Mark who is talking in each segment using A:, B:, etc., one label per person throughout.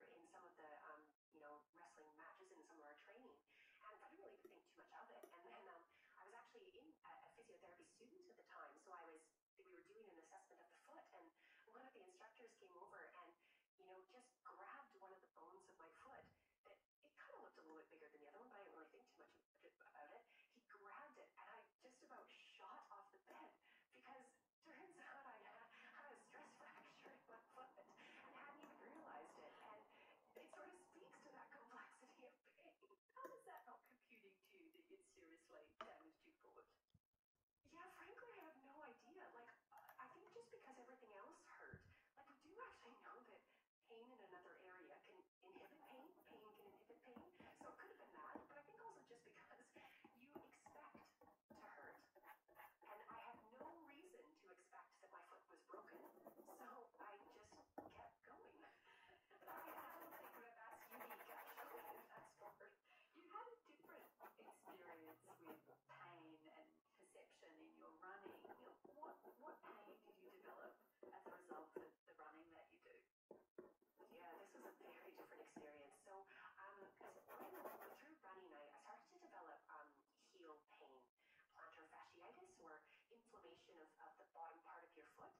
A: in some of the um, you know wrestling matches and some of our training, and I didn't really think too much of it. And then um, I was actually in a, a physiotherapy student at the time, so I was we were doing an assessment of the foot, and one of the instructors came over and you know just grabbed one of the bones of my foot that it kind of looked a little bit bigger than the other one, but I didn't really think too much about it. He grabbed it, and I just about shot off the bed because Turns out I uh, had a stress fracture in my foot and hadn't even realized it. And it sort of speaks to that complexity of pain. How is that not computing to you seriously
B: damaged your foot?
A: Yeah, frankly, I have no idea. Like, I think just because everything else hurt, like, we do actually know that pain in another area can inhibit pain, pain can inhibit pain. So it could have been that, but I think also just because you expect to hurt. And I had no reason to expect that my foot was broken, so I just kept going. I don't think that actually, if that's the You had a different experience with pain and perception in your running. What, what pain did you develop as a result of the running that you do? Yeah, this was a very different experience. So, um, through running, I started to develop um, heel pain, plantar fasciitis, or inflammation of, of the bottom part of your foot.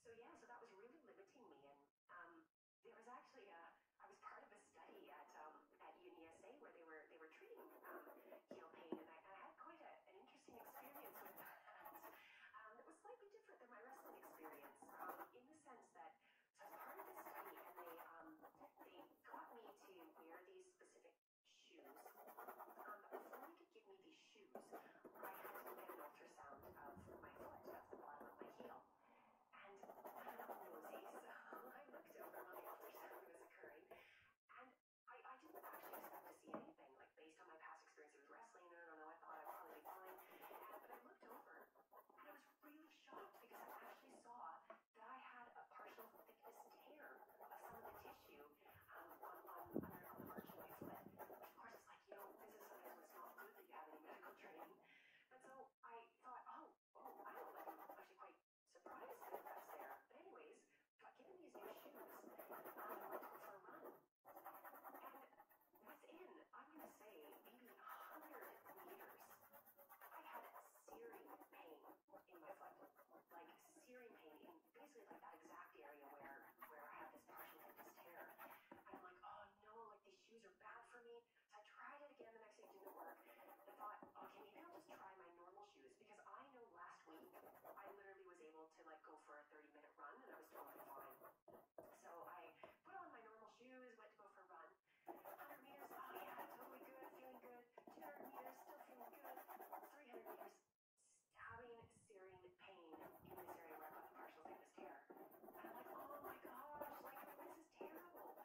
A: So, yeah, so that was really limiting me. And um, there was actually a, I was part of a study at um, at UniSA where they were they were treating heel pain, and I, had quite an interesting experience with that. it was slightly different than my wrestling experience in the sense that so I was part of this study, and they um, they got me to wear these specific shoes. Um, but before they could give me these shoes, I had to get an ultrasound of my foot, of the bottom of my heel. And I don't know nosies, so I looked over while the ultrasound was occurring, and I, I didn't actually expect to see anything. Like based on my past experience with wrestling, I don't know, I thought I'd probably be fine. And, but I looked over, and I was really shocked because I actually saw that I had a partial thickness tear of some of the tissue um, on, on, under, on the virtual split. Of course, it's like, you know, this is not good that you have any medical training. And so I thought, oh, oh I'm actually quite surprised that that's there. But anyways, given these new shoes um, for a run. within, I'm say, maybe 100 meters I had a searing pain in my foot, like searing pain in basically like that exact area where where I had this partial and this tear. I'm like, oh no, like these shoes are bad for me. So I tried it again the next day, didn't work. I thought, okay, maybe I'll just try my normal shoes because I know last week I literally was able to like go for a 30 minute run and I was totally fine. So I put on my normal shoes, went to go for a run, 100 meters, oh yeah, totally good, feeling good. 200 meters, still feeling good. 300 meters, stabbing, searing pain in this area where I the partial sinus tear. And I'm like, oh my gosh, like this is terrible.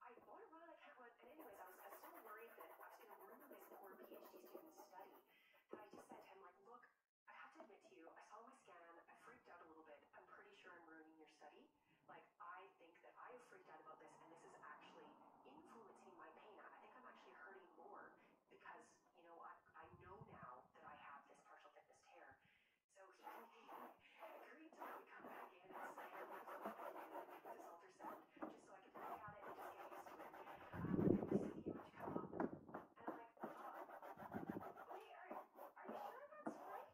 A: I want to run, I can't And anyways, I was, I was so worried that I was going to ruin this poor PhD student's study that I just said to him, like, look, I have to admit to you, I saw my scan, I freaked out a little bit. I'm pretty sure I'm ruining your study. Like, I think that I freaked out about this, and this is actually influencing my pain. I think I'm actually hurting more because, you know, I, I know now that I have this partial thickness tear. So he agreed to let
C: me come back in and say, I'm going this ultrasound just so I could look at it and just get used to it. Um, and the CD would come up. And I'm like, oh, wait, are, are you sure that's right?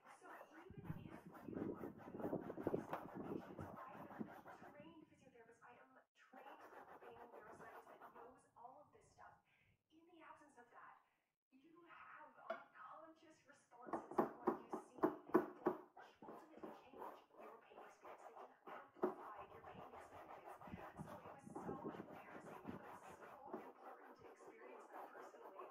A: So even if you know these information, so I am a trained physiotherapist, I am a trained being neuroscientist that knows all of this stuff.
B: In the absence of that, you have unconscious responses to what you see. They ultimately change your pain experience. They amplify your pain experience. So it was so embarrassing, but so important
C: to experience that personally.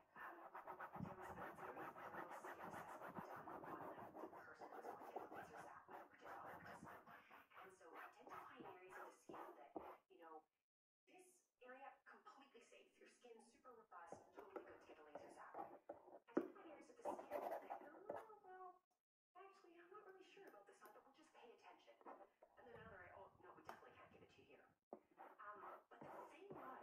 A: identifying areas of the skin that, you know, this area completely safe. Your skin super robust, totally good to get a laser zap. Identifying areas of the skin that, oh, well, actually, I'm not really sure about this one, but we'll just pay attention. And then another, oh, no, we definitely can't give it to you Um, but the thing was,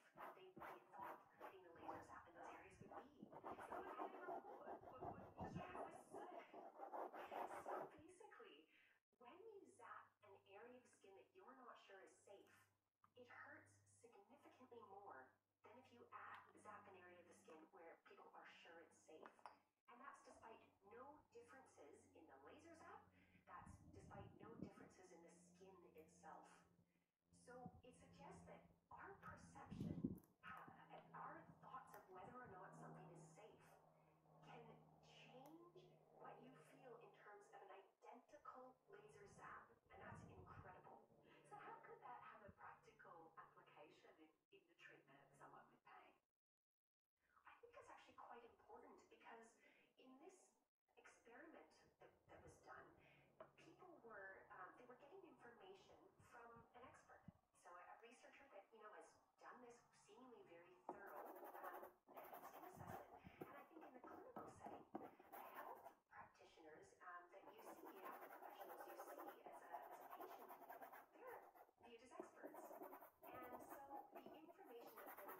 A: It basically, when you zap an area of skin that you're not sure is safe, it hurts significantly more than if you zap an area of the skin where people are sure it's safe. And that's despite no differences in the laser zap, that's despite no differences in the skin itself. So it suggests that our
C: perception uh, our thoughts of whether or not something is safe can change what you feel in terms of an
A: identical laser zap. And that's incredible. So how could that have a practical application in, in the treatment of someone with pain? I think it's actually quite important because in this experiment that, that was done, people were, um, they were getting information from an expert. So a, a researcher that, you know, has done this seemingly very thorough um, testing assessment. And I think in the clinical setting, the health practitioners um, that you see, health professionals you see as a, as a patient, they're viewed as experts. And so the information that they provide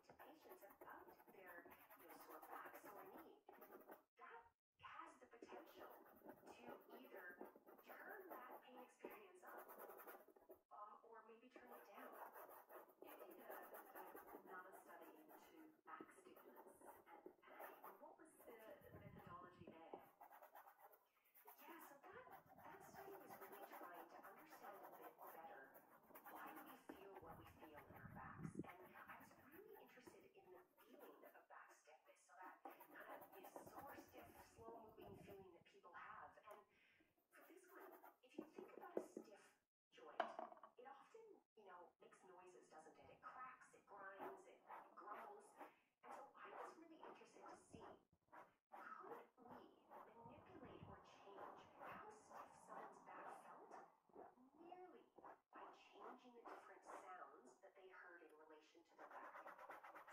A: to patients about their, their sore back, sore knee, that has the potential to either turn that pain experience up um, or maybe turn it down. Yeah, I did uh, another study into back stiffness and pain. What was the methodology there? Yeah, so that, that study was really trying to understand a bit better why we feel what we feel in our backs. And I was really interested in feeling of backstepness, so that kind of exhaustive, slow-moving feeling that people have. And for this one, if you think about a stiff joint, it often, you know, makes noises, doesn't it? It cracks, it grinds, it, grumbles. And so I was really interested to see manipulate or change how stiff someone's back felt merely by changing the different sounds that they heard in relation to the vacuum.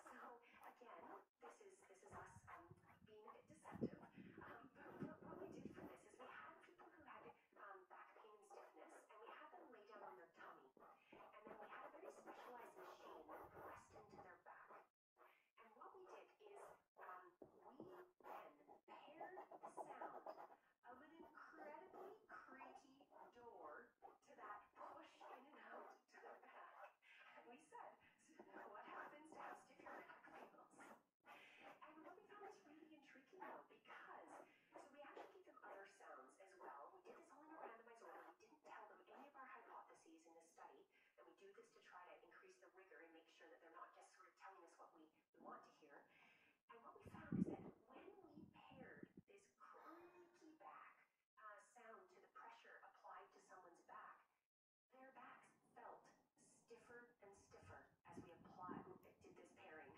A: So again, this is this is us um, being a bit deceptive. Um, but what, we did for this is we had people who had um, back pain and stiffness, and we had them lay down on their tummy, and then we had a very specialized machine pressed into their back. And what we did is we then paired the of an incredibly creaky door to that push in and out to the back. And we said, what happens to house if your back fails? And what we found was really intriguing because so we actually gave them other sounds as well. We did this all in a randomized order. We didn't tell them any of our hypotheses in this study, and we do this to try to increase the rigor and make sure that they're not just sort of telling us what we, we want to hear. And what we found is that when we paired this creaky back uh, sound to the pressure applied to someone's back, their backs felt stiffer and stiffer as we applied did this pairing.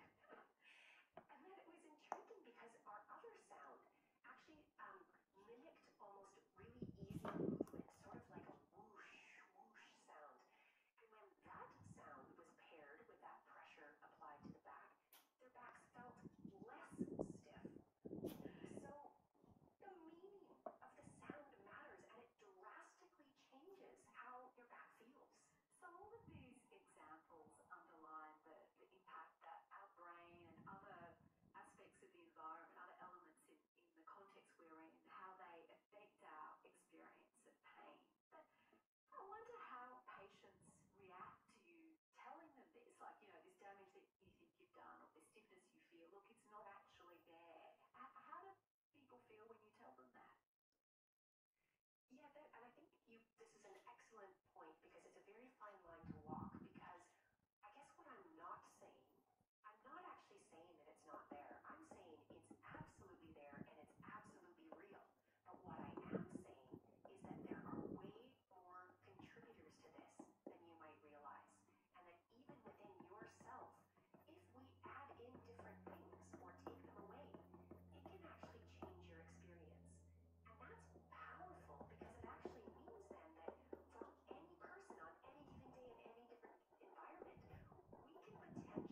A: and then it was intriguing because our other sound actually um, mimicked almost really easy movement, sort of like a whoosh, whoosh sound. And when that sound was paired with that pressure applied to the back, their backs felt less stiff. So the meaning of the sound matters and it drastically changes how your back feels. So all of these examples underline the, the impact that our brain
B: and other aspects of the environment, other elements in, in the context we're in, how they affect our experience of pain. I wonder how patients react to you telling them this, like, you know, this damage that you think you've done or this
A: stiffness you feel, look, it's not actually there. How do people feel when you tell them that? Yeah, and I think you, this is an excellent point because it's a very fine line to walk because I guess what I'm not saying, I'm not actually saying that it's not there. I'm saying it's absolutely there and it's absolutely real. But what I am saying is that there are way more contributors to this than you might realize. And that even within yourself, if we add in different things or take them away, it can actually change your experience. And that's powerful because it actually means then that from any person on any given day in any different environment, we can potentially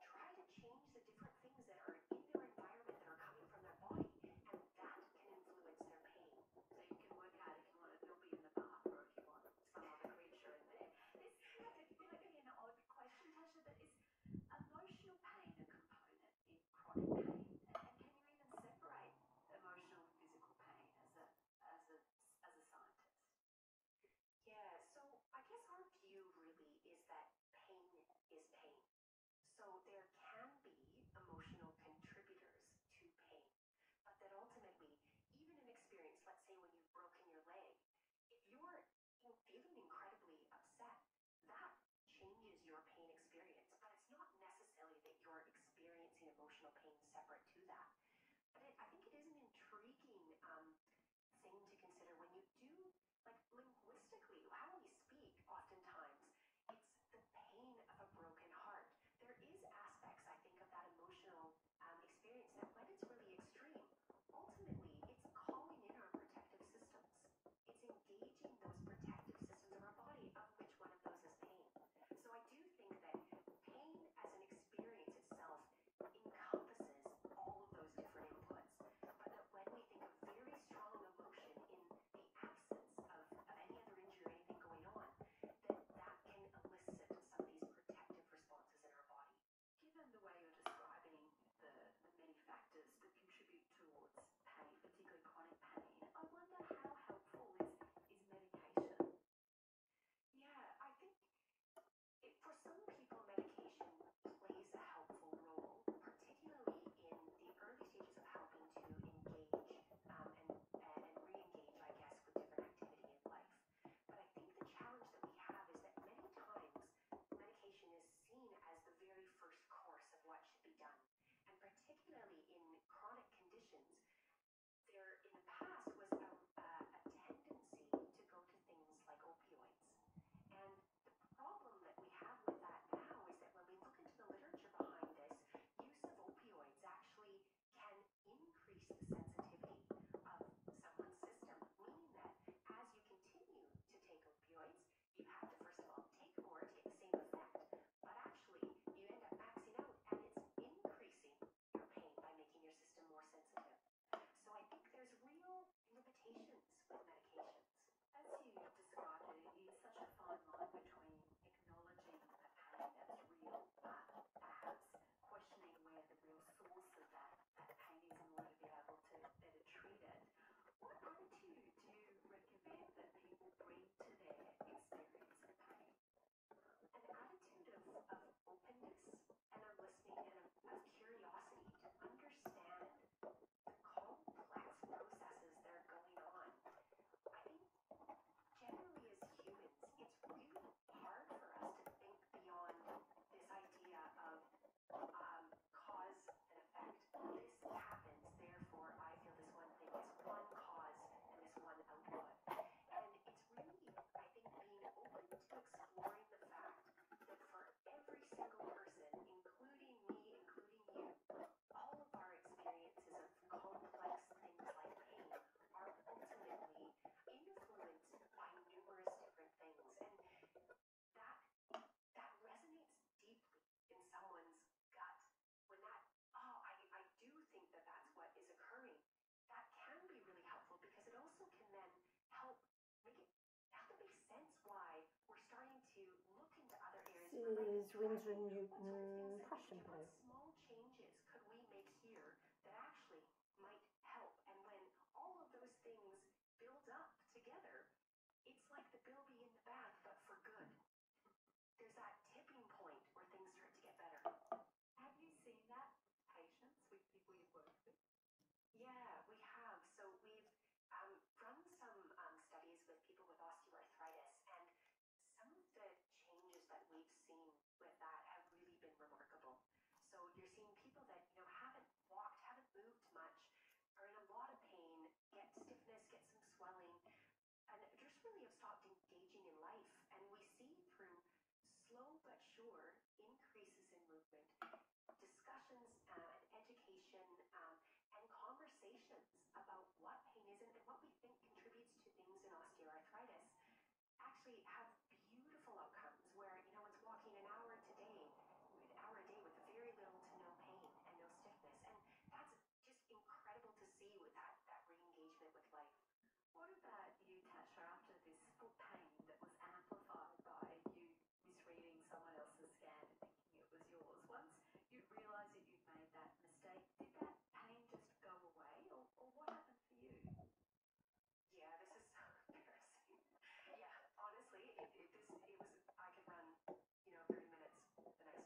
A: try to change the different things that are in their environment that are coming from their body, and that can influence their pain. So you can work out if you want a zombie in the bath or if you want some other creature in there. This seems like an odd question, Tasha, but emotional pain a component in chronic pain? and can you even separate emotional and physical pain as a, as a, as a scientist? Yeah, so I guess our view really is that pain is pain. So there can be emotional contributors to pain, but that ultimately, even an experience, let's say when you've broken your leg, if you're feeling incredibly upset, that changes your pain experience, but it's not necessarily that you're experiencing emotional pain separate to that. But I think it is an intriguing um, thing to consider when you do, like linguistically, how we speak oftentimes. It's the pain of a broken heart. There is aspects, I think, of that emotional um, experience that when it's really extreme, ultimately it's calling in our protective systems. It's engaging those protective systems of our body, of which one of those is pain. So I do think that
B: pain as an experience itself encompasses all of those different inputs, but that when we think of very strong emotion in the absence of, of any other injury or anything going on, that that can elicit some of these protective responses in our body. Given the way you're describing the, the many factors that contribute towards pain, particularly chronic pain, I wonder how helpful is, is medication? Yeah, I think for some people, medication plays a helpful role,
A: particularly in the early stages of helping to engage um, and, and re I guess, with different activity in life. But I think the challenge that we have is that many times medication is seen as the very first course of what should be done. And particularly in chronic conditions, there in the past was a tendency to go to things like opioids. And problem that we have with that now is that when we look into the literature behind this, use of opioids actually can increase the sensitivity of someone's system, meaning that as you continue to take opioids, you have to first
B: of all take more to get the same effect, but actually you end up maxing out and it's increasing your pain by making your system more sensitive. So I think there's real limitations with medications. As you described it is such a fine line between acknowledging a pain that's real, but perhaps questioning where the real source of that, that pain is in order to be able to better treat it. What attitude do you recommend that people bring to their experience of pain? An attitude of, of openness, and i listening and of
A: curiosity to understand complex processes that are going on. I think generally as humans, it's really hard for us to think beyond this idea of um, cause and effect. This happens, therefore I feel this one thing. It's one cause and this one output. And it's really, I think, being open to exploring the fact that for every single person, including me, including you, all of our experiences of complex things like pain are ultimately influenced by numerous different things. And that that resonates deeply in someone's gut. When that, oh, I, I do think that that's what is occurring, that can be really helpful because it also can then help is Winsor Newton fashion blue. small changes could we make here that actually might help? And when all of those things build up together, it's like the bilby in the bath, but for good. There's that tipping point where things start to get better. Have you seen that? Patience with people you've with. Yeah, we have. So we've um, run some um, studies with people with osteoarthritis, and some of the changes that we've seen with that have really been remarkable. So you're seeing people that you know haven't walked, haven't moved much, are in a lot of pain, get stiffness, get some swelling, and just really have stopped engaging in life. And we see through slow but sure increases in movement discussions uh, and education um, and conversations about what pain is and what we think contributes to things in osteoarthritis actually have beautiful outcomes where, you know, it's walking an hour today, an hour a day with very little to no pain and no stiffness. And that's just incredible to see with that, that re with life. What about you, Tasha, after this foot pain that was amplified by you misreading someone else's scan thinking it was yours. Once you realised that you'd made that mistake, did that pain just go away, or, what happened for you? Yeah, this is so embarrassing. yeah, honestly, it, it, was, I could run, you know, 30 minutes the next day.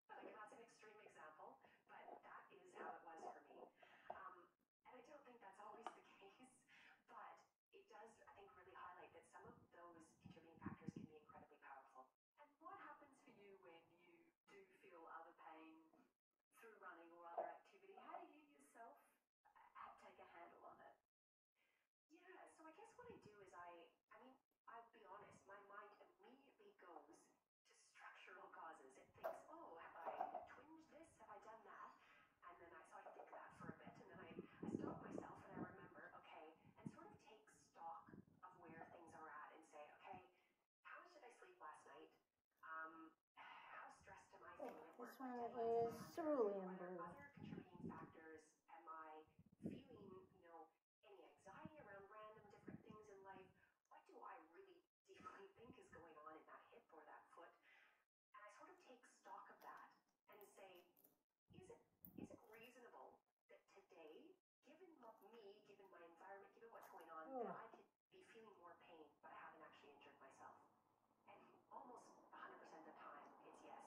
A: Like, that's an extreme example, but that is how it was for me. Um, and I don't think that's always the case, but it does, I think, really highlight that some of
B: those contributing factors can be incredibly powerful. And what happens for you when you do feel other pain
A: through running or other activity? How do you yourself uh, take a handle on it? Yeah, so I guess what I do is I, I mean, I'll be honest, my mind immediately goes to structural causes. It thinks, oh, have I twinged this? Have I done that? And then I, so I think that for a bit, and then I, I stop myself and I remember, okay, and sort of take stock of where things are at and say, okay, how much did I sleep last night? Um, how stressed am I feeling This one is Cerulean Other contributing factors? Am I feeling, you know, any anxiety around random different things in life? What do I really deeply think is going on in that hip or that foot? And I sort of take stock of that and say, is it is it reasonable that today, given me, given my environment, given what's going on, that oh. I could be feeling more pain, but I haven't actually injured myself? And almost 100% of the time, it's yes.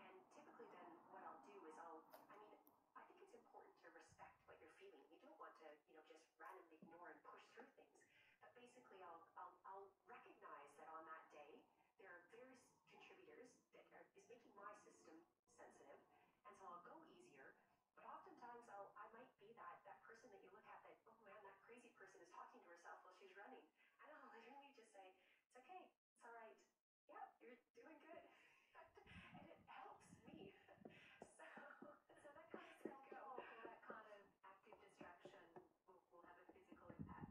A: And typically, then what I'll do is I'll, I mean, I think it's important to respect what you're feeling. You don't want to, you know, just randomly ignore and push through things. But basically, I'll, I'll, I'll recognize that on that day, there are various contributors uh, is making my system sensitive, and so I'll go easier. But oftentimes, I'll, I might be that, that person that you look at that, oh man, that crazy person is talking to herself while she's running. And I'll literally just say, it's okay, it's all right. Yeah, you're doing good. and it helps me. so, so that kind of self talk or that kind of active distraction will, will have a physical impact.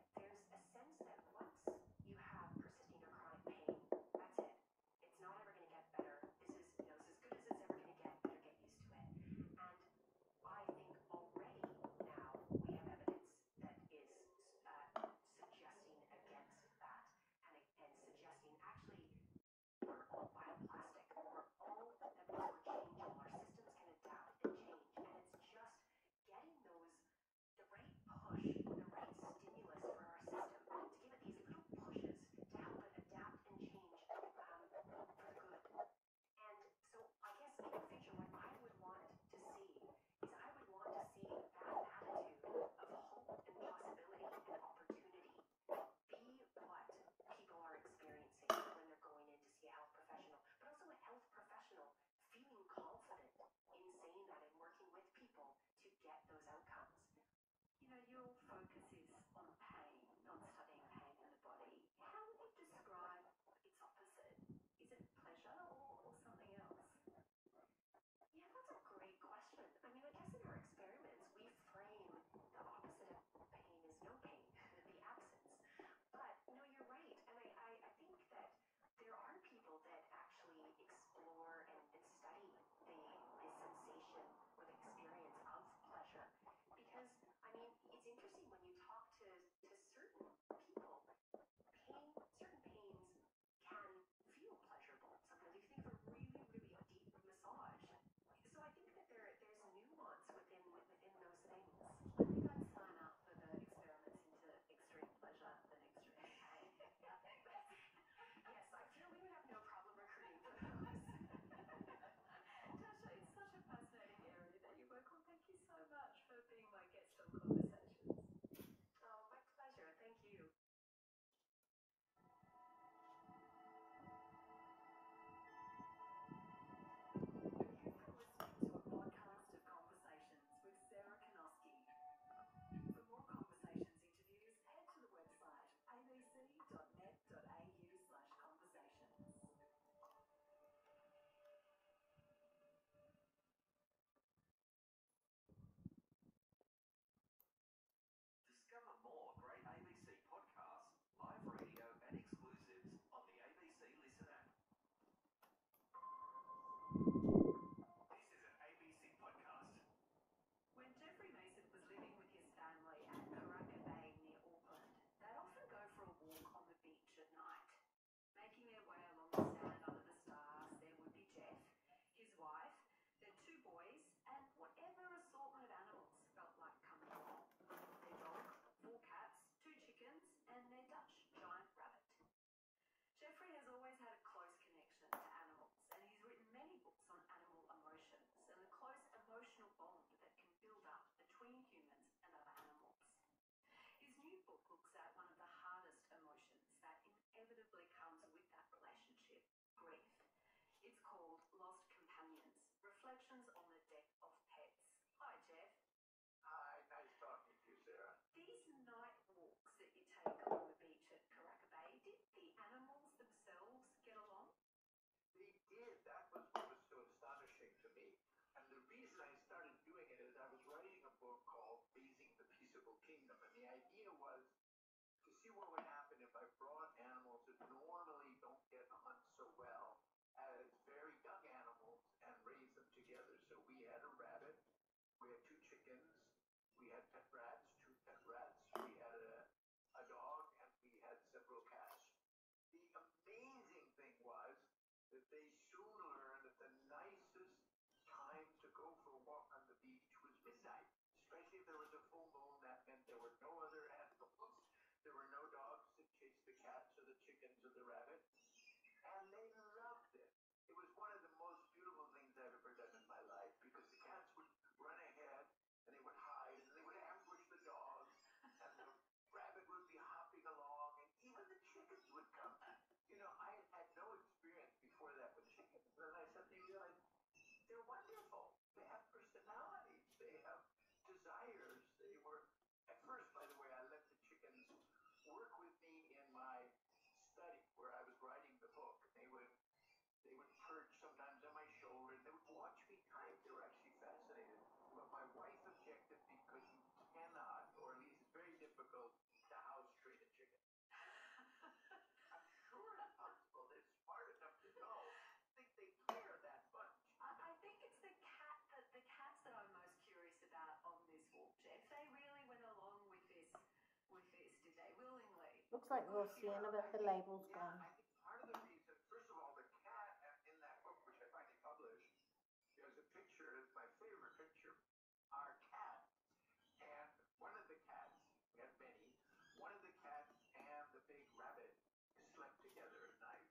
A: There's a sense that once you have persisting or chronic pain, that's it. It's not ever going to get better. This is, as good as it's ever going to get. Better get used to it. And I think already now we have evidence that is uh, suggesting against that and, and suggesting actually we're all all adaptable. We're changeable. Our systems can adapt and change. And it's just getting those the right push, the right stimulus for our system to give it these little pushes to help it adapt and change um, for good. And so I guess in the future, what I would want to see is I would want to see that attitude of hope and possibility and opportunity be what people are experiencing when they're going in to see a health professional, but also a health professional feeling confident in saying that and working with people to get those outcomes. You know, your focus is on pain, not studying pain
B: in the body. How would you describe its opposite? Is it pleasure or, something else? Yeah, that's a great question. I mean, I
A: guess in our experiments, we frame the opposite of pain is no pain, the absence. But no, you're right. And I, I think that there are people that actually explore and, study the, the sensation or the experience of pleasure. Because, I mean, it's interesting when you talk to, to certain people, pain, certain pains can feel pleasurable. Sometimes you think of a really, really deep massage. So I think that there, there's nuance within, within those things. yes, I feel we would have no problem recruiting those. Tasha, it's such a fascinating area that you work on. Thank you so much for being my guest on Conversations. Oh, my pleasure. Thank you.
B: of Conversations. Conversations with Sarah Kanoski. For more conversations interviews, head to the website abc.net.au conversations. Discover more great ABC podcasts, live radio and exclusives on the ABC Listen app. This is When Jeffrey Mason was living with his family at Karaka Bay near Auckland, they'd often go for a walk on the beach at night. Making their way along the sand under the stars, there would be Jeff, his wife, their two boys, and whatever assortment of animals felt like coming along. Their dog, four cats, two chickens, and their Dutch giant rabbit. Jeffrey has always had a close connection to animals, and he's written many books on animal emotions and the close emotional bond that can build up between humans and other animals. His new book looks at one of the hardest emotions that inevitably comes with that relationship grief. It's called Lost Companions Reflections on the Death of Pets. Hi, Jeff. Hi, nice talking to you, Sarah. These
D: night walks that you take along the beach at Karaka did the animals themselves get along? They did. That was what was so astonishing to me. And the reason I started doing it is I was writing a book called Raising the Peaceable Kingdom. And the idea was to see what would happen if I brought animals that normally don't get hunt so well very young animals and raise them together. So we had a rabbit we had two chickens. We had pet rats, two pet rats. We had a, a dog, and we had several cats. The amazing thing was that they soon learned that the nicest time to go for a walk on the beach was midnight, especially if there was a full moon. That meant there were no other animals. There were no dogs to chase the cats or the chickens or the rabbits. And they loved it it was one of the most beautiful things I've ever done in my life because the
B: cats would run ahead and they would hide and they would ambush the dogs and the rabbit would be hopping along and even the chickens would come. You know, I had no experience before that with chickens. And then I suddenly realized they're wonderful. They have personalities. They have desires. They were, at first, by the way, I let the chickens work with me in my study where I was writing the book. They would they would perch sometimes on my shoulder and they would watch me type. They were actually fascinated. But my wife objected because you cannot, or at least it's very difficult, to house train a chicken. I'm sure it's possible. They're smart enough to know. I think they care that much. I, I think it's the cat that the cats that I'm most curious about on this walk involved. If they really went along with this, with this, did they willingly? Looks like we'll see another but the label's yeah, gone. I think part of the reason, first of all, the cat
D: in that book, which I finally published, there's a picture, it's my favorite picture, our cat. And one of the cats, we have many, one of the cats and the big rabbit slept together at night.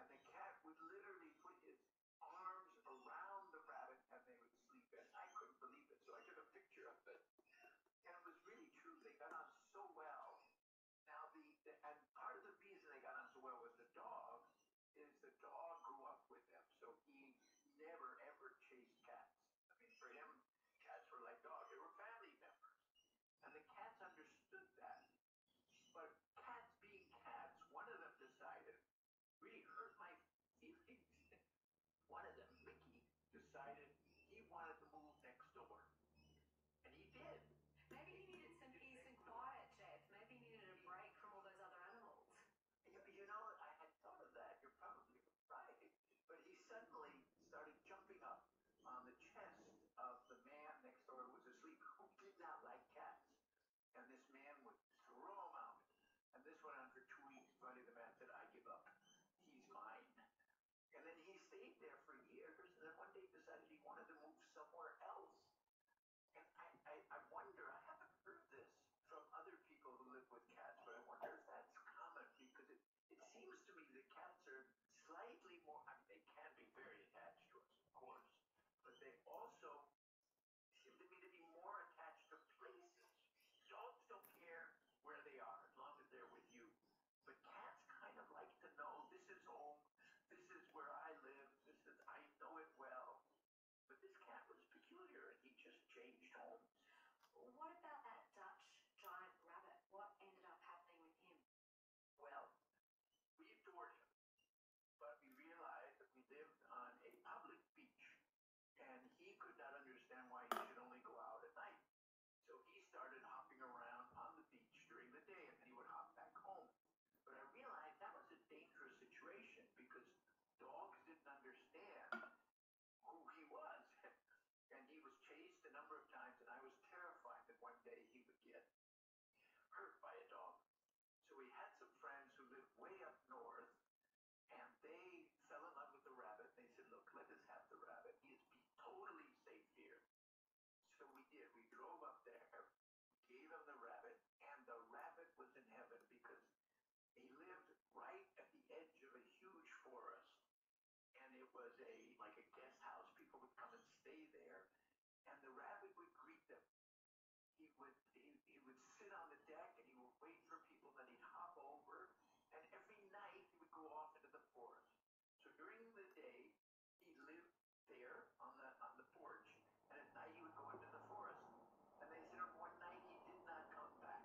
D: And the cat would literally put his arms around the rabbit and they would sleep in. I couldn't believe it, so I took a picture of it. And it was really true. They got on so well. Now the, the and part of the reason they got on so well with the
B: dog is the dog grew up with them, so he never ever chased cats. I mean, for him, cats were like dogs; they were family members, and the cats understood that. But cats being cats, one of them decided reading her like feelings. One of them, Ricky, decided he wanted to move next door. And he did. Maybe he needed some peace and quiet, Jeff. Maybe he needed a break from all those other animals. You, you know, I had thought of that. You're probably right. But he suddenly started jumping up on the
D: chest of the man next door who was asleep who did not like cats. And this man would throw him out and this went on for two weeks. Finally, the man said, I give up. He's mine. And then he stayed there for years. And then one day decided he wanted to move somewhere else. And I, I, I wonder, I haven't heard this from other people who live with cats, but I wonder if that's common because it, it seems to me that cats are slightly more, I mean, they can be very attached to us, of course, but they also Shoot them into be more attached to places. Dogs don't care where they are as long as they're with you. But cats kind of like to know this is home, this is where I live, this is I know it well. But this cat was peculiar and he just changed homes.
B: What about that Dutch giant rabbit? What ended up happening with him? Well, we adored him, but we
D: realized that we lived on a public beach and he could not understand why he should only go out at night. So he started hopping around on the beach during the day, and then he would hop back home. But I realized that was a dangerous situation because dogs didn't understand who he was. and he was chased a number of times, and I was terrified that one day he would get hurt by a dog. So we had some friends who lived way up north, and they fell in love with the rabbit. They said, look, let us have the rabbit. He is totally safe here. So we did. We drove up there, gave him the rabbit, and the rabbit was in heaven because he lived right at the edge of a huge forest. And it was a like a guest house. People would come and stay there. And the rabbit would greet them he would he, he would sit on the deck and he would wait for people that he'd hop over and every night he would go off into the forest so during the day he lived there on the on the porch and at night he would go into the forest and they said one night he did not come back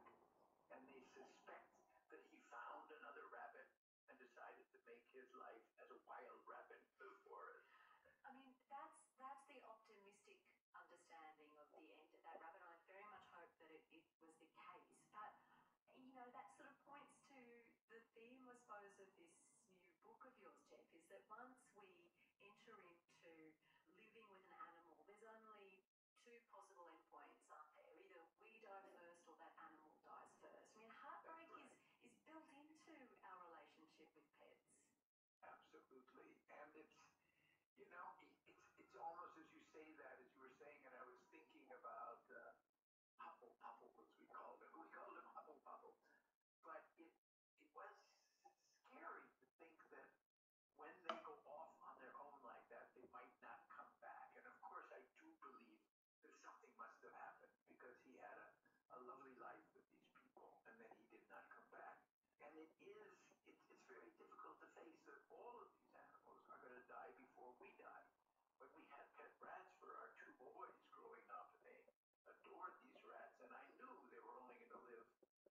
D: and they suspect that he found another rabbit and decided to make his life as a wild rabbit in the
B: forest i mean that's that's the optimistic understanding of the end of that rabbit. I very much hope that it, was the case. But, you know, that sort of points to the theme, I suppose, of this new book of yours, Jeff, is that once we enter into living with an animal, there's only two possible endpoints, are there? Either we die first or that animal dies first. I mean, heartbreak is, is built into our relationship with pets.
D: Absolutely. And it's, you know, it, it's, it's almost as you say that, as you were saying, and I was thinking about uh, Hubble Bubble, as we called it. We called it Hubble Bubble. But it, it was scary to think that when they go off on their own like that, they might not come back. And of course, I do believe that something must have happened because he had a, a lovely life with these people and then he did not come back. And it is, it, it's very difficult to face that all of these animals are going to die before we die. But we had pet rats for our two boys growing up, and they adored these rats. And I knew they were only going to live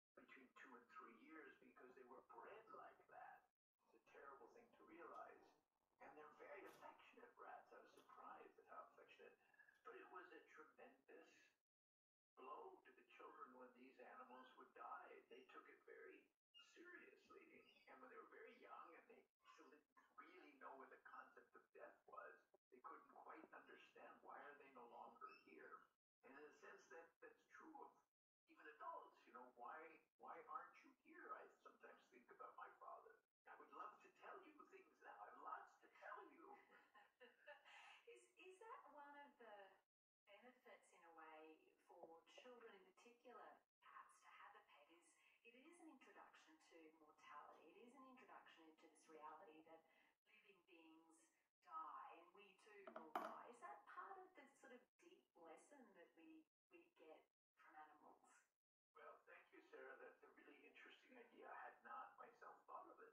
D: between two and three years because they were bred like that. It's a terrible thing to realize. And they're very affectionate rats. I was surprised at how affectionate. But it was a tremendous blow to the children when these animals would die. They took it very seriously. And when they were very young and they still didn't really know what the concept of death was, they couldn't quite understand why are they no longer here. And in a sense, that that's true of even adults. You know, why why aren't you here? I sometimes think about my father. I would love to tell you things now. I have lots to tell you.
B: is is that one of the benefits in a way for children in particular perhaps to have a pet is it is an introduction to mortality it is an introduction into this reality that living beings die and we too will die is that part of the sort of deep lesson that we we get from animals
D: well thank you sarah that's a really
B: interesting idea i had
D: not myself thought of it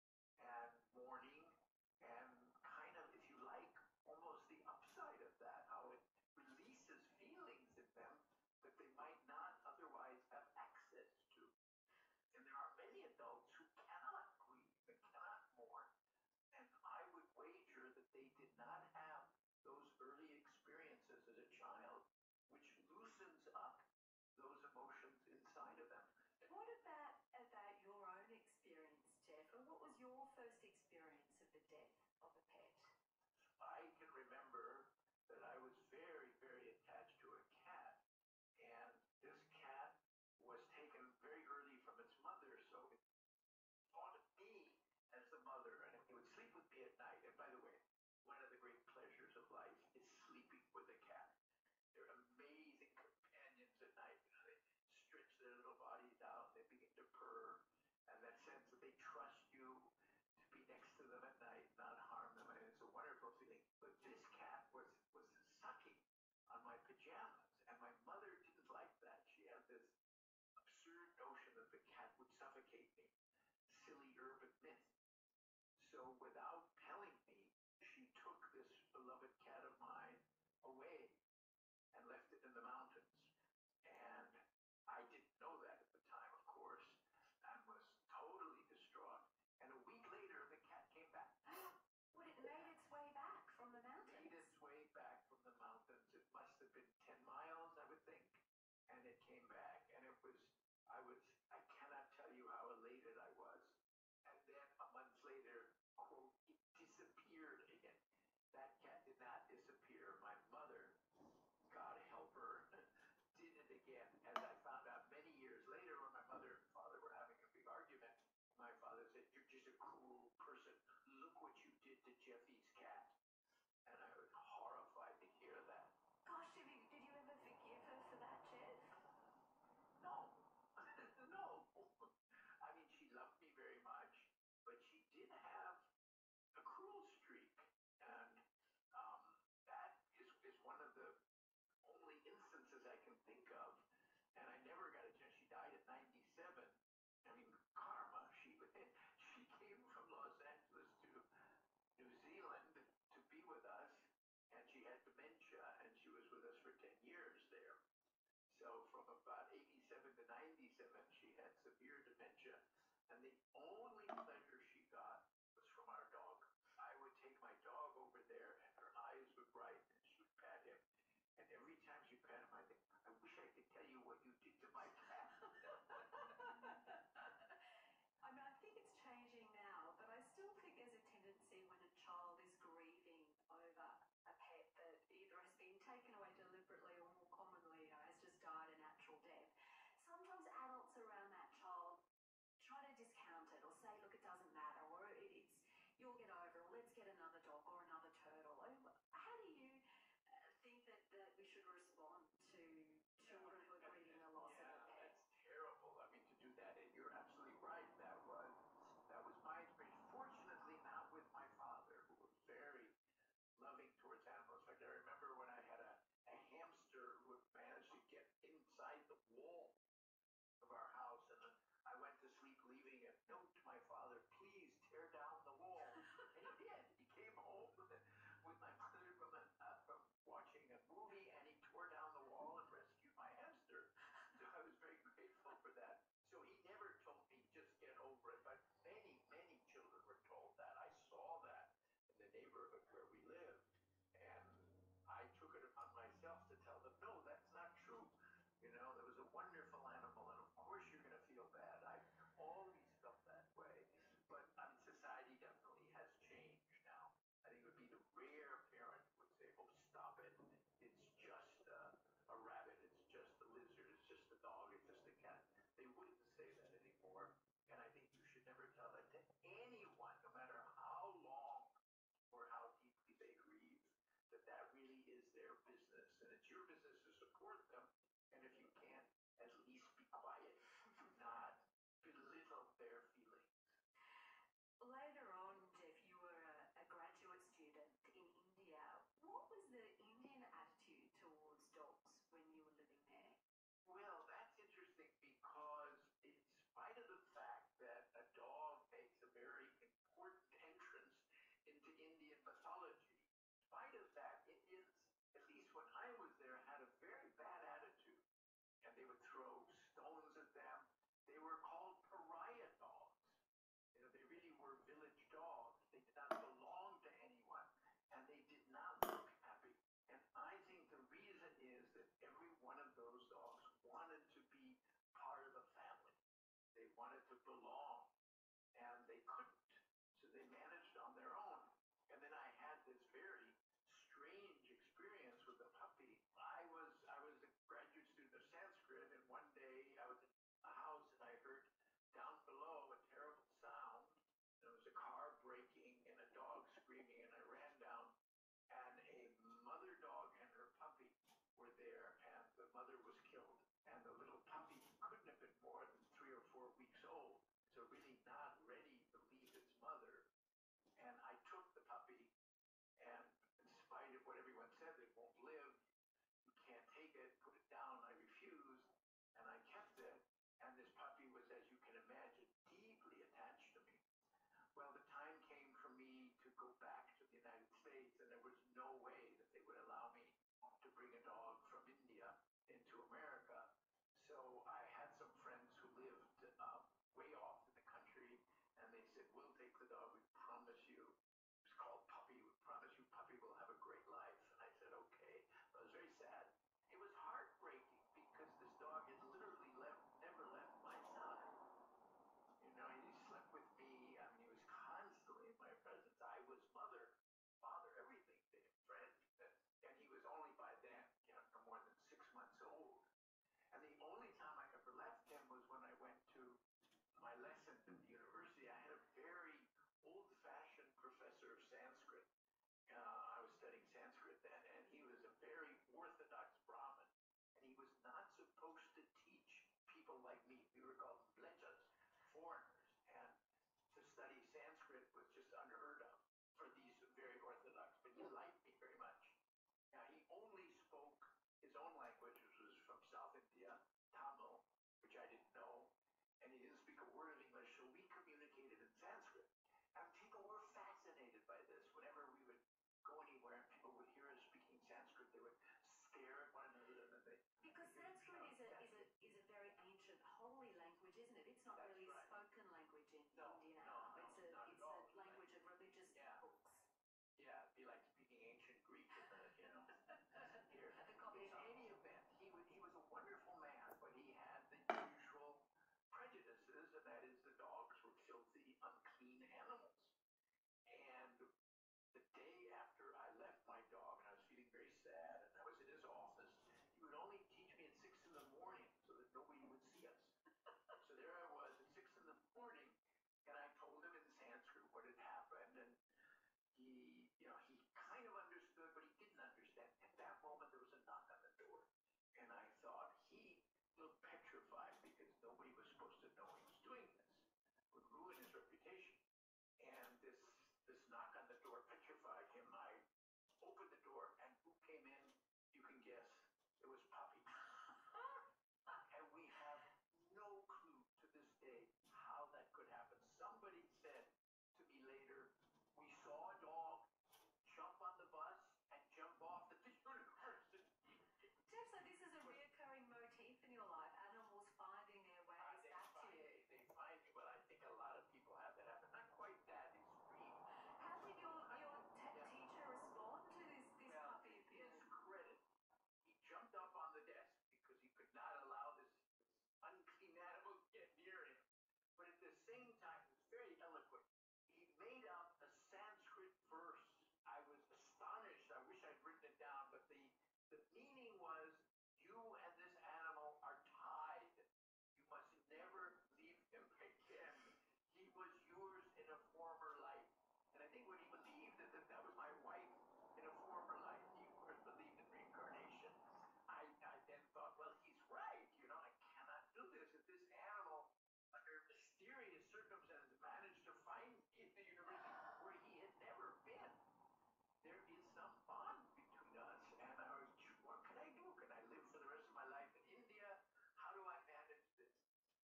D: and warning and kind of, if you like, almost the
B: upside of that, how it releases feelings in them that they might not otherwise have access to. And there are many adults who cannot grieve and cannot mourn. And I would wager that they did not have those early experiences as a child, which loosens up those emotions inside of them. But what about about your own experience, Jeff? What was your first experience of the death of a pet?
D: I can remember that I was very, very attached to a cat, and this cat was taken very early from its mother, so it haunted me as the mother, and it would sleep with me at night. And by the way, one of the great pleasures of life is sleeping with a cat. They're amazing companions at night. You know, they stretch their little bodies out, they begin to purr, and that sense that they trust you to be next to them at night, not harm them, and it's a wonderful feeling. But this cat was was sucking on my pajamas, and my mother didn't like that. She had this absurd notion that the cat would suffocate me. Silly urban myth so without telling me, she took this beloved cat of mine away and left it in the mountains. And I didn't know that at the time, of course, and was totally distraught. And a week later, the cat came back.
B: Would it made its way back from the mountains? Made
D: its way back from the mountains. It must have been 10 miles, I would think. And it came back, and it was, I was, I cannot tell you how elated I was. And then a month later, quote, it disappeared again. That cat did not disappear.
C: My mother, God help her, did it again. As I found out many years later, when my mother and father were having a big argument, my father said, You're just a cruel person. Look what you did to Jeffy's cat. And I was horrified
D: to hear that.
B: Gosh, did you, did you ever forgive her for that, Jeff?
D: No, no. I mean, she loved me very much, but she did have a cruel streak, and um, that is, is one of the only instances I can think of. And I never got a chance. She died at 97. I mean, karma. She she came from Los Angeles to New Zealand to be with us, and she had dementia, and she was with us for 10 years there. So from about 87 to 97, she had severe dementia, and the only pleasure she got was from our dog. I would take my dog over there, and her eyes would brighten, and she would pat him. And every time she pat him, I think, I wish I could tell you what you did to my
B: cat. I mean, I think it's changing now, but I still think there's a tendency when the child is grieving over a pet that either has been taken away deliberately or more commonly you know, has just died a natural death. Sometimes adults around that child try to discount it or say, look, it doesn't matter, or it's you'll get over, or let's get another dog or another turtle. How do you uh, think that, that we should respond to children who are grieving the loss yeah, of a pet? That's terrible.
D: I mean, to do that, and you're absolutely right. That was that was my experience. Fortunately, not with my father, who was very loving towards animals. In fact, I remember when I had a, a hamster who managed to get inside the wall of our house, and then I went to sleep leaving a note to my father, please tear down the wall. and he did. He came home with my mother from, a, uh, from watching a movie, and he tore down the wall and rescued my hamster pastor. So I was very grateful for that. So he never told me, just get over it. But many, many children were told that. I saw that in the neighborhood where we lived. And I took it upon myself to tell them, no, that's not true. You know, there was a wonderful animal, and of course you're going to feel bad. I always felt that way. But um, society definitely has changed now. I think it would be the rare parent would say, "Oh, stop it! It's just a, a rabbit. It's just a lizard. It's just a dog. It's just a cat." They wouldn't say that anymore. And I think you should never tell that to anyone, no matter how long or how deeply they grieve. That that really is their business, and it's your business to support
B: them. And if you can't, at least be quiet. Do not belittle their feelings. Later on, Jeff, you were a, a, graduate student in India. What was the Indian attitude towards dogs when you were living there? Well, that's interesting because, in spite of the fact that a dog makes a very important entrance into Indian mythology, in spite of that, Indians, at least when I was there, had a very bad attitude and they would throw stones at them. They were called pariah dogs. You know, they really were village dogs. They did not belong to anyone, and they did not look happy. And I think the reason is that every one of those dogs wanted to be part of the family. They wanted to belong, and they couldn't. So they managed on their own. And then I had this very strange experience
D: with a puppy. I was I was the graduate student of Sanskrit, and one day I was in a house and I heard down below a terrible sound. There was a car braking and a dog screaming, and I ran down, and a mother dog and her puppy were there, and the mother was killed, and the little puppy couldn't have been more than three or four weeks old, so really not ready to leave its mother. And I took the puppy, and in spite of what everyone said, it won't live, you can't take it, put it down, I refused, and I kept it. And this puppy was, as you can imagine, deeply attached to me. Well, the time came for me to go back to the United States, and there was no way that they would allow me to bring a dog from India into America. So I had some friends who lived um, way off in the country, and they said, "We'll take the dog. We promise you." It was called Puppy. We promise you, Puppy will have a great life. And I said, "Okay." I was very sad. It was heartbreaking because this dog had literally left, never left my side. You know, he slept with me. I mean, he was constantly in my presence. I was mother, father, everything to him, friend. And he was only by then, you know, no more than six months old. And the only time I ever left them was when I went to my lessons at the university. I had a very
B: old fashioned professor of Sanskrit. Uh, I was studying Sanskrit then, and he was a very orthodox Brahmin. And he was not supposed to teach people like me. We were called blechas, foreigners. And to study Sanskrit was just unheard of for these very orthodox. But he liked me very much. Now, he only spoke his own language, which was from South India, Tamil, which I didn't know, and he didn't speak a word of English, so we communicated in Sanskrit. And people were fascinated by this. Whenever we would go anywhere and people would hear us speaking Sanskrit, they would stare at one another and they because Sanskrit is a is a is a very ancient holy language, isn't it? It's not That's really right. spoken language in no, India. No, no, it's a it's
D: a language of religious yeah. books. Yeah, it'd be like speaking ancient Greek with her, you know. Here, in any event, he was, he was a wonderful man, but he had the usual prejudices, and that is the dogs were filthy, unclean animals. And the day after I left my dog, and I was feeling very sad, and I was in his office, he would only teach me at 6 in the morning so that nobody would see us. so there I was at 6 in the morning, and I told him in Sanskrit what had happened, and he, you know, he kind of understood, but he didn't understand. At that moment, there was a knock on the door, and I thought he looked petrified because nobody was supposed to know he was doing this. It would ruin his reputation. And this this knock on the door petrified him. I opened the door, and who came in? You can guess. It was Poppy. And we have no clue to this day how that could happen. Somebody said to me later, we saw a dog jump on the bus and jump off at the
B: university. Jeff, so this is a reoccurring motif in your life, animals finding their ways ah, uh, they back find, to you. They find you, but I think a lot of people have that happen. Not quite that extreme. How did your, your yeah. teacher respond to this, this well, puppy appearing?
D: credit he jumped up on the desk because he could not allow this unclean animal to get near him. But at the same time, he was very eloquent. He made up a Sanskrit verse. I was astonished. I wish I'd written it down, but the, the meaning was you and this animal are tied. You must never leave him again. She was yours in a former life. And I think when he believed that, that that was my wife in a former life, he of course believed in reincarnation. I, I then thought, well, he's right. You know, I cannot do this. If this animal, under mysterious circumstances, managed to find in the universe where he had never been, there is some bond between us. And I was, what can I do? Can I live for the rest of my life in India? How do I manage this?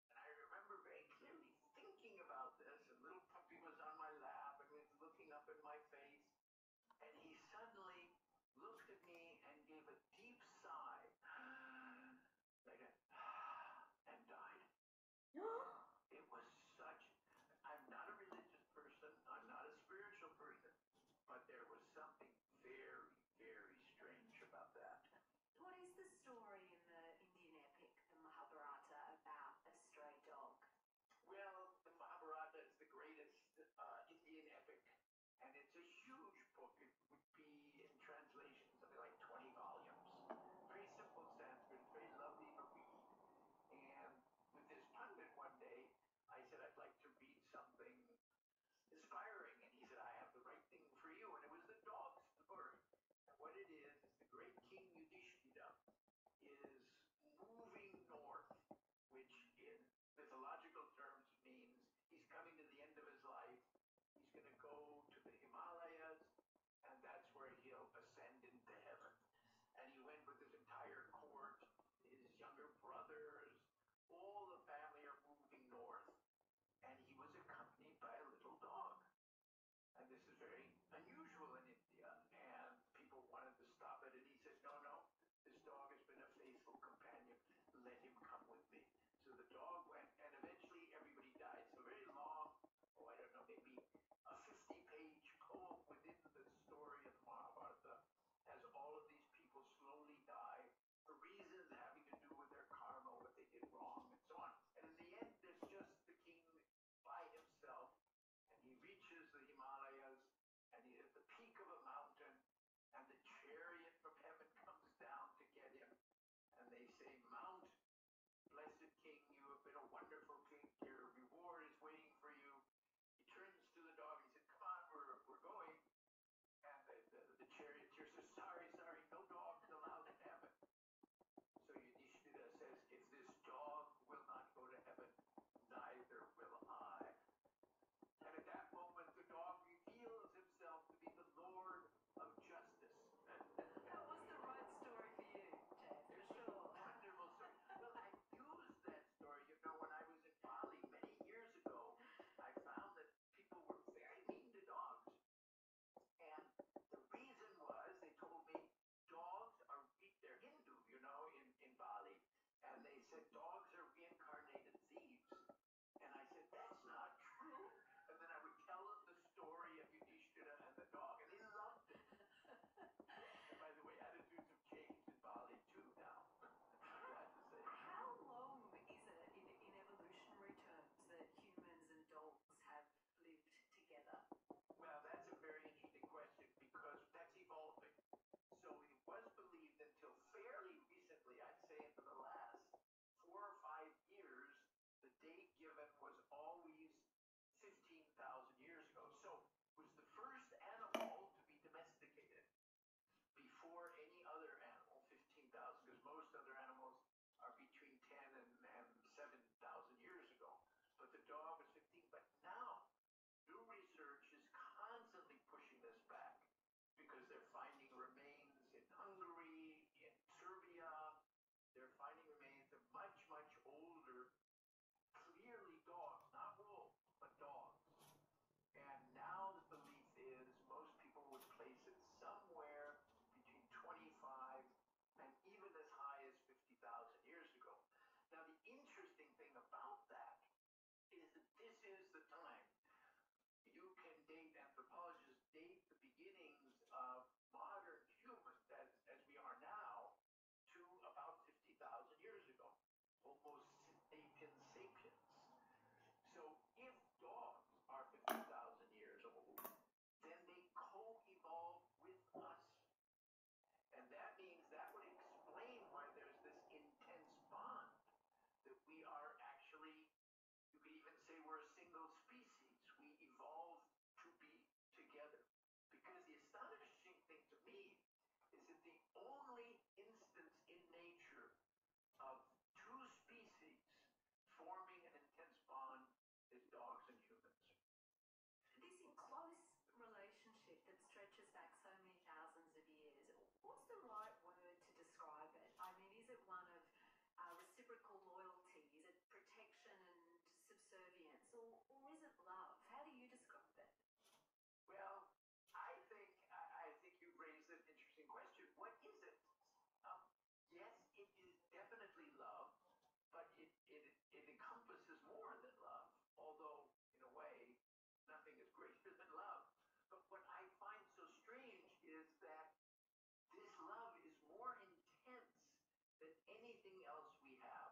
D: And I remember very clearly thinking about this. A little puppy was on my
C: lap and was looking up at my face. And he suddenly looked at me
D: and gave a deep sigh, like a, and died. It was such, I'm not a religious person, I'm not a spiritual person, but there was something very, very strange about that.
B: What is the story in the Indian epic, the Mahabharata, about a stray dog? Well, the Mahabharata is the greatest uh, Indian epic, and it's a huge book. It would be, in translation, something like 20 volumes. Very simple Sanskrit, very lovely to read. And with this pundit one day, I said, I'd like to read something inspiring. And he said, I have the right thing for you. And it was the dog story. And what it is, is the great king Yudhishthira is moving north, which in mythological terms means he's coming to the end of his life. He's going to go to the Himalayas, and that's where he'll ascend into heaven. And he went with his entire court, his younger brothers, all the family are moving north. And he was accompanied by a little dog. And this is very unusual in India. And people wanted to stop it. And he says, no, no, this dog has been a faithful companion. Let him come with me. So the dog went, and eventually everybody died. So very long, oh, I don't know, maybe a 50-page poem within the story of the Mahabharata as all of these people slowly die for reasons having to do with their karma, what they did wrong, and so on. And in the end, there's just the king by himself, and he reaches the Himalayas, and he at the peak of a mountain, and the chariot from heaven comes down to get him. And they say, Mount, blessed king, you have been a wonderful king. Your reward is waiting
D: for you. He turns to the dog. He says, Come on, we're, we're going. And the, the, the charioteer says, Sorry, sorry, no dogs allowed in heaven. So Yudhishthira says, if this dog will not go to heaven, neither will I. And at that moment, the dog reveals himself to be the Lord of justice. that was the right story for you, Jay, well, I used that story, you know, when I was in Bali many years ago. I found that people were very mean to dogs. And the reason was they told me dogs are they're Hindu, you know, in, in Bali. And they said dogs are reincarnated thieves. And I said, That's not true. And then I would tell them the story of Yudhishthira and the dog, and they loved it. and by the way, attitudes have changed in Bali too now. How long is it in, in evolutionary terms that humans and dogs have looped together? Well, that's a very interesting question because that's evolving. So it was believed until fairly recently, I'd say for the last four or five years, the date given was always 15,000 years ago. So it was the first animal to be domesticated before any other animal, 15,000, because most other animals are between 10 and, and 7,000 years ago. But the dog was 15. But now, new research is constantly pushing this back because they're finding remains in Hungary, in Serbia. They're finding remains of much, much older, clearly dogs, not wolves,
C: but dogs. And now the belief is most people would place it somewhere between 25
D: and even as high as 50,000 years ago. Now, the interesting thing about that is that this is the time you can date, anthropologists date the beginnings of modern humans as, as we are now to about 50,000 years ago, almost sapiens So if dogs are 50,000 years old, then they co-evolve
B: with us. And that means that would explain why there's this intense bond that we are actually, you could even say we're a single species. We evolved to be together. Because the astonishing thing to me is that the only instance in nature of two species forming an intense bond dogs and humans. This close relationship that stretches back so many thousands of years, what's the right word to describe it? I mean, is it one of uh, reciprocal loyalty? Is it protection and subservience? Or, is it love? How do you describe it? Well, I think I, think you've raised an interesting question. What is it? Um, yes, it is definitely love, but it, it,
D: it encompasses more than love, although, in a way, nothing is greater than love. But what I find so strange is that this love is more intense than anything else we have.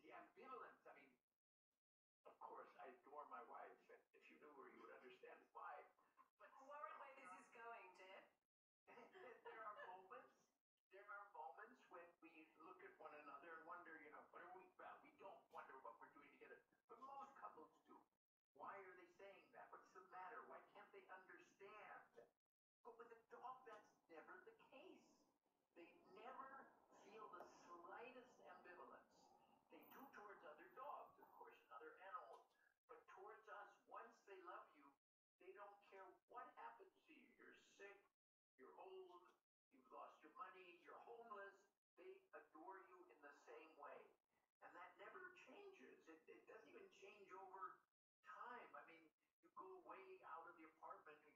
D: The ambivalence, I mean, of course, I adore my wife, and if you knew her, you would understand why.
B: But I worry where this is going, Jeff there are moments.
D: There are moments when we look at one another and wonder, you know, what are we about? We don't wonder what we're doing together, but most couples do. Why are they saying that? What's the matter? Why can't they understand? But with a dog, that's never the case. They never feel the slightest ambivalence. They do towards other dogs, of course, and other animals, but towards us, once they love you, they don't care what happens to you. You're sick, you're old, you've lost your money, you're homeless. They adore you in the same way. And that never changes. It, it doesn't even change over time. I mean, you go way out of the apartment, you,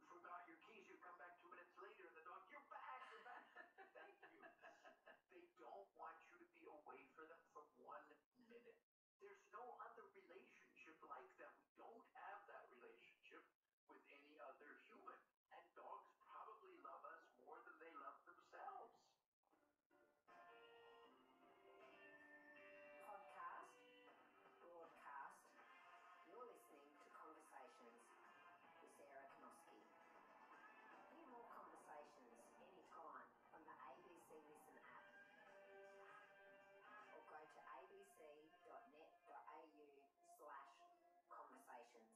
D: you forgot your keys, you come back two minutes later, and the dog, you're back, you're back. Thank you. They don't want
C: you to be away for them from one minute. There's no other relationship like that. We don't have that relationship with any other human. And dogs
A: probably love us more than they love themselves. Podcast, broadcast. You're listening to Conversations with Sarah Konoski. Hear more conversations anytime from the ABC Listen app or go to
E: abc.net.au
C: conversations.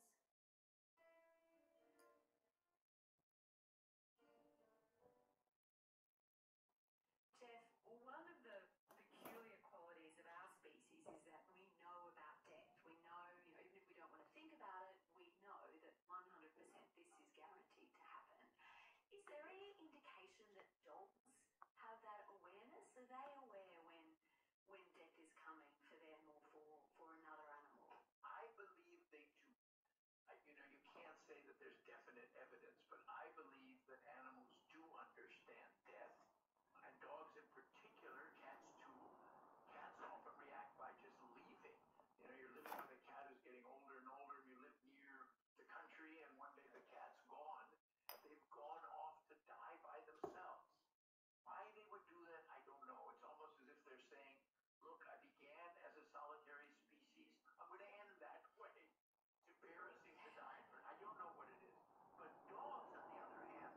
B: Jeff, one of the peculiar qualities of our species is that we know about death. We know, you know even if we don't want to think about it, we know that 100% this is guaranteed to happen. Is there any indication that adults have that awareness? Are they aware when when death is coming for them or for, for another animal? I believe they do. I, you know, you can't say that there's definite evidence, but I believe that animals do understand death, and dogs in particular, cats too. Cats often react by just leaving.
D: You know, you're living with a cat who's getting older and older, and you live near the country, and one day the cat's gone. They've gone off to die by themselves. Why they would do that, I don't know. It's almost as if they're saying, look, I began as a solitary species. I'm going to end that way. It's embarrassing to die, but I don't know what it is. But dogs, on the other hand,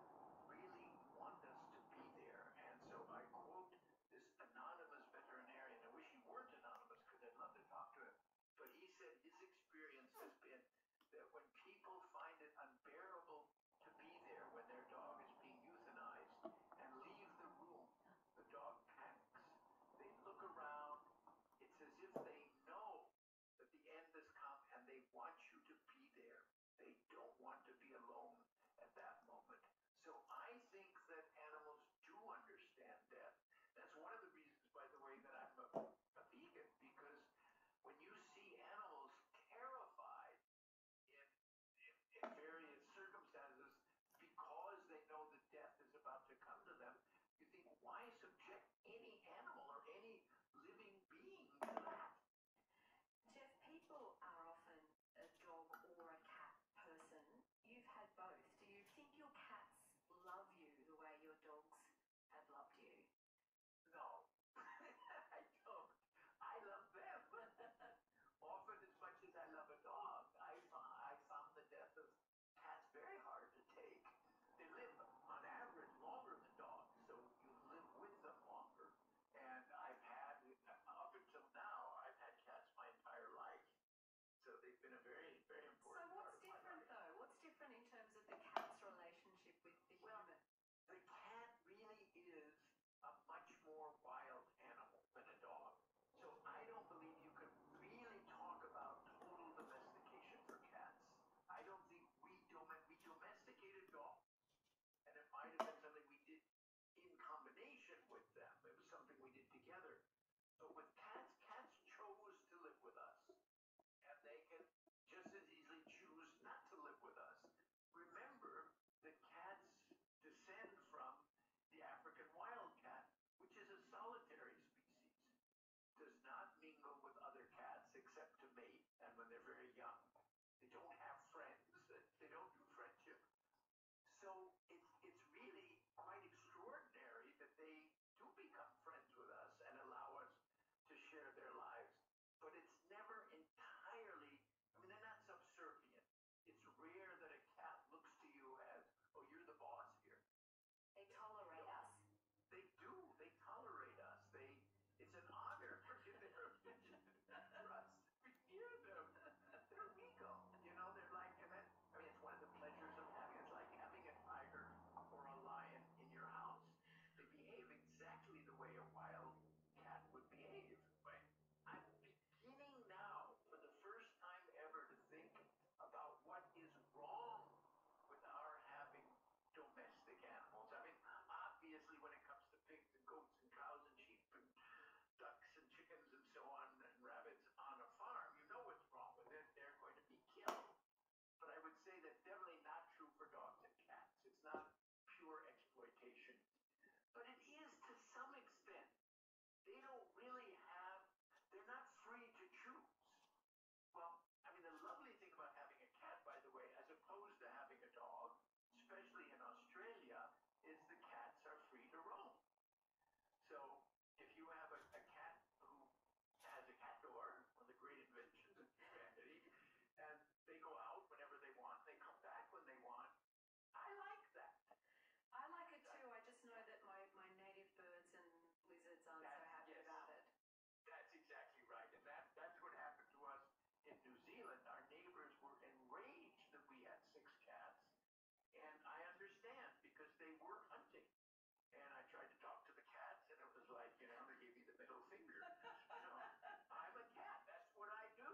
D: really want us to be there. And so I quote this anonymous veterinarian. I wish he weren't anonymous because I'd love to talk to him. But he said his experience has been that when people find it unbearable to be there when their dog is being euthanized and leave the room, the dog panics. They look around. It's as if they know that the end has come and they want you to be there. They don't want to be alone at that moment. So I think that animals do understand death. That's one of the reasons, by the way, that I'm a, a vegan because when you see animals terrified in, in, in various circumstances because they know that death is about to come to them, you think,
B: why subject any animal or any living being to that? Jeff, people are often a dog or a cat person
C: You've had both. Do you think your cats love you the way your dogs have loved
B: you? No. I I love them.
D: Often as much as I love a dog, I, I found the death of cats very hard to take. They live on average longer than dogs, so you live with them longer. And I've had, up until now, I've had cats my entire life. So they've been a very, very important. So what's different though? What's different in terms of the cat's relationship with the human? The cat really is a much more wild animal than a dog. So I don't believe you can really talk about total domestication for cats. I don't think we dom- we domesticated dogs, and it might have been something we did in combination with them. It was something we did together. So with cats, cats chose to live with us. And they can just as easily choose not to live with us. Remember that cats descend from the African wildcat, which is a solitary species. Does not mingle with other cats except to mate and when they're very young. They don't have friends. They don't do friendship. So it's, it's really quite extraordinary that they do become friends with us and allow us to share their lives. But it's never entirely, I mean, they're not subservient. It's rare that a cat looks to you as, oh, you're the boss here. They tolerate no, us. They do. They tolerate us. They. It's an honor for their for us to be near them. They're ego, you know. They're like, and then I mean, it's one of the pleasures of having, it's like having a tiger or a lion in your house. They behave exactly the way a wild cat would behave. Right. I'm beginning now, for the first time ever, to think about what is wrong with our having domestic animals. I mean, obviously, when it comes to pigs and goats and cows and sheep and ducks and chickens and so on and rabbits on a farm, you know what's wrong with it. They're going to be killed. But I would say that's definitely not true for dogs and cats. It's not pure exploitation. But it is to some extent. They don't really have, they're not free to choose. Well, I mean, the lovely thing about having a cat, by the way, as opposed to having a dog, especially in Australia, is the cats are free to roam. So if you have a, a cat who has a cat door, one of the great inventions of humanity, and they go out whenever they want, they come back when they want.
B: I like that. I like it too. I just know that my, my native birds and lizards aren't that, so happy yes, about it.
D: That's exactly right. And that, that's what happened to us in New Zealand. Our neighbors were enraged that we had six cats. And I understand because they
B: were hunting. And I tried to talk to the cats, and it was like, you know, they gave me the middle finger. You know, I'm a cat. That's what I do.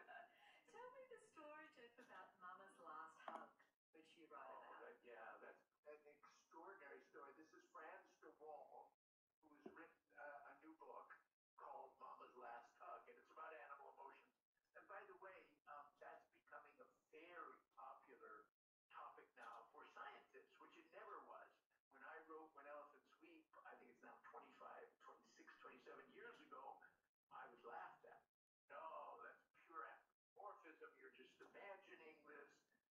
B: Tell me the story, Jeff, about Mama's last hug,
D: which you write oh, about. That, yeah, that's an extraordinary story. This is Franz de Waal, who's written uh, a new book called Mama's Last Hug, and it's about animal emotions. And by the way, um, that's becoming a very popular topic now for scientists, which it never was. When I wrote When Elephants Weep, I think it's now 25, 26, 27 years ago, I was laughed at. No, that's pure anthropomorphism. You're just imagining this.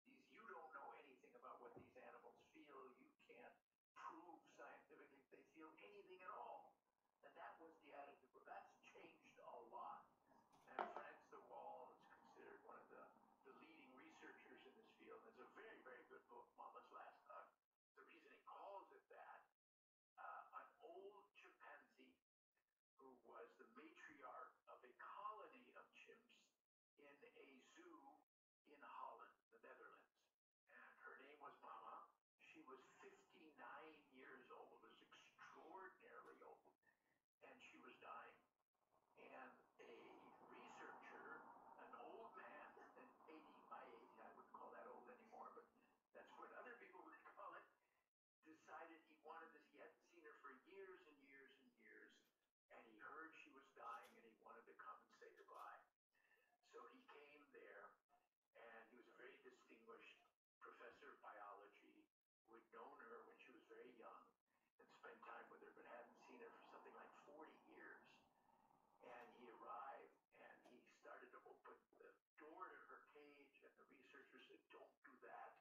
D: These, you don't know anything about what these animals feel. You can't prove scientifically they feel anything at all. And that was the attitude. Well, that's changed a lot. And Frank Sewall is considered one of the, the leading researchers in this field. It's a very, very good book, Mama's Last Hug. Uh, the reason he calls it that, uh, an old chimpanzee who was the matriarch of a colony of chimps in a zoo in Holland, the Netherlands. And her name was Mama. She was 59 years old, was extraordinarily old and she was dying. And a researcher, an old man, 80, my age, I wouldn't call that old anymore, but that's what other people would call it, decided he wanted this. He hadn't seen her for years and years and years, and he heard she was dying and he wanted to come and say goodbye. So he came there, and he was a very distinguished professor of biology who had known her when she was very young and spent time with her, but hadn't seen her for something like 40 years. And he arrived and he started to open the door to her cage, and the researchers said, Don't do that.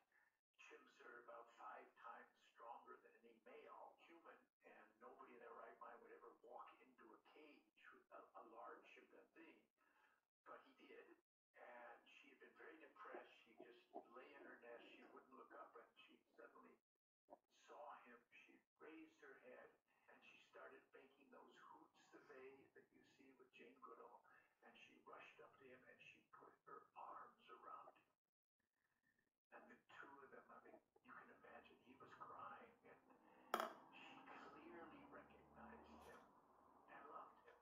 D: Chimps are about five times stronger than any male human, and nobody in their right mind would ever walk into a cage with a, a large chimpanzee. But he did, and she had been very depressed. She just lay in her nest. She wouldn't look up, and she suddenly saw him. She raised her head, and she started making those hoots that they that you see with Jane Goodall. And she rushed up to him, and she put her arms around him. And the two of them, I mean, you can imagine, he was crying, and she clearly recognized him and loved him.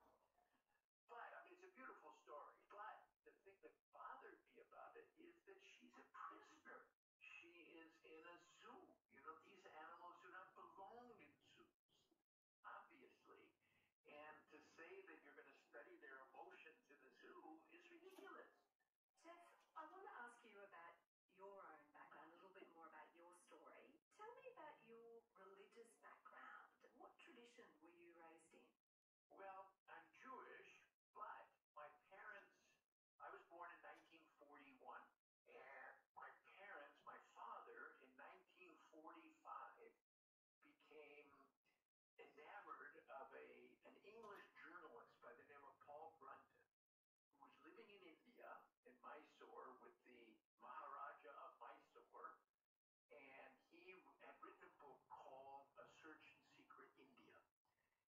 D: But, I mean, it's a beautiful story. But the thing that bothered me about it is that she's a prisoner. She is in a
B: zoo. You know, these animals do not belong in zoos, obviously. And to say that you're going to study their emotions in a zoo is ridiculous. Tiff, I want to ask you about your own background, a little bit more about your story. Tell me about your religious background. What tradition were you raised in? Well, I'm Jewish, but my parents, I was born in 1941, and my parents, my father, in 1945 became enamored of a, an English journalist by the name of Paul Brundon, who was living in India, in Mysore, with the Maharaja of Mysore, and he had written a book called A Search in Secret India,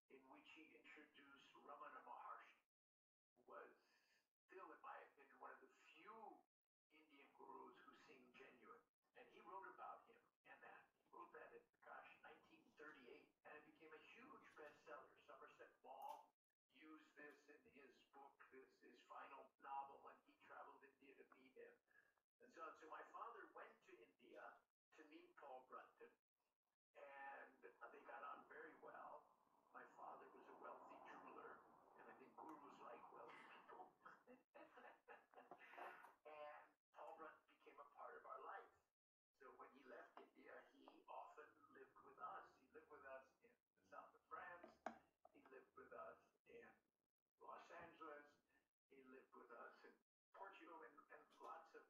B: in which he introduced Ramana Maharshi, who was still, in my opinion, one of the few Indian gurus who seemed genuine. And he wrote about him and that. He wrote that in, gosh, 1938, and it became a huge bestseller. Somerset Maugham used this in his book, this his final novel, and he traveled India to meet him. And so, so my father went to India to meet Paul Brunton, and they got on very well. My father was a wealthy jeweler, and I think gurus like wealthy people. and
D: Paul Brunton became a part of our life. So when he left India, he often lived with us. He lived with us in the south of France. He lived with us in Los Angeles. He lived with us in Portugal and, and lots of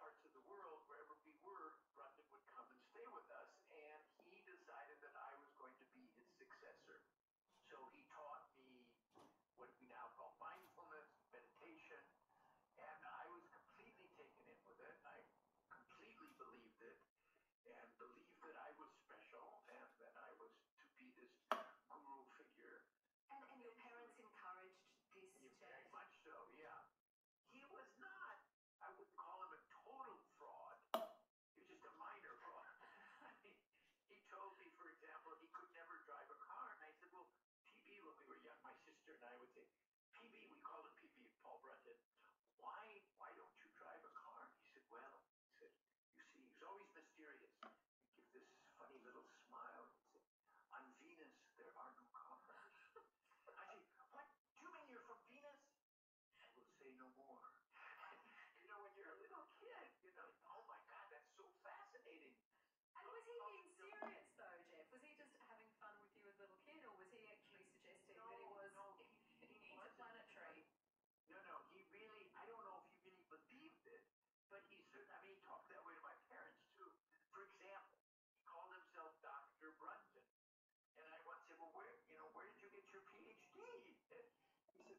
D: parts of the world, wherever we were, Brundon would come and stay with us, and he decided that I was going to be his successor. So he taught me what we now call mindfulness, meditation, and I was completely taken in with it. I completely believed it and believed that I was special and that I was to be this guru figure. And, and your parents encouraged this yeah, Very much so, yeah. He was not, I would call him a total fraud. He was just a minor fraud. I mean, he told me, for example, he could never drive a car. And I said, well, PB, when we were young, my sister and I would say, PB, we called him PB, Paul Brunton. Why, why don't you drive a car? He said, well, he said, You see, he was always mysterious. He'd give this funny little smile. He'd say, On Venus, there are no comets. I say, What? Do you mean you're from Venus?
C: I will say no more.
B: you know, when you're a little kid, you know, oh my God, that's so fascinating. And was he being oh, serious, though, Jeff? Was he just having fun with you as a little kid, or was he actually suggesting no, that he was no, he, he interplanetary? No, no, he really,
D: I don't know if he really believed it, but he certainly, I mean, he talked that way to my parents too. For example, he called himself Dr. Brunton. And I once said, well, where, you know, where did you get your PhD? He said,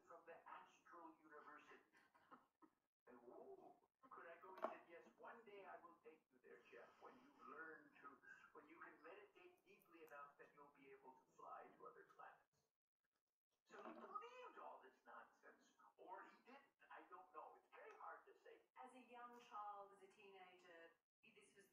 C: from the Astral University. and whoa, could I go? He said, yes, one day I will take you there, Jeff, when you learn to, when you can meditate deeply enough that you'll be able to fly to other
D: planets. So he believed all this nonsense, or he didn't. I don't know. It's very hard to say.
B: As a young child, as a teenager, this was the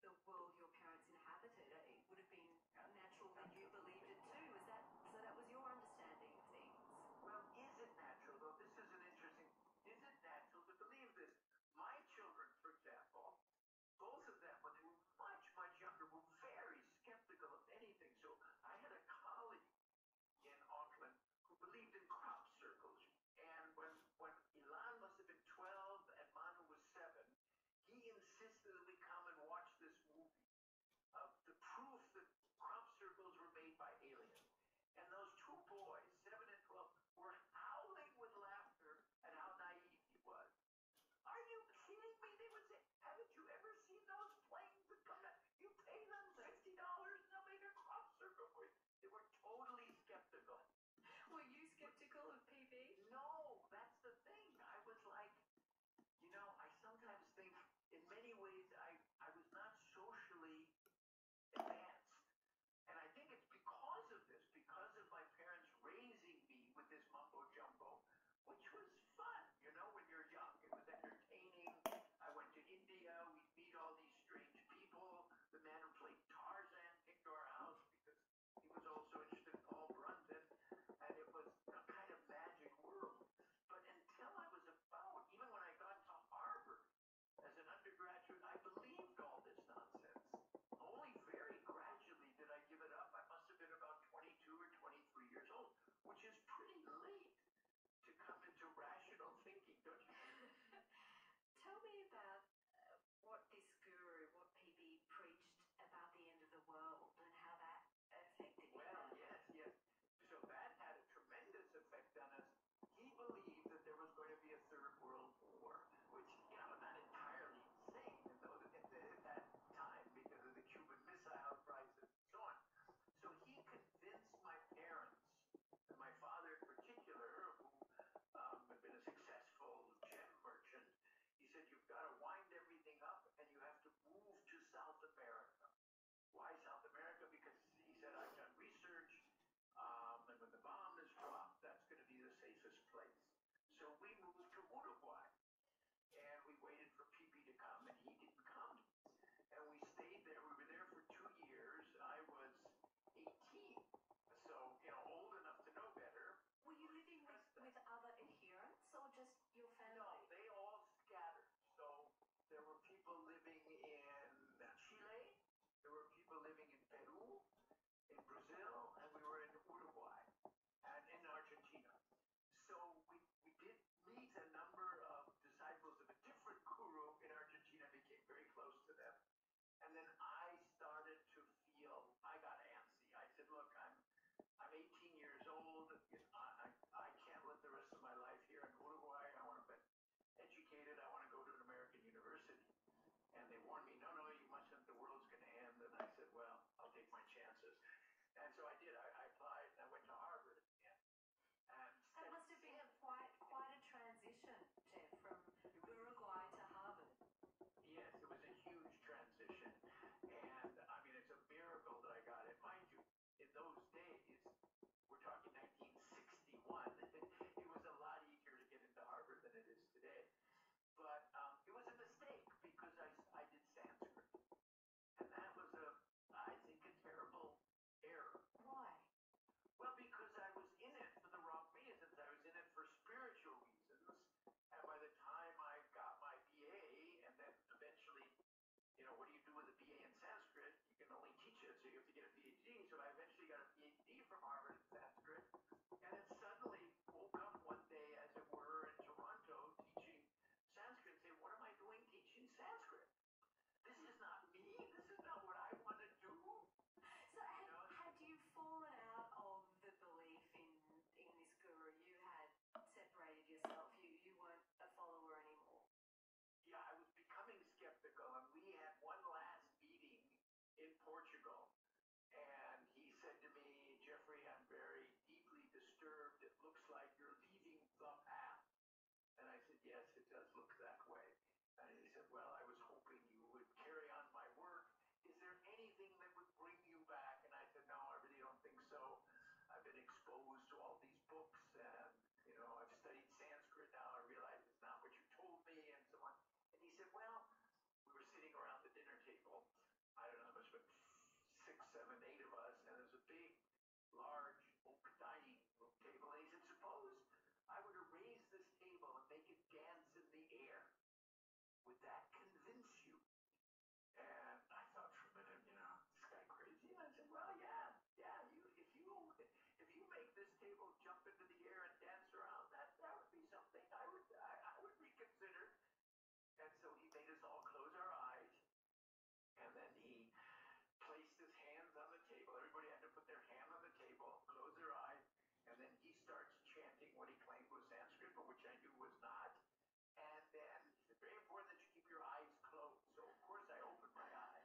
B: the world your parents inhabited. It would have been natural that you believed it too. Is that so? That was your understanding of things. Well, is it natural though? This is an interesting. Is it natural to believe this? My children, for example, both of them, when they were much, much younger, were very skeptical of anything. So I had a colleague in Auckland who believed in crop circles. And when, when Elon must have been 12 and Manu was 7,
D: he insisted that we come and watch this movie of uh, the proof that crop circles were made by aliens. And those two boys, 7 and 12, were howling with laughter at how naive he was. Are you kidding me? They would say, haven't you ever seen those planes that come down? You pay them $60 and they'll make a crop circle for you. They were totally skeptical.
B: Were you skeptical of PB? No, that's the thing.
D: I was like, you know, I sometimes think in many ways I, I was not socially advanced. And I think it's because of this, because of my parents raising me with this mumbo jumbo, which was fun, you know, when you're young. It was entertaining. I went to India. We'd meet all these strange people. The man who played Tarzan came to our house because he was also interested in Paul Brunson. And it was a kind of magic world. But until I was about, even when I got to Harvard as an undergraduate, I believed all this nonsense. Only very gradually did I give it up. I must have been about
B: 22 or 23 years old which is pretty late to come into rational thinking, don't you? Tell me about uh, what this guru, what PB preached about the end of the world and how that affected well, you. Well, yes, yes. So that had a tremendous effect on us. He believed that there was going to be a third world war, which, you know, not entirely insane in those, in the, at that time because of the Cuban Missile Crisis John. So he convinced my parents, and my father in particular, who um, had been a successful gem merchant, he said, You've got to wind everything up and you have to move to South America. Why South America? Because he said, I've done research, um, and when the bomb is dropped, that's going to be the safest place. So we moved to Uruguay. And we waited for PP to come, and he didn't come. And we stayed there. We were there for two years. I was 18, so, you know, old enough to know better. Were you living with, with other adherents or just your family? No, they all scattered. So there were people living in Chile, there were people living in Peru, in Brazil, and we were in Uruguay and in Argentina. So we, we did meet
D: a number of disciples of a different guru in Argentina, became very close to them. And then I started to feel, I got antsy. I said, look, I'm, I'm 18 years old. I, I, I can't live the rest of my life here in Uruguay. I want to be educated. I want to go to an American university. And they warned me, no, no, you mustn't. The world's going to end. And I said, well, I'll take my chances. And so I did. I, I applied and I went to Harvard. That must have been a quite quite a transition, Jeff, from Uruguay to Harvard. Yes, it was a huge transition, and I mean it's a miracle that I got it. Mind you, in those days, we're talking 1961. it was a lot easier to get into Harvard than it is today. But um, it was a mistake because I I did Sanskrit. And that was a, I think, a terrible error. Why? Well, because I was in it for the wrong reasons. I was in it for spiritual reasons. And by the time I got my BA, and then eventually, you know, what do you do with a BA in Sanskrit? You can only teach it, so you have to get a PhD. So I eventually got a PhD from Harvard in Sanskrit. And then suddenly woke up one day, as it were, in Toronto teaching teaching Sanskrit say, What am I doing teaching Sanskrit? This is not me.
B: This is not what I want to do. So, had, you know? had you fallen out of the belief in, in this guru? You had separated yourself. You, you weren't a follower anymore. Yeah, I was becoming skeptical, and we had one last meeting in Portugal. And he said to me, Jeffrey, I'm
D: very deeply disturbed. It looks like you're leaving the path. And I said, Yes, it does look that way. And he said, Well, I was hoping you would carry on my work. Is there anything that would bring you back? And I said, No, I really don't think so. I've been exposed to all these books, and you know, I've studied Sanskrit now. I realize it's not what you told me, and so on. And he said, Well, we were sitting around the dinner table. I don't know, there must have been six, seven, eight of us, and there's a big large, dining table. And he said, suppose I were to raise this table and make it dance in the air. Would that convince you? And I thought for a minute, you know, this guy crazy. And I said, well, yeah, yeah. You, if you if you make this table jump into the air and dance around, that that would be something I would I, I would reconsider. And so he made us all close our eyes and then he placed his hands on the table. Everybody had to put their hand on the table, close their eyes, and then he starts chanting what he claimed was Sanskrit, but which I knew was not. And then it's very important that you keep your eyes closed. So of course I opened my eyes.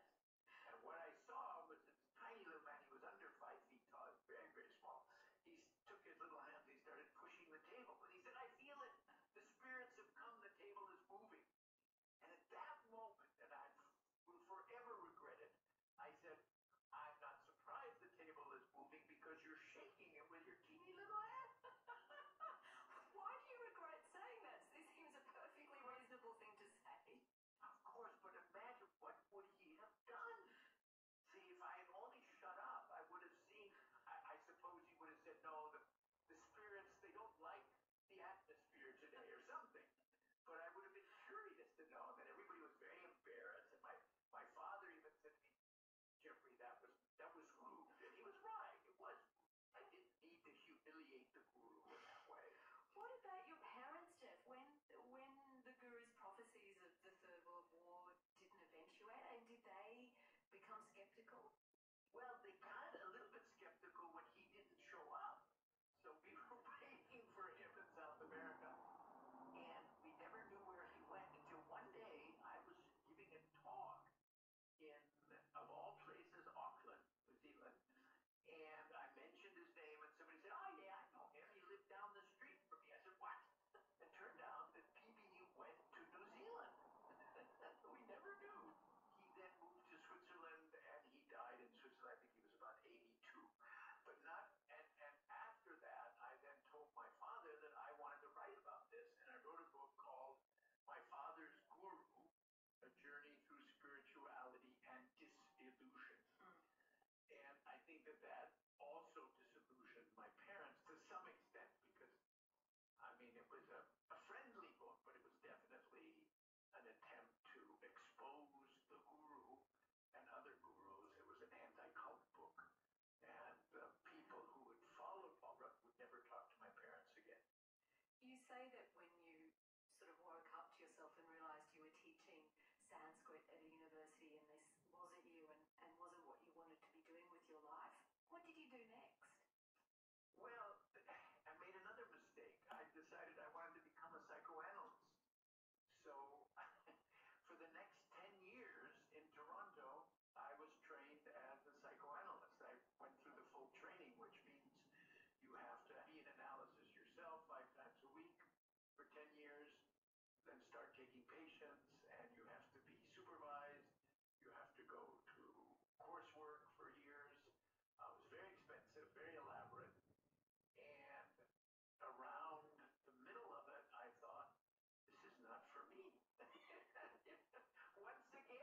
D: And what I saw was this tiny little man, he was under five feet tall, very, very small. He took his little hands, he started pushing the table. And he said, I feel it. The spirits have come, the table is moving. And at that moment, and I will forever regret it, I said, I'm not surprised the table is moving because you're shaking it with your
B: teeny little hand. Why do you regret saying that? This seems a perfectly reasonable thing to say. Of course, but imagine what would he have
D: done? See, if I had only shut up, I would have seen. I, I suppose he would have said, no, the, the spirits, they don't like the atmosphere today or something. But I would have been curious to know that everybody was very embarrassed. And my, my father even said to me, Jeffrey,
B: that was that was rude. And he was right. It was I didn't need to humiliate the guru in that way. What about your parents, Jeff? When when the guru's prophecies of the Third World War didn't eventuate, and did they become skeptical? Well, they
D: got a little bit skeptical when he didn't show up. So we were waiting for him in South America. And we never knew where he went until one day I was giving a talk in, of all places, Auckland, New Zealand. And I mentioned his name, and somebody said, Oh, yeah, I know him. He lived down the street from me. I said, What? It turned out that PB went to New Zealand. we never knew. He then moved to Switzerland and he died in Switzerland. I think he was about 82. But not, and, and after that, I then told my father that I wanted to write about this. And I wrote a book called My Father's Guru, A Journey Through Spirituality and Disillusion. Mm. And I think that that also disillusioned my parents to some extent because I mean, it was a,
B: friendly book, but it was definitely an attempt to expose the guru and other gurus. It was an anti-cult book. And uh, people who had followed Barbara would never talk to my parents again. You say that when you sort of woke up to yourself and realized you were teaching Sanskrit at a university and this wasn't you and wasn't what you wanted to be doing with your life, what did you do next? Well, I made another mistake. I decided I wanted to become a psychoanalyst. So for the next 10 years in Toronto, I was trained as a psychoanalyst. I went through the full training, which means you have to be in analysis yourself five times a week for 10 years, then start taking patients, and you have to be supervised, you have to go through coursework for years. Uh, it was very expensive, very elaborate. And around the middle of it, I thought, this is not for me. Once again,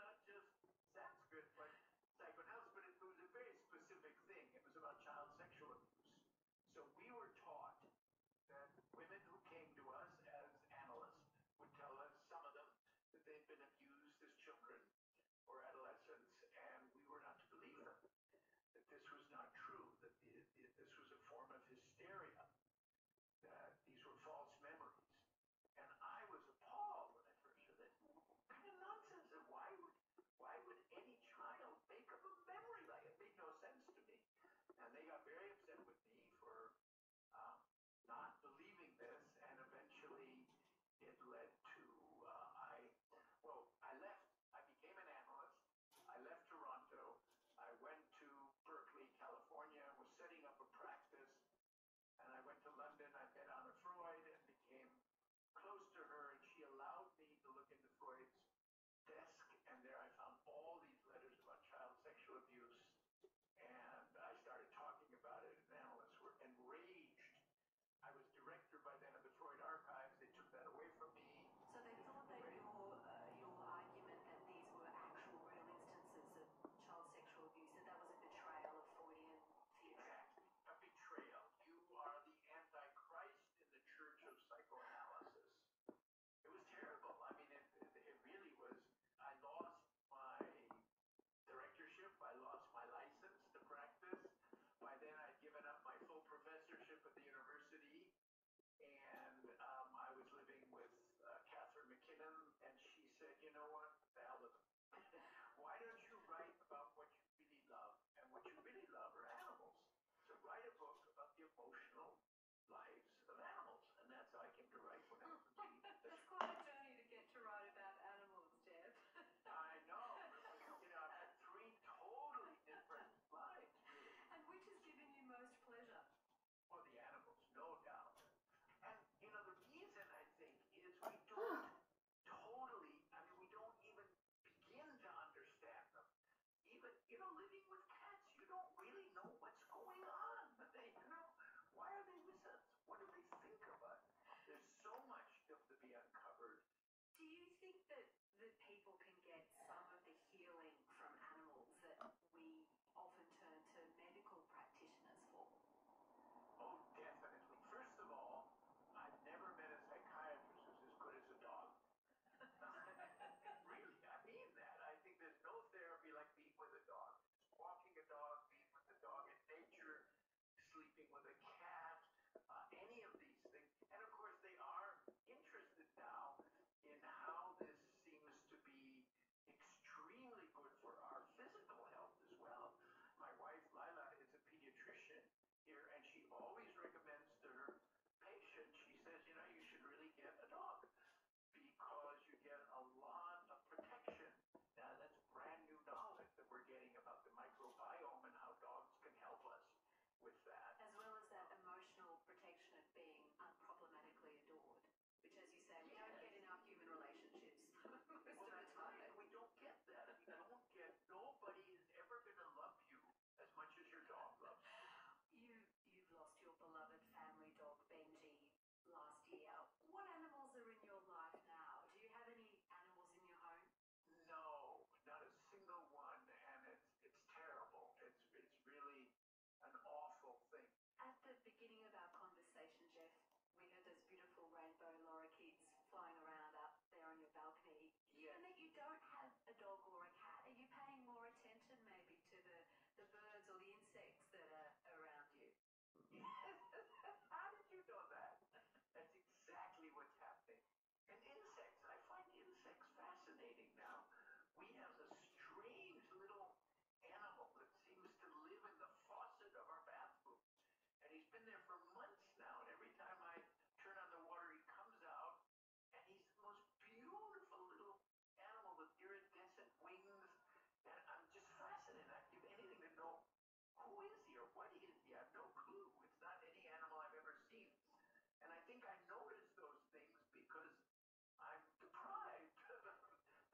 B: not just Sanskrit, but psychoanalysis, but it was a very specific thing. It was about child sexual abuse. So we were taught that women who came to us as analysts would tell us, some of them, that they'd been abused as children
D: or adolescents, and we were not to believe them. That this was not true, that the, the, this was a form of hysteria, that these were false memories. And I was appalled when I first heard that. Kind of nonsense. And why would why would any child make up a memory like it? it made no sense to me. And they got very upset with me for uh, not believing this, and eventually it led to uh, I well I left. I became an analyst. I left Toronto. I went to Berkeley, California, was setting up a practice, and I went to London. I met Anna Freud and became close to her, and she allowed me to look into Freud's desk, and there I found all these letters about child sexual abuse and I started talking about it, and analysts were enraged. I was director by then of the Freud Archives. They took that away from me. So they thought that right. your, uh, your argument that these were actual real instances of child sexual abuse, that that was a betrayal of Freudian theory. Exactly. A betrayal. You are the Antichrist in the Church of Psychoanalysis. It was terrible. I mean, it, it really was. I lost my directorship. I lost my license to practice. By then, I'd given up my full professorship at the university, and um, I was living with uh, Catherine McKinnon, and she said, "You know what? The hell with it. Why don't you write about what you really
B: love? And what you really love are animals. So write a book about the emotional lives of animals, and that's how I came to write one. It's quite a journey to get to write about animals, Deb. I know. You know, I've had three totally different lives. And which has given you most pleasure? Well, the animals, no doubt. And, you know, the reason I think is we don't totally, I
D: mean, we don't even begin to understand them. Even, you know, living with cats, you don't really know what's going on. you know, why are they with what do they think of us? There's so much stuff to
B: be uncovered. Do you think that, that people can get some of the healing from animals that we often turn to medical practitioners for? Oh, definitely. First of
D: all, I've never met a psychiatrist who's as good as a dog. really, I mean that. I think there's no therapy like being with a dog walking a dog, being with the dog in nature, sleeping with a cat, uh, any of these things. And of course, they are interested now in how this seems to be extremely good for our physical health as well. My wife, Lila, is a pediatrician here, and she always recommends to her patients, she says, you know, you should really get a dog because you get a lot of protection now, that's brand new knowledge that we're getting about the microbiome and how dogs can help us with that.
B: As well as that emotional protection of being unproblematically adored, which, as you say, we don't get in our human relationships most of the time. We don't get that. We don't get. Nobody is ever going to love you as much as your dog loves you. You you've lost your beloved family dog Benji last year. What animals are in your life now? Do you have any animals in your home? No, not a single
D: one, and it's it's terrible. It's it's
B: really an awful thing. At the beginning of our conversation, Jeff, we had
C: those beautiful rainbow lorikeets
B: flying around up there on your balcony. Given that you don't have a dog or a cat, are you paying more attention maybe to the, the birds or the insects that are around you? How did you know that? That's exactly what's happening. And insects, I find insects fascinating now. We have a strange little animal that seems to live in the faucet of our bathroom. And he's been there for months now. And every time I turn on the water, he comes out. And he's the most beautiful little animal with iridescent wings. And I'm just fascinated. I'd give anything to know who is he or what he is? You have no clue. It's not any animal I've ever seen. And I think I notice those things because I'm deprived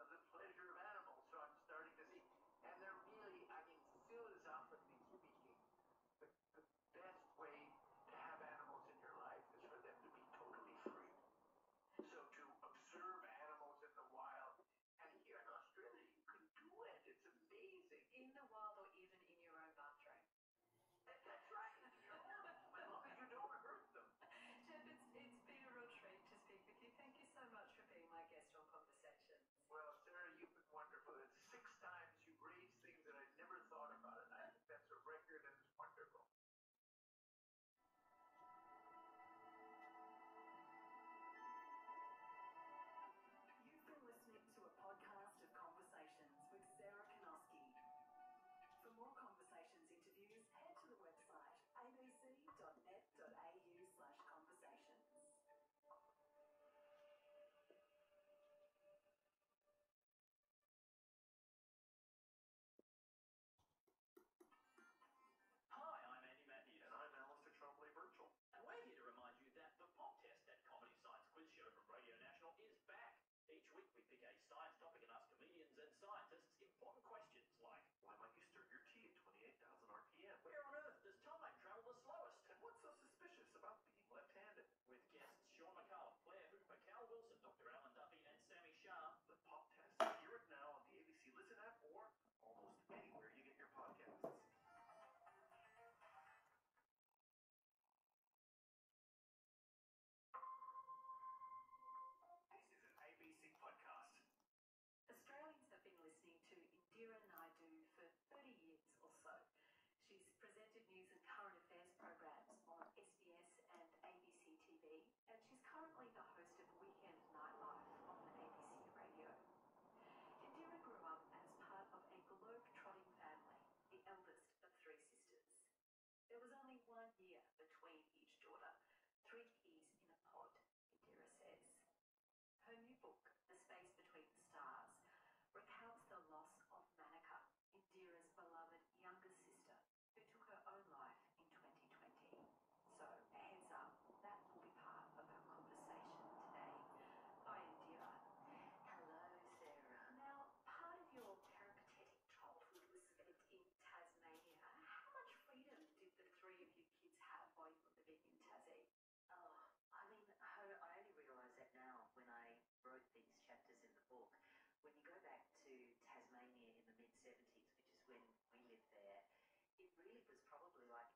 B: of the pleasure of animals. So I'm starting to see. And they're really, I mean, philosophically speaking, the, the best way to have animals in your life is for them to be totally free. So to observe animals in the wild and here in Australia, you can do it. It's amazing. In the wild or even in your own bathroom. that's right, Well, you know I heard them. Jeff, it's, it's been a real treat to speak with you. Thank you so much for being my guest on Conversation. Well, Sarah, you've been wonderful. six times you raised things that I never thought about, and I think that's a record and it's wonderful. You've been listening to a podcast of conversations with Sarah Kanoski. For more conversations interviews, head to the website abc.net.au conversations.
C: Hi, I'm Andy Matney, and I'm Alistair Trombley Virtual. And we're here to remind you that the Pop test, that comedy science quiz show from Radio National, is back. Each week we pick a science
D: topic and ask comedians and scientists important questions like Why might you stir your tea at 28,000 RPM? Where on earth does time travel the slowest? And what's so suspicious about being left-handed? With guests Sean McCallum, Blair Hooper, Wilson, Dr. Alan Duffy and Sammy Shah. The pop test, hear it now on the ABC Listen app or this is an ABC podcast.
B: Australians have been listening to Indira Naidu for 30 years or so. She's presented news and current affairs programs on SBS and ABC TV, and she's currently the host of Weekend Nightlife on the ABC Radio. Indira grew up as part of a globe-trotting family, the eldest
A: of three sisters. There was only one year between each daughter, three years in a
B: pod, Indira says. Her new book, The Space Between the Stars, recounts the loss of Manika, Indira's beloved younger sister, who took her own life in 2020. So, heads up, that will be part of our conversation today. Hi, Indira. Hello, Sarah. Now, part of your peripatetic childhood was spent in Tasmania. How much freedom did the three of you kids have while you were living in Tassie? Oh,
C: I mean, I only realised that now
E: when I wrote these chapters in the book. When you go back to Tasmania in the mid 70s, which is when when lived there, it really was probably like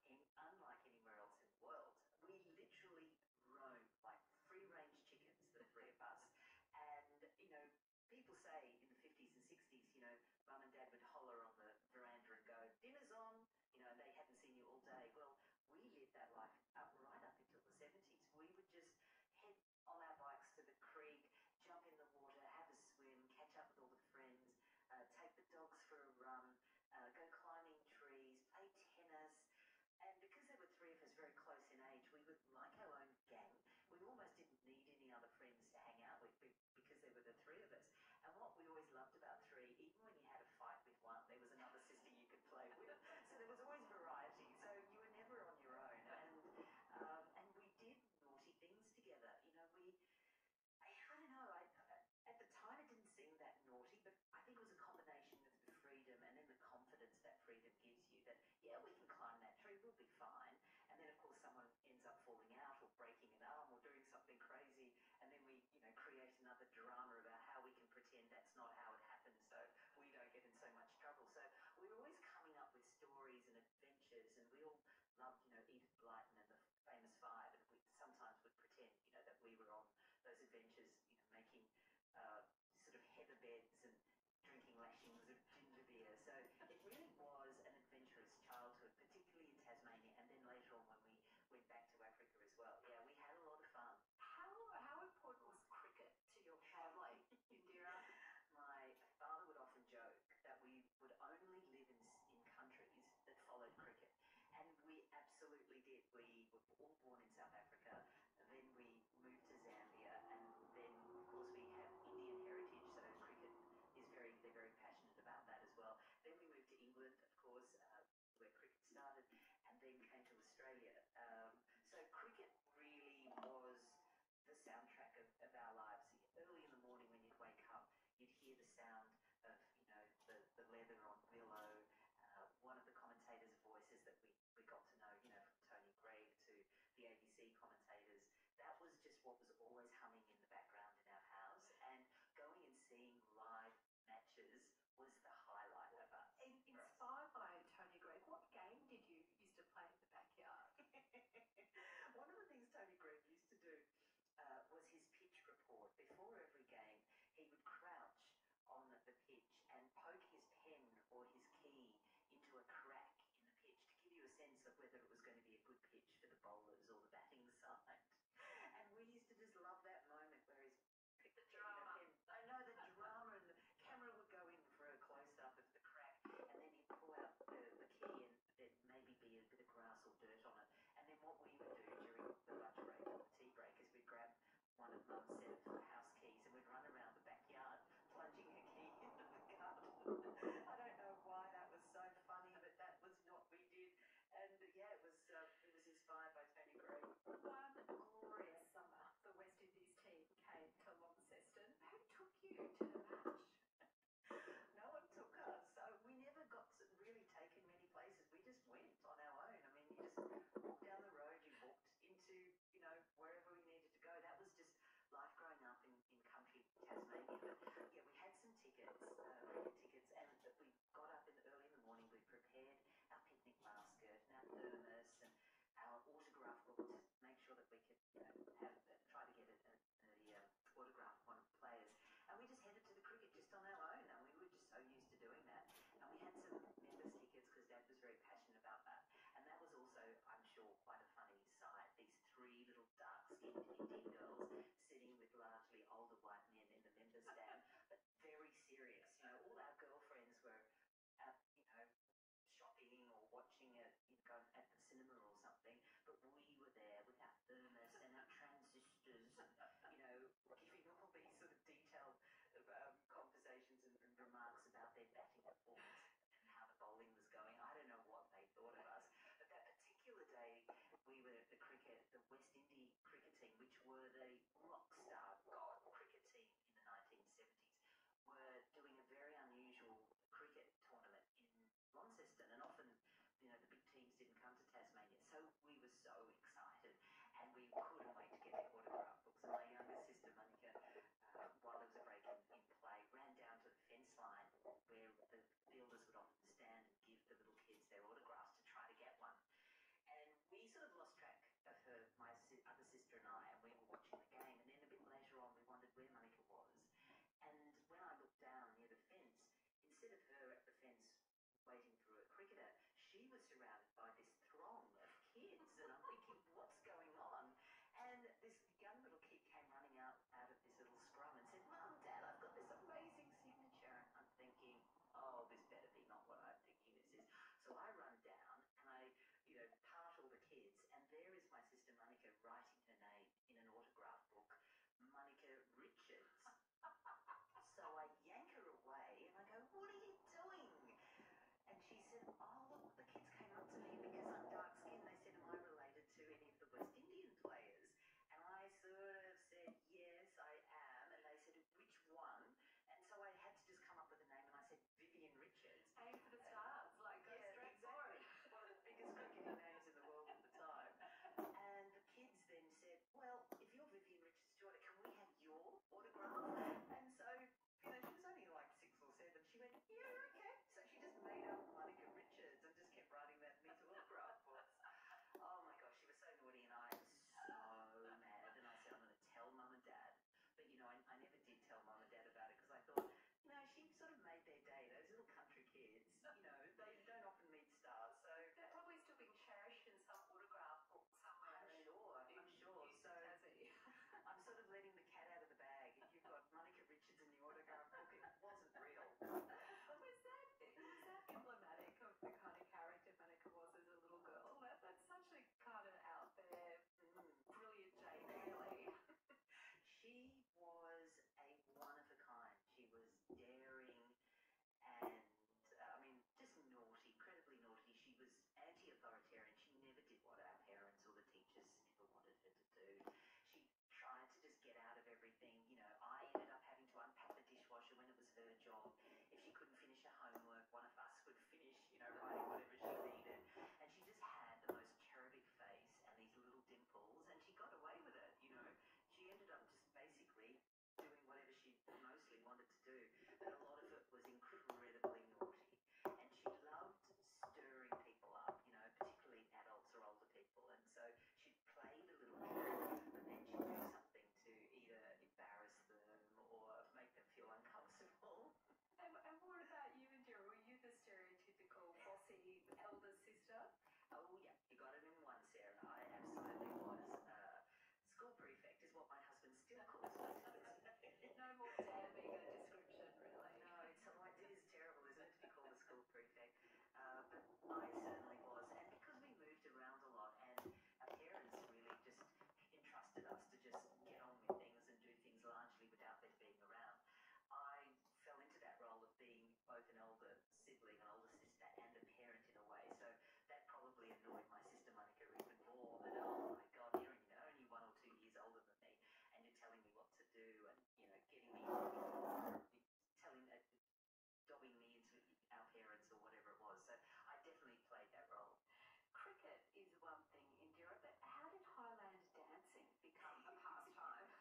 E: unlike anywhere else in the world. We literally
C: roamed like free range chickens, the three of us. And, you know, people say in the 50s and 60s, you know, mum and dad would
E: holler on the veranda and go, dinner's on, you know, they hadn't seen you all day. Well, we lived that life up right up until the 70s. We would just head on our bikes to the
C: creek, jump in the water, have a swim, catch up with all the friends, uh, take the dogs for a run, uh, go climbing trees, play tennis. And because there were three of
E: us very close in age, we were like our own gang. We almost didn't need any other friends to hang out with because there were the three of us. And what we always loved about three, even when you had a fight with one, there was another sister you could play with. So there was always variety. So you were never on your own. And um, and we did naughty things together. You know, we I don't know. I, at the time, it didn't seem that naughty, but I think it was a combination of the freedom and then the confidence that freedom gives you that, yeah, we can climb that tree, we'll be fine. And then, of course, someone ends up falling out or breaking an arm or doing something crazy. And then we, you know, create another drama about how we can pretend that's not how it happened so we don't get in so much trouble. So we're always coming up with stories and adventures, and we all loved, you know, Edith Blyton and the Famous Five, and we sometimes would pretend, you know, that we were on those adventures, you know, making uh, sort of heather beds and drinking lashings of ginger beer. So it really was an adventurous childhood, particularly in Tasmania, and then later on when we went back to Africa as well. Yeah, we had a lot of fun.
B: How how important was cricket
E: to your family, Indira? My father would often joke that we would only live in, in countries that followed cricket. And we absolutely did. We were all born in South Africa, then we moved to Zambia, and then, of course, we have Indian heritage, so cricket is very, they're very passionate about that as well. Then we moved to England, of course, uh, where cricket started, and then came to Australia. Um, so cricket really was the soundtrack of, of our lives. Early in the morning when you'd wake up, you'd hear the sound of, you know, the, the leather on Willow. Uh, one of the commentators' voices that we, we got to know, you know, from Tony Gregg to the ABC commentators, that was just what was always humming in the background in our house. And going and seeing live matches was the highlight
B: of us. In, inspired by Tony Gregg, what game did you used to play in the backyard? One of
E: the things Tony Gregg used to do uh, was his
B: pitch report.
E: Before every game, he would crouch on the pitch and poke his pen or his key into a crack in the pitch to give you a sense of whether it was going to be a good pitch for the bowlers or the batting side. And we used to just love that moment where he's the drama. I know the drama, and the camera would go in for a close up of the crack, and then he'd pull out the, the key, and there'd maybe be a bit of grass muscle And then what we would do during the lunch break or the tea break is we'd grab one of Mum's set of house keys and we'd run around the backyard plunging a key into the garden. I don't
B: know why that was so funny, but that was what we did. And uh, yeah, it was um, it was inspired by Fanny Green. One glorious summer, the West Indies team came to Launceston. Who took you to the
E: match? no one took us, so we never got really taken many places. We just just went on our own. I mean, you just walked down the road, you walked into, you know, wherever we needed to go. That was just life growing up in, in country Tasmania. But yeah, we had some tickets, uh, tickets, and we got up in the early in the morning. We prepared our picnic basket and our thermos and our autograph book to make sure that we could, you know, have, try to get um, a, a, a autograph one players. And we just headed to the cricket just on our own, and we were just so used to doing that. And we had some members' tickets because Dad was very passionate about that. And that was also, I'm sure, quite a funny sight. These three little dark skinned Indian girls sitting with largely older white men in the members' stand, but very serious. You know, all our girlfriends were. Out, you know, shopping or watching it, you know, at the cinema or something. But we were there with our thermos and our transistors, and, you know, giving all these sort of detailed um, conversations and, and remarks about their batting performance and how the bowling was going. I don't know what they thought of us. But that particular day, we were the cricket, the West Indies cricket team, which were the rock star god cricket team in the 1970s, were doing a very unusual cricket tournament in Launceston, and often you know, the big teams didn't come to Tasmania. So we were so excited and we couldn't wait to get their autograph books. And my younger sister, Monica, uh, while there was a break in, in, play, ran down to the fence line where the fielders would often stand and give the little kids their autographs to try to get one. And we sort of lost track of her, my other sister and I, and we were watching the game. And then a bit later on, we wondered where Monica was. And when I looked down near the fence, instead of her at the fence waiting for a cricketer, she was surrounded by this throng of kids, and I'm thinking, what's going on? And this young little kid came running out, out of this little scrum and said, Mum, Dad, I've got this amazing signature. And I'm thinking, oh, this better be not what I'm thinking this is. So I run down and I, you know, part all the kids, and there is my sister Monica writing her name in an autograph book, Monica Richards. So I yank her away and I go, What are you doing? And she said, Oh, look, the kids came up to me because I'm dark skin. They said, Am I related to any of the West Indian players? And I sort of said, Yes, I am. And they said, Which one? And so I had to just come up with a name and I said, Vivian Richards. Aim for the stars, like, straight exactly. one of the biggest cricketing names in the world at the time. And the kids then said, said, well, if you're Vivian Richards' daughter, can we have your autograph? And so, you know, she was only like six or seven. She went, yeah, okay. So she just made up Monica Richards and just kept writing that mental autograph for us. Oh my gosh, she was so naughty and I am so mad. And I said, I'm going to tell mum and dad. But, you know, I, I never did tell mum and dad about it because I thought, you know, she sort of made their day. Those little country kids,
B: you know, they don't often meet so they're probably still being cherished in some autograph book somewhere. I'm sure, I'm sure. So I'm sort of letting the cat out of the bag. you've got Monica Richards in the autograph book, it wasn't real. was that was emblematic of the kind of character Monica was as a little girl? that's such a kind of out there, brilliant Jane, really. she was a
E: one of a kind. She was daring and uh, I mean, just naughty, incredibly naughty. She was anti-authoritarian. She never did what our parents or the teachers ever wanted her to do. She tried to just get out of everything. You know, I ended up having to unpack the dishwasher when it was her job. If she couldn't finish her homework, one of us would finish, you know, writing whatever she needed. And she just had the most cherubic face and these little dimples, and she got away with it, you know. She ended up just basically doing whatever she mostly wanted to do, but a lot of it was incredibly naughty. And she loved stirring people up, you know, particularly adults or older people. And so she played a little bit, but then she'd do something to either embarrass them
B: or make them feel uncomfortable. And, and what about you, Indira? Were you the stereotypical bossy elder sister? Oh, yeah, you got it in one, Sarah. I
E: absolutely was. Uh, School prefect is what my husband still calls me. no more
C: damn ego description, really. No, it's like, it is terrible, isn't it, to be called a school prefect? Uh, but I certainly was. And because we moved around a lot and our parents really just
E: entrusted us to just get on with things and do things largely without their being around, I fell into that role of being both an older sibling, an older sibling sister and a parent in a way. So that probably annoyed my sister Monica even more that, oh my God, you're you know, only one or two years older than me and you're telling me what to do and, you know, getting me, telling, uh, dobbing me into our parents or whatever it was. So I definitely played that role. Cricket is one thing in Europe,
B: but how did Highland dancing become a pastime?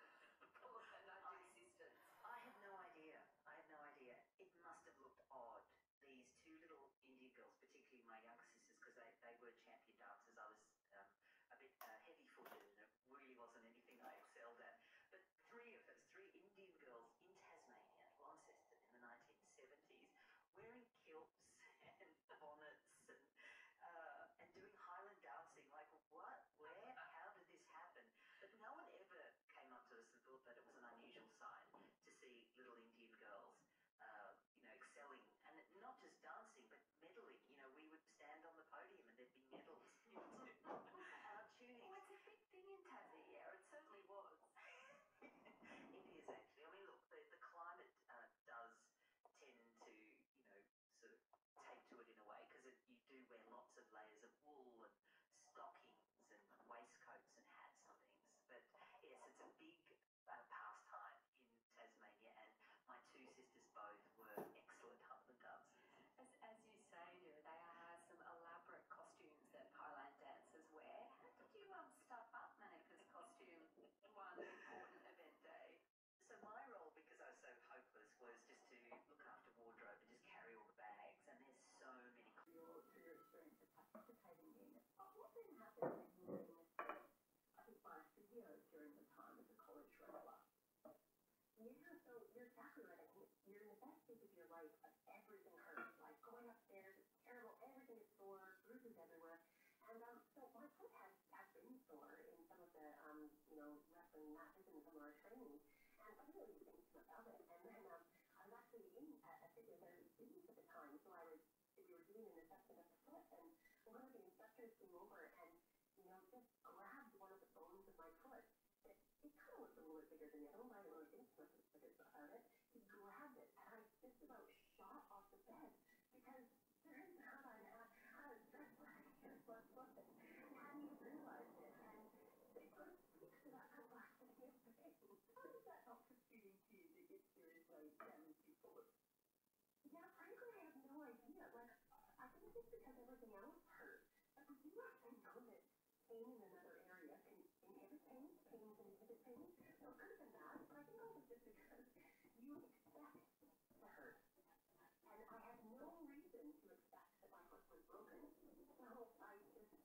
B: I had no idea. I had no idea. It must have
E: looked odd these two little Indian girls, particularly my younger sisters, because they, they were champion dancers. I was um, a bit uh, heavy-footed and it really wasn't anything I excelled at. But three of us, three Indian girls in Tasmania, Launceston in the 1970s, wearing kilts and bonnets and, uh, and doing Highland dancing. Like, what? Where? How did this happen? But no one ever came up to us and thought that it was an unusual sight to see little Indian girls, uh, you know, excelling and not just dancing but medaling. You know, we would stand on the podium and there'd be medals. Our tuning. Well, it's a big thing in Tasmania. It certainly was. it is actually. I mean, look, the, the climate uh, does tend to, you know, sort of take to it in a way because you do wear lots of layers of wool and stockings and waistcoats and hats and things. But yes, it's a big uh, pastime in Tasmania, and my two sisters both were excellent hula doves. As, you
B: say, there they are some elaborate costumes that Thailand dancers wear. did you um, stuff up Manika's costume one important event day? So my
E: role, because I was so hopeless, was just to look after wardrobe and just carry all the bags. And there's so many
D: participating in. What then happened when you were in I think by physio during the time of the college roller?
A: Yeah, so you're exactly right. You're in the best stage of your life, but everything hurts. Like going upstairs, it's terrible. Everything is sore, bruises everywhere. And um, so my foot has, has been sore in some of the um, you know wrestling matches and some of our training, and I really didn't think about it. And then um, I was actually in a figure very students at the time, so I was, we were doing an assessment of the foot, and one of the instructors came over and, you know, just grabbed one of the bones of my foot. It, it kind of looked a little bit bigger than the other one, but I really didn't look as big about it. He grabbed it, and I just about shot off the bed, because turns out I had, I was just like, just one foot, and I hadn't even realized
D: it, and it sort of speaks to that complexity of things. How is that not confusing to you that it's serious like 74? Yeah, frankly, I have no idea. Like,
A: I think it's because everything else hurts. But do you not know that pain in another area can inhibit pain? Pain can inhibit pain? So it could have been that, but I think it was just because you expect to hurt. And I have no reason to expect that my foot was broken. So
D: I just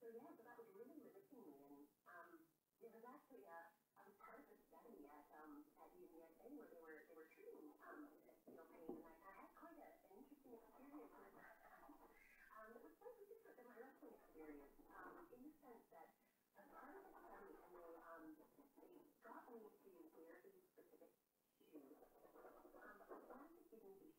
A: So yeah, but I was really missing me, and um, it was actually a, I was part of a study at um at UVSA where they were they were treating um you know pain, and I, I had quite a, an interesting experience with that. um, it was slightly different than my wrestling experience, um, in the sense that as part of the study, and they um they got me to wear these specific shoes. Um, I wasn't even the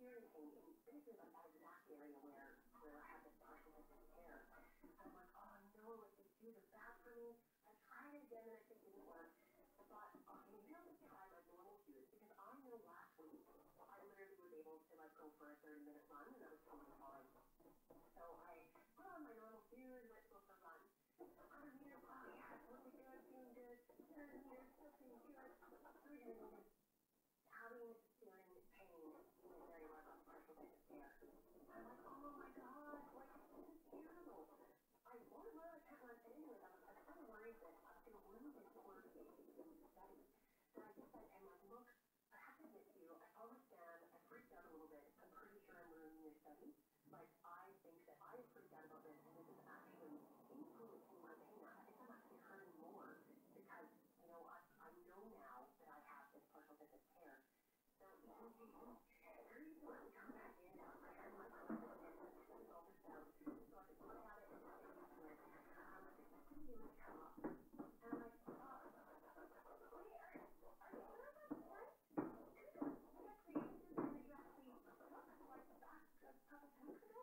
A: hearing thing, and this is like a black area where, where I have this person that's in there. I'm like, oh no, if they do the back for me, I tried it again and I think it didn't work. I thought, okay, maybe I'll just try my normal cues because I know last week I literally was able to like go for a 30 minute run and I was totally fine. So I put on my
D: normal cues and went for a run. Other meter, oh yeah, it's looking good, feeling good. Third meter, still feeling good. Three minutes having feeling pain is
A: really very much a partial despair. I'm like, oh my god, like this is terrible. I want to attack on anyway, but I'm kind of worried I'm going to lose this order to the I just said, I'm like, look, I have to admit you, I understand, I freaked out a little bit. I'm pretty sure I'm ruining your study. Like, I think that I freaked out about this, and this is actually influencing my pain. I think I'm actually hurting more because you know, I, I know now that I have this partial visit care. So every time I come back in, I'm like, I'm like, I'm like, I'm like, I'm like, I'm like, Thank you.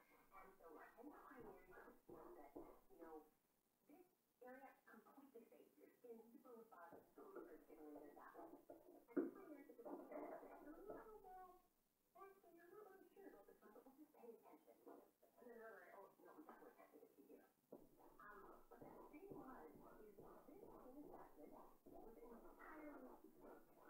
A: And so I think pioneers that, you know, this area completely safe. Your skin super robotic, super particularly in that one. And pioneers at the moment are like, oh, well, actually, I'm not really sure about this one, but we'll just pay attention. And then they're like,
D: oh, no, we definitely have to get you here. Um, but the thing was, is this assessment was entirely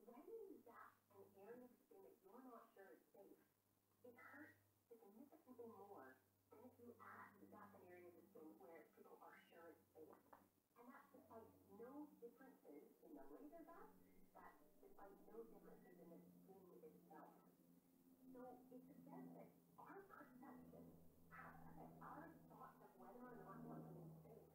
A: when you zap an area of the skin that you're not sure is safe, it hurts significantly more than if you ask
D: to zap an area of the skin where people are sure it's safe. And that's despite no differences in the laser zap, that's despite no differences in the skin itself. So it suggests that our perception, our
A: thoughts of whether or not something is safe,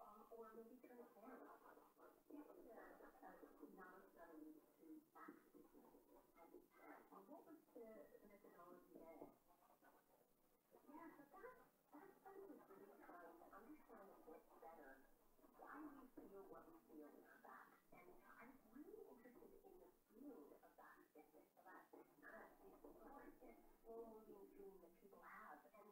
D: um, or maybe transparent. This is a, a non-study to action. And uh, what was the methodology there? Yeah, so that, that study was really trying to understand a bit better why we feel what we feel in our back. And I'm really interested in the field of back fitness, about kind of the importance, role-moving
A: dream that people have. And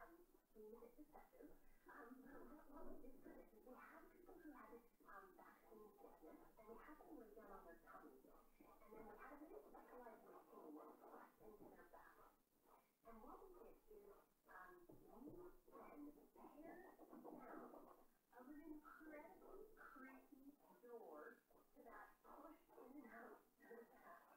A: um, minute discussion. Um, what, what we did first is we had people who had this um, vaccine sickness, and we had them lay
D: down on their tummy, and then we had a little specialized machine that thrust into their back. And what we did is um, we then paired the sound of an incredibly creaky door to that push in and out to the back.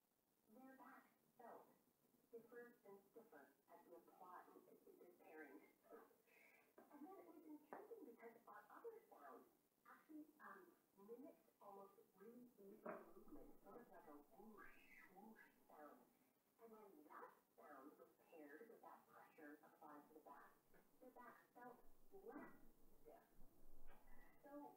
A: Their backs felt stiffer and stiffer as we applaud this pairing.
D: and then it was intriguing because our other sound actually um, mimics almost really easy movement, sort of like a whoosh, whoosh sound. And then that sound was paired with that pressure applied to the back. The back felt less stiff. So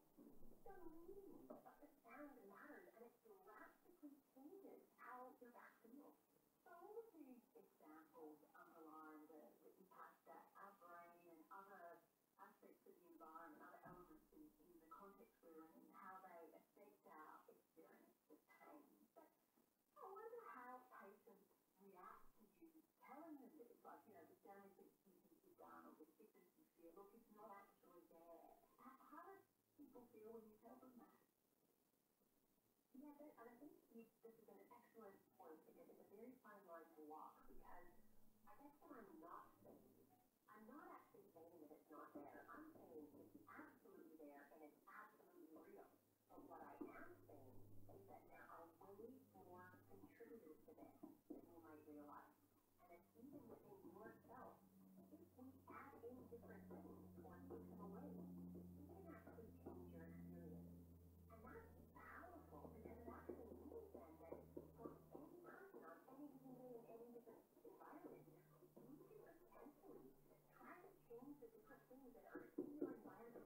D: so mean, but the sound and it drastically changes how your back feels. So all examples underline the, impact that our brain and other aspects of the environment, other elements in, the context we're in, how they affect our experience of pain. But I wonder how patients react to you like, you know, the damage agencies are or which businesses feel, look, it's not actually there. How, how do people feel when you tell them that? Yeah, but, and I think you, this is an excellent point because it's a very fine line to walk because I guess what I'm not saying, I'm not actually saying that it's not there. I'm saying it's absolutely there and it's absolutely real. But what I am saying is that there are way more contributors to this than you might realize. And it's even within yourself. If we add in different things or take them away, you can actually change your experience. And that's powerful because it actually means then that for any person on any given day in any different environment, you can potentially try to change the different things that are in your environment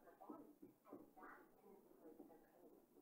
D: or coming from the body, and that can influence the pain.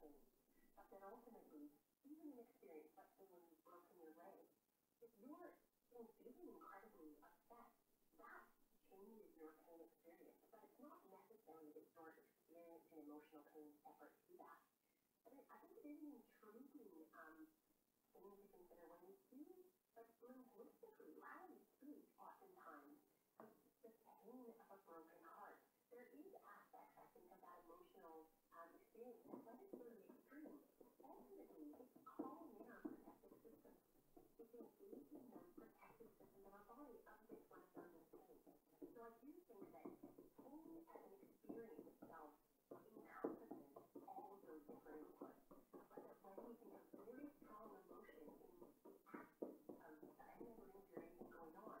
A: change. But then ultimately, even an experience like the one you've broken your leg, if you're feeling incredibly upset, that changes your pain experience. But it's not necessary that you're experiencing emotional pain separate to that. But it, I think it is an intriguing um, thing to consider when we do, like linguistically, how we speak oftentimes, the pain of a broken heart there is aspects, I think, of emotional um, experience that was really extreme. Ultimately, it's
D: calling our protective system. It's engaging those protective systems of our body, of which one of So I do think that pain as an experience
A: itself encompasses all of those different inputs. But that when we think of really strong emotion in absence of, going on,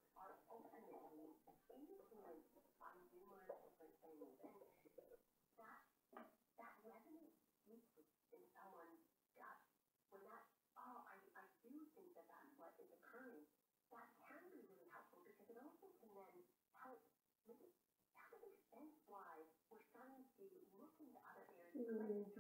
D: are ultimately that, that resonates in someone's gut. When that, oh, I, I do think that that's what is occurring, that can be really helpful because it also can then help make it, why we're starting to look into other areas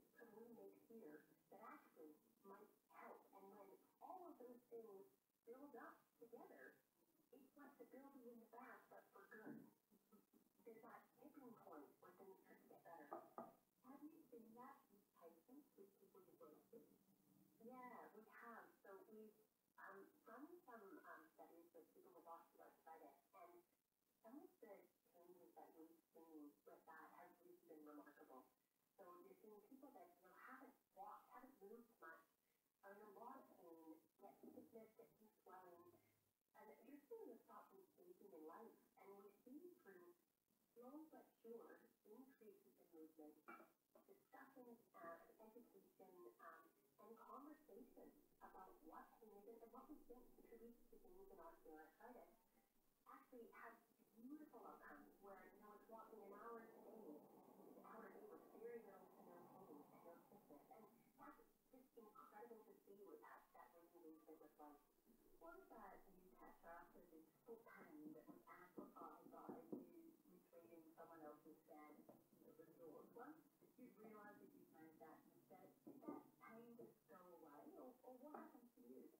D: changes could we make here that actually might help? And when all of those things build up together, it's like the building in the bath, but for good. There's that tipping point where things start to get better. Have you been that patient with people you work with? Yeah, we have. So we've um, done some um, studies with people with osteoarthritis, and some of the changes that we've seen with that has really been remarkable. So you're seeing people that you know, haven't walked, haven't moved much, are in a lot of pain, get sickness, get swelling, and you're seeing this problem changing in life. And
A: we see through slow but sure increases in movement, discussions, uh, education, um, and conversation about what pain is and what we think contributes to things in osteoarthritis actually had beautiful outcomes where, you know, it's walking an hour to Amy, an hour to with very little to no pain and no sickness. And that's just incredible to see with that, that lazy
D: movement was like, what about you, Tessa, after this foot pain that was amplified by you retrieving someone else's bed that was yours? Once you realise that you've made that mistake, did that pain just go away, or, or what happened to you?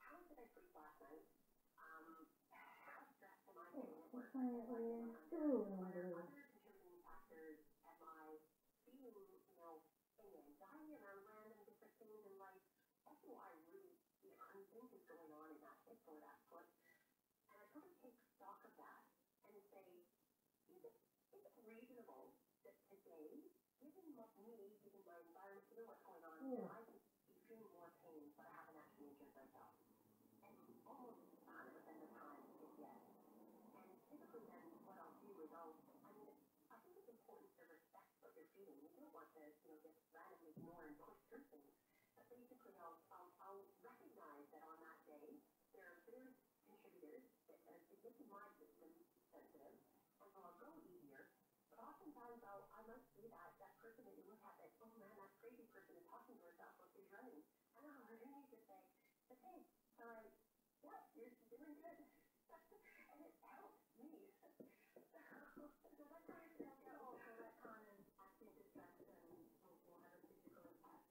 A: how did I sleep last night? Um, how stressed am I getting at work?
D: Am I getting under? What are
A: other contributing factors? Am I feeling, you know, any anxiety around random different things in life? That's what I really, you know, I'm thinking is going on in that hip or that foot. And I sort of take stock of that and say, is it, is it reasonable that today, given what me, given my environment, given what's going on, yeah. I can extreme war pain, but I haven't actually injured myself. And almost 100% of the time, it's yes. And typically then what I'll do is I'll, I mean, I think it's important to respect what you're feeling. You don't want to, you know, just randomly ignore and push through things. But basically, I'll, I'll, I'll recognize that on that day, there are food contributors that are making my system sensitive, and so I'll go easier, but oftentimes I'll, I must be that, that person that you look at that, oh man, that crazy person is talking to herself while she's running. I don't know, I really need to say, but hey,
D: sorry, yeah, you're doing good. and it helps me.
C: so what time did I go for that common active distraction will, will have a physical impact?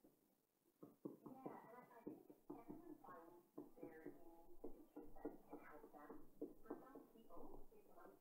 D: Yeah, and I, I think everyone finds their unique feature that can help them. For some people, it might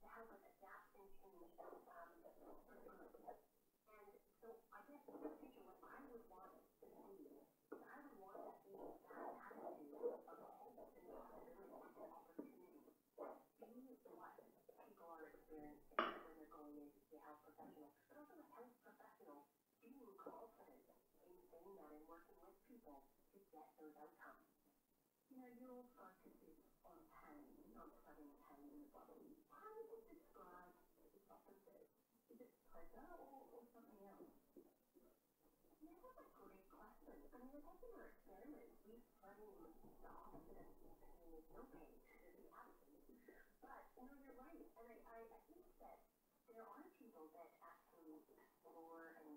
D: to help us adapt and change um, the curriculum. And so I guess in the future, what I would want to see is I
A: would want to see that attitude of hope and possibility and opportunity be what people are experiencing when they're going into the health professional, but also the health professional being confident in saying that and working with people
D: to get those outcomes. You know, your focus is on pain, on having pain in the body. How would you describe its opposite? Is it pleasure or, or something else? Yeah, that's a good question. I mean, they're taking their experiments with studying the opposite of pain is no pain, the absence. But, you know, you're right. And I, I, I think that there are people that actually
A: explore and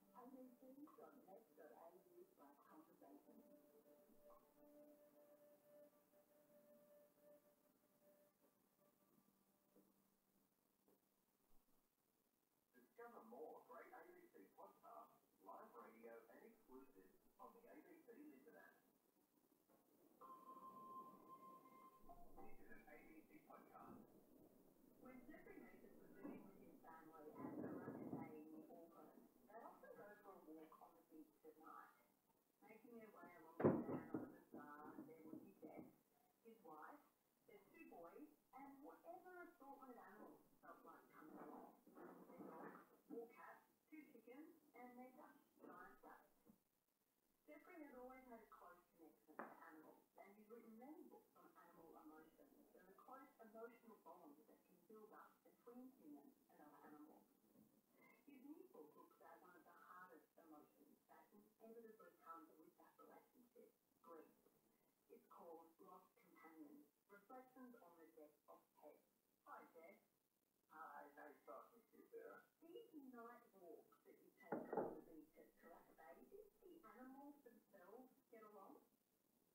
D: Discover more great ABC podcasts, live radio and exclusives on the ABC Listen app. This is an ABC podcast. When supernoopers were living with his family at Arunga Bay near Auckland, they often go for a walk on the beach at night. Making their way along the sand on the bazaar, there was his desk, his wife, their two boys, and whatever assortment of animals felt like coming along. Their dog, four cats, two chickens, and their duck, giant ducks. Jeffrey had always had a close connection to animals science, and he's written many books on animal emotions and the close emotional bonds that can build up between humans and other animals. His new book looks at one of the hardest emotions that inevitably comes with that relationship, grief. It's called Lost Companions, Reflections on the Death of Pets. Hi, Jeff. Hi, nice talking to you, Sarah. These night walks that you take on the beach at Karakabai, do the animals themselves get along?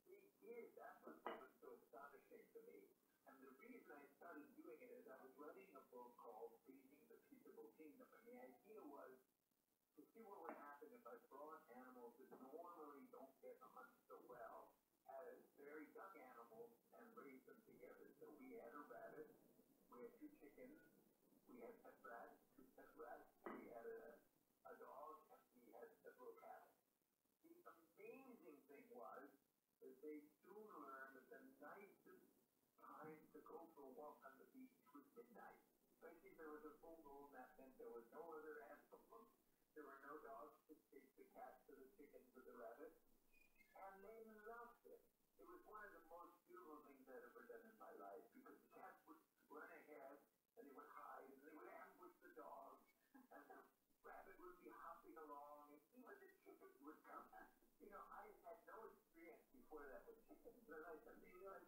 D: He is, that's what was so astonishing to me. And the reason I started doing it is I was running a book called Breathing the Peaceable Kingdom. And the idea was to see what would happen if I brought animals that normally don't get on so well as very young animals and raised them together. So we had a rabbit, we had two chickens, we had pet rats, two pet rats, we had a adult, he has several habits. The amazing thing was that they soon learned that the nicest time to go for a walk on the beach was midnight. Especially if there was a full moon, that meant there was no other animals. There were no dogs to chase the cats or the chickens or the rabbits. And they loved it. It was one of the most beautiful things I'd ever done in my life because the cats would run ahead and they would hide, and they would ambush the dogs, and the rabbit would be hopping along, and even the chickens would come. You know, I had no experience before that with chickens, and I said, you know,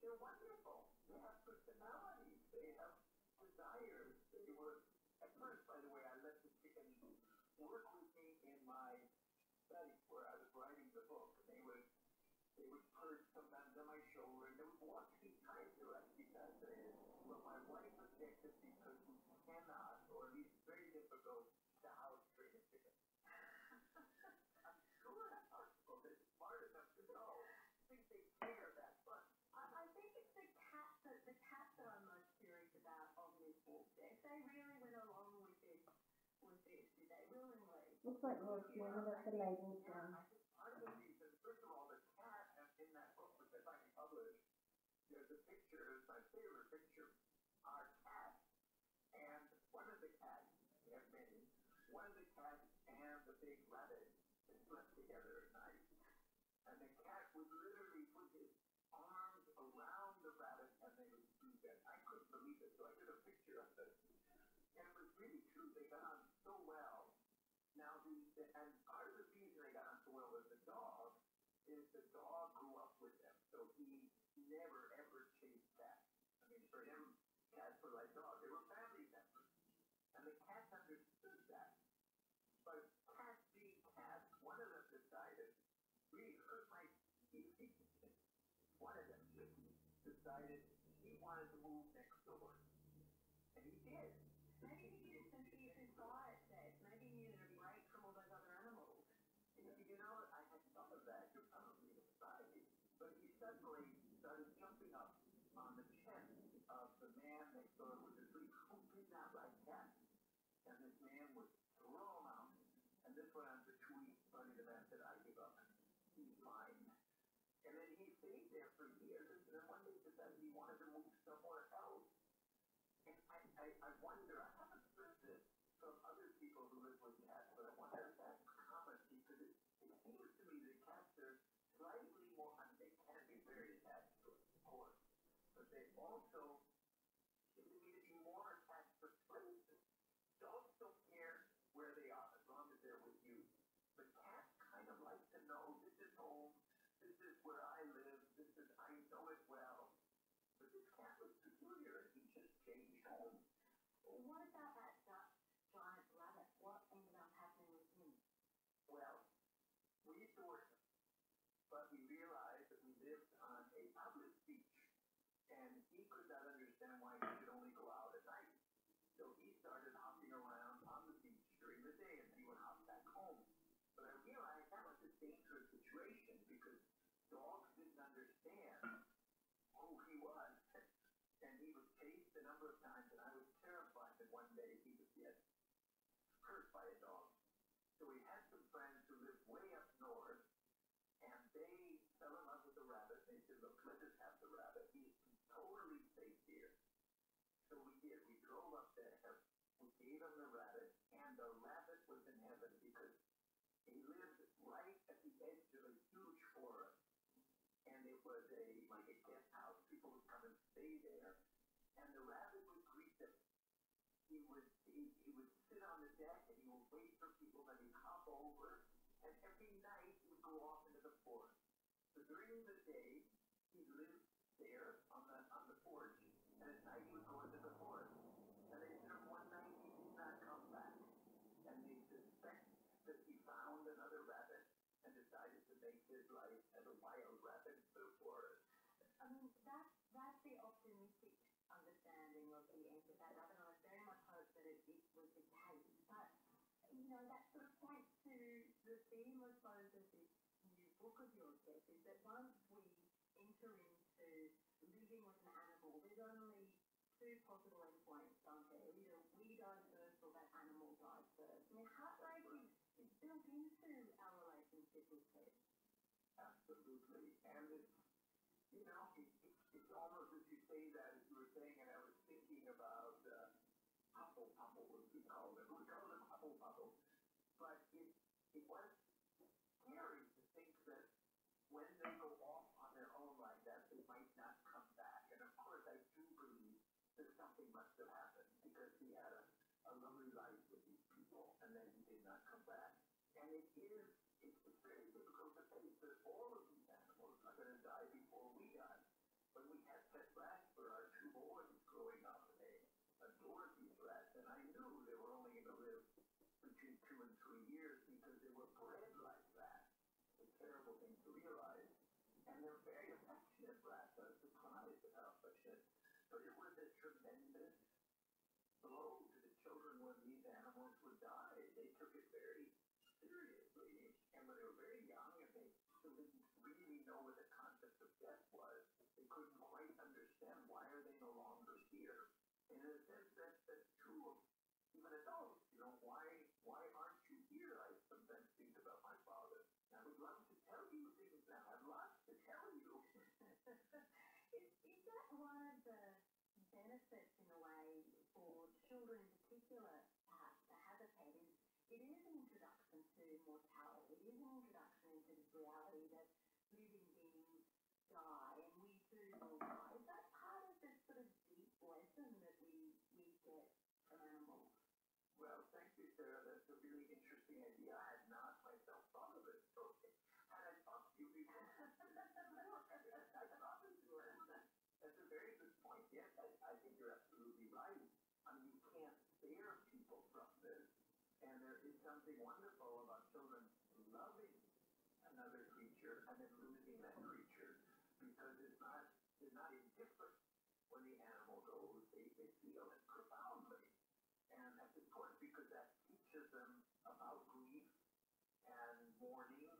D: they're wonderful. They have personalities. They have desires. They were, at first, by the way, I let the chickens work with me in my study where I was writing the book, and they would they would purge sometimes on my shoulder, and they would walk me time to us because of it. But my wife objected because we cannot, or at least very difficult, to house train a chicken. I'm sure that article is smart enough to know. I think they figure that, but I, I think it's the cat that the cat that I'm most curious about on this book. If they really went along with it, with this, did they willingly? Looks like North Norman at the labels down. I believe that, first of all, the cat in that book, which is actually published, there's a picture, my favorite picture, our cat. And one of the cats, we have many, one of the cats and the big rabbit slept together at night. And the cat would literally put his arms around the rabbit and they would do that. I couldn't believe it, so I did a picture of this. And it was really true. They got on so well. Now, the, the, and part of the reason they got into Will with the dog is the dog grew up with them, so he never ever chased cats. I mean, for him, cats were like dogs; they were family members, and the cats understood that. But cats being cats, one of them decided, we heard my one of them decided he wanted to move next door. He did. Maybe he just simply despised that. Maybe he needed a break from all those other animals. And if you know what, I had some of that. Um, I don't mean to say, but he suddenly started jumping up on the chest of the man that thought was a dream. Who did not like that? And this man was thrown out. And this went on for two weeks running about that I give up. He's mine. And then he stayed there for years, and then one day decided he wanted to move somewhere else. And I, I, I wonder, I haven't heard this from other people who live with cats, but I wonder if that's common because it, it seems to me that cats are slightly more, I mean, they can be very attached to it, of course, but they also seem to me to be more attached to places. Dogs don't care where they are as long as they're with you. The cat kind of likes to know this is home, this is where I live, this is, I know it well. But this cat was peculiar, he just changed home. Well, what about that duck, giant rabbit? What ended up happening with him? Well, we adored him, but we realized that we lived on a public beach, and he could not understand why he could only go out at night. So he started hopping around on the beach during the day, and he would hop back home. But I realized that was a dangerous situation because dogs didn't understand who he was. And he was chased a number of times, and I was terrified that one day he would get hurt by a dog. So we had some friends who lived way up north, and they fell in love with the rabbit. They said, look, let us have the rabbit. He's totally safe here. So we did. We drove up to heaven. We gave him the rabbit, and the rabbit was in heaven because he lived right at the edge of a huge forest. And it was a like a guest house. People would come and stay there. And the rabbit would greet them. He would he, he would sit on the deck and he would wait for people and he'd hop over. And every night he would go off into the forest. So during the day, he lived there on the on the porch, and at night he would go into the forest. And they said one night he did not come back, and they suspect that he found another rabbit and decided to make his life as a wild rabbit in the forest. I mean, that that's the optimistic understanding of the end of that. I mean, I very much hope that it, it was the case, but you know, that sort of points to the theme, I suppose, of this new book of yours, Beth, is that once we enter into living with an animal, there's only two possible endpoints, aren't there? Either we die first or that animal dies first. I mean, heartbreak is, is built into our relationship with pets. Absolutely. And it's, you know, it, it, it's almost as you say that, as you were saying, and I was thinking about. Uh, Apple, Apple was we called it. We called it Apple Bubble. But it, it was scary to think that when they go off on their own like that, they might not come back. And of course, I do believe that something must have happened because he had a, a lovely life with these people and then he did not come back. And it is, it's very difficult to face that all of these animals are going to die before we die. When we had set back for our two boys growing up, they adored these rats, and I knew they were only going to live between two and three years because they were bred like that. It's a terrible thing to realize. And they're very affectionate rats. I was surprised at how affectionate. But it was a tremendous blow to the children when these animals would die. They took it very seriously. And when they were very young and they so didn't really know what the concept of death was. They couldn't quite understand why are they no longer here. And in a sense, that, that's true of even adults. You know, why why aren't you here? I sometimes think about my father. I would love to tell you things now. I'd love to tell you. is, is that one of the benefits, in a way, for children in particular? perhaps to hesitate it is an introduction to mortality. It is an introduction into the reality that living beings die and we too will die. Is that part of this sort of deep lesson that we, we get from animals? Well, thank you, Sarah. That's a really interesting idea. I had not myself thought of it. So had I talked to that's a very good point. Yes, I think you're absolutely right. I mean, you can't fear people from this. And there is something wonderful about children loving another creature and then losing that creature because it's not, it's not indifferent when the animal goes. They, they feel it profoundly. And that's important because that teaches them about grief and mourning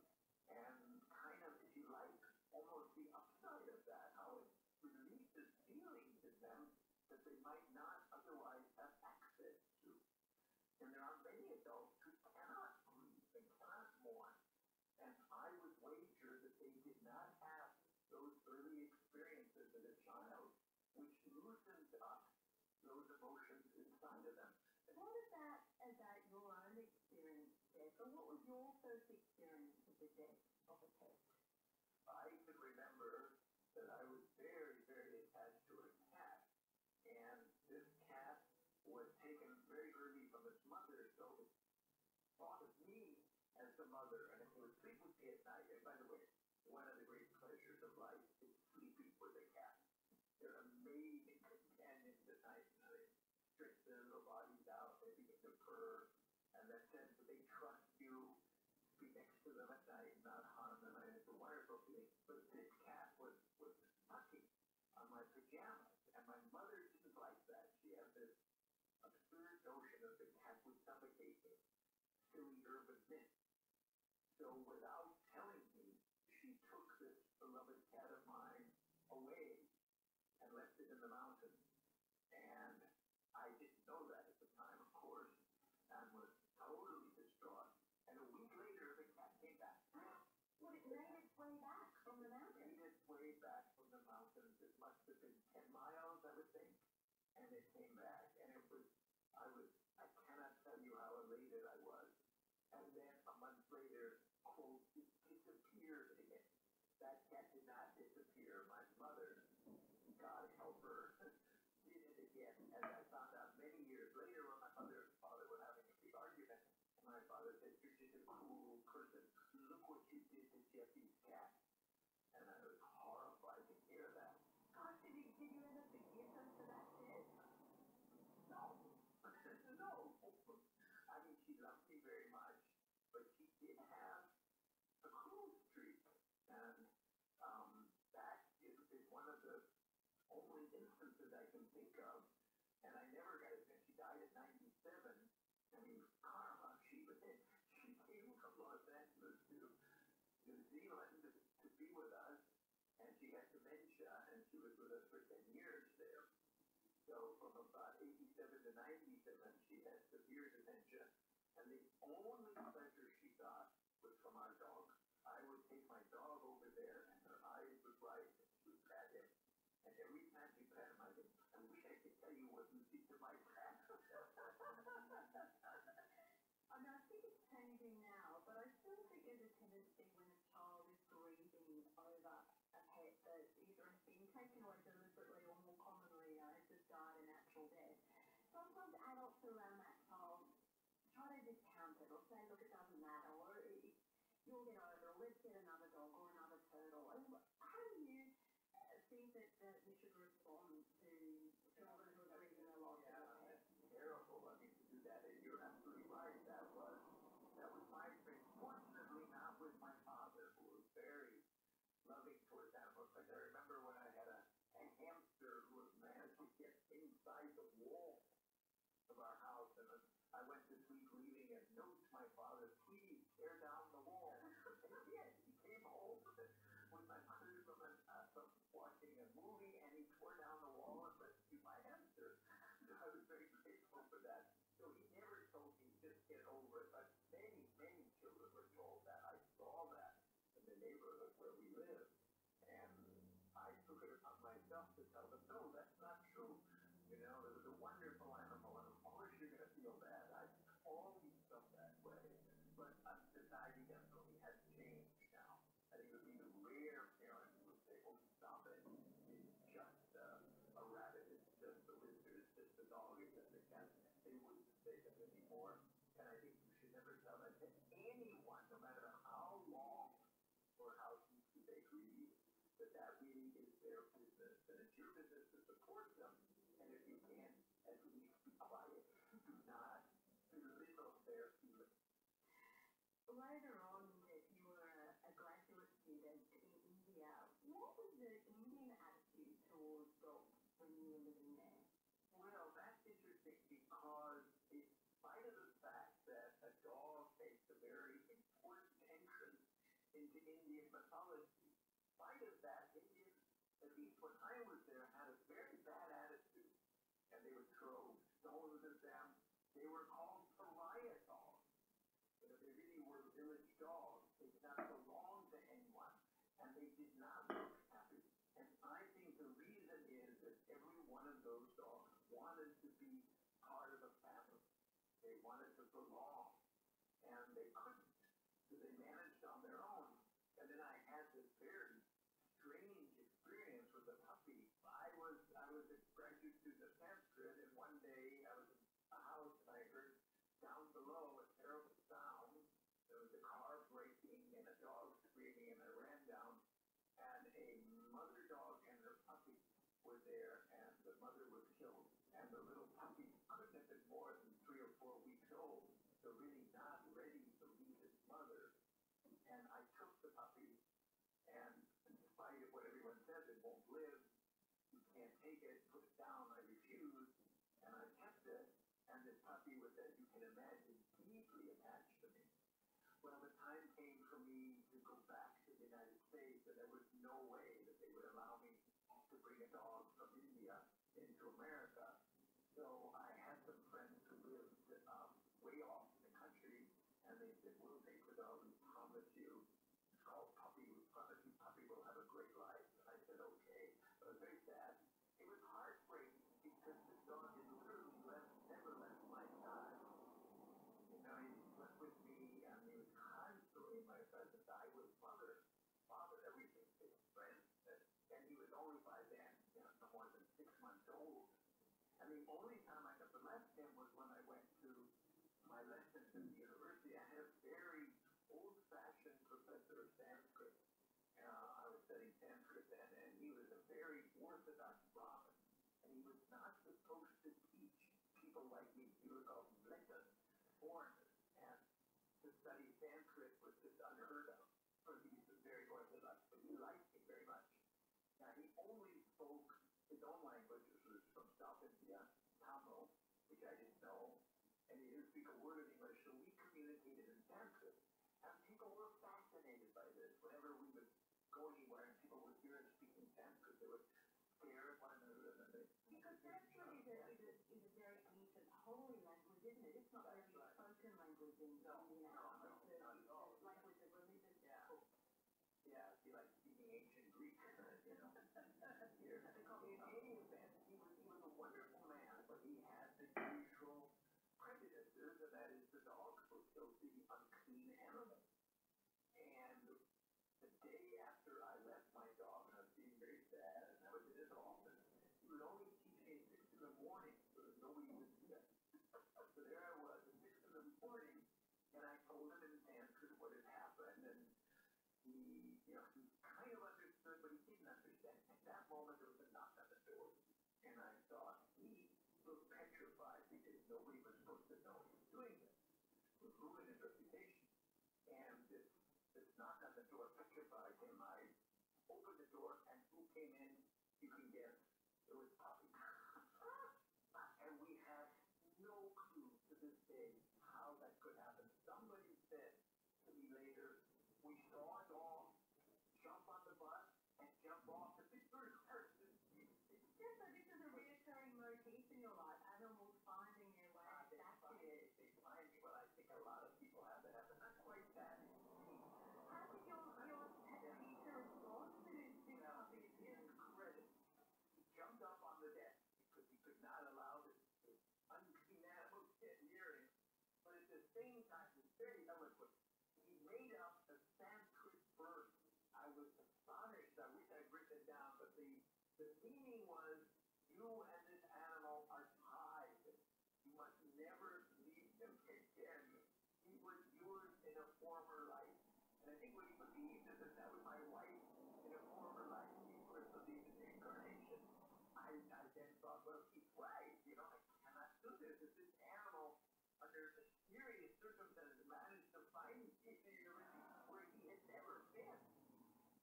D: and kind of, if you like, almost the upside of that, how it release is dealing with them that they might not otherwise have access to. And there are many adults who cannot grieve, they cannot mourn. And I would wager that they did not have those early experiences as a child, which loosens up those emotions inside of them. What about about your own experience, Deborah? What was your first experience of the death? of the Pope. I can remember that I was very, very attached to a cat, and this cat was taken very early from its mother, so it thought of me as the mother, and it would sleep with me at night. And by the way, one of the great pleasures of life is sleeping with a cat. They're amazing companions at night, and they strengthen or bodies out, they begin to purr, and that sense that they trust you be next to them at night, not harm them. And it's a wonderful feeling. But this cat was, was sucking on my pajamas, and my mother didn't like that. She had this absurd notion of the cat would suffocate me. Silly urban myth. So without telling me, she took this beloved cat of mine away and left it in the mountain.
C: And I didn't know that at the time, of course, and was totally distraught.
D: And a week later, the cat came back. Well, it made its way back from the mountain. It made its way back from the mountains. It must have been 10 miles, I would think. And it came back, and it was, I was, I cannot tell you how elated I was. And then a month later, quote, it disappeared again. That cat did not disappear. My mother, God help her, did it again. As I found out many years later when my mother and father were having a big argument, my father said, you're just a cruel person. Look what you did to Jeffy's cat. And I was horrified to hear that. God, did you, did you end up forgive him for that sin? No. no. I mean, she loved me very much but he did have a cruise treatment. And
C: um, that is, is one of the only instances I can think of. And I never got it. And she died at 97. I mean, karma. She, was in,
D: she came from Los Angeles to New Zealand to, to be with us. And she had dementia, and she was with us for 10 years there. So from about 87 to 97, she had severe dementia, and the only pleasure she got was from our dog. I would take my dog over there, and her eyes would rise, and she would pat him. And every time she pat him, I think, I wish I could tell you what you did to my cat.
B: I mean, I think it's changing now,
D: but I still think there's a tendency when a child is grieving over a pet death that either has been taken away deliberately or more commonly known as has died a natural death. Sometimes adults around that child try to discount it or say, look, it doesn't matter, or you'll get over it, or let's get another dog or another turtle. How do you think uh, that, that we should respond to children who are even alive? Yeah, that's terrible. I mean, to do that, and you're absolutely right, that was that was my experience. Fortunately, not with my father, who was very loving towards animals. Like I remember when I had a, a hamster who was managed to get inside the wall of our house, and I went this week leaving and notes my father, please tear down the wall. and he did. He came home with my mother from, an, uh, from watching a movie, and he tore down the wall and rescued my hamster. So I was very grateful for that. So he never told me just get over it. But many, many children were told that. I saw that in the neighborhood where we live. And I took it upon myself to tell them, no, that's not true. You know, it was a wonderful animal, and of course you're going to feel bad. I always felt that way. But I'm society definitely has changed now. I think it would be the rare parent who would say, oh, stop it. It's just uh, a rabbit. It's just a lizard. It's just a dog. It's just a cat they wouldn't say them anymore. And I think you should never tell that to anyone, no matter how long or how deeply they grieve, that that really is their business. And it's your business to support them. And if you can't, at least be quiet. Do not belittle their feelings. Later on, you were a graduate student in India. What was the Indian attitude? attitude towards golf when you were living there? Well, that's interesting because in spite of the fact that a dog makes a very important entrance into Indian mythology, in spite of that, Indians, at least when I was there, had a very bad attitude. And they would throw stones at them. They were called pariah dogs. You know, they really were village dogs. They did not belong to anyone and they did not look happy. And I think the reason is that every one of those dogs wanted to be part of the family. They wanted to belong, and they couldn't, so they managed on their own. And then I had this very strange experience with a puppy. I was I was a graduate student of Sanskrit, and one day I was in a house that I heard down below a terrible sound. There was a car breaking and a dog screaming, and I ran down, and a mother dog and her puppy were there, and the mother was killed, and the little puppy couldn't have been more than three or four weeks old, so really not ready to leave his mother. And I took the puppy, and in spite of what everyone says, it won't live. You can't take it. Put it down. I refused. And I kept it, and this puppy was, as you can imagine, deeply attached to me. Well, the time came for me to go back to the United States, and there was no way that they would allow me to bring a dog from India into America. So I had some friends who lived um, way off in the country, and they said, we'll take the dog, we promise you. It's called Puppy, we promise you Puppy will have a great life license. I said, okay. I was very sad. It was heartbreaking because the dog had literally left, never left my side. You know, he slept with me. I mean, constantly my presence. I was mother, father, everything, big friends. And he was only by then, you know, no more than six months old. And the only time I ever left him was when I went to my lessons in the university. I had a very old-fashioned professor of Sanskrit. Uh, I was studying Sanskrit then, and he was a very orthodox Brahmin, and he was not supposed to teach people like me. He was called Lekas, foreigners, and to study Sanskrit was just unheard of for these very orthodox, but he liked me very much. Now, he only spoke his own language, which was from South India, Tamil, which I didn't know, and they didn't speak a word of English, so we communicated in Sanskrit. And people were fascinated by this. Whenever we would go anywhere and people would hear us speaking Sanskrit, they would stare at one another and they Because Sanskrit is a, is a, is a very ancient, holy language, isn't it? It's not That's very right. spoken language in no, India. No, no, it's a, not at all. language of religion. Yeah. Oh. Yeah, it'd be like speaking ancient Greek, you know. Here. They call me an alien he was, he was a wonderful man, but he had the usual prejudices, and that is the dog was still the unclean animal. And the day after I left my dog, and I was being very sad, and I was in his office, he would always teach me at 6 in the morning so that nobody would see us. so there I was at 6 in the morning, and I told him in
C: Sanskrit what had happened, and he, you know, he kind of understood, but he didn't
D: understand. At that moment, there was a knock on the door, and I thought he looked petrified because nobody was supposed to know he was doing this. It would ruin his reputation. And this, this knock on the door petrified him. I opened the door, and who came in? You can guess. It was Poppy. and we had no clue to this day how that could happen. Somebody said, to me later, we saw it all, jump on the bus, and jump off the first person. Yeah, so this is a reoccurring motif in your life, animals finding their way back to you. They find me, but I think a lot of people have that happen. That's quite sad. How did your, your pet teacher respond to this discovery? His credit, he jumped up on the desk because he could not allow this, this unclean animal to get near him. But at the same time, it's very eloquent. He made up the Sanskrit verse. I was astonished. I wish I'd written it down, but the, the meaning was, you and this animal are tied. You must never leave him again. He was yours in a former life. And I think what he believed is that that was my wife in a former life. He first believed in reincarnation. I, I then thought, well, he's right. You know, I cannot do this. It's this animal under mysterious circumstances managed to find Peter where he had never been.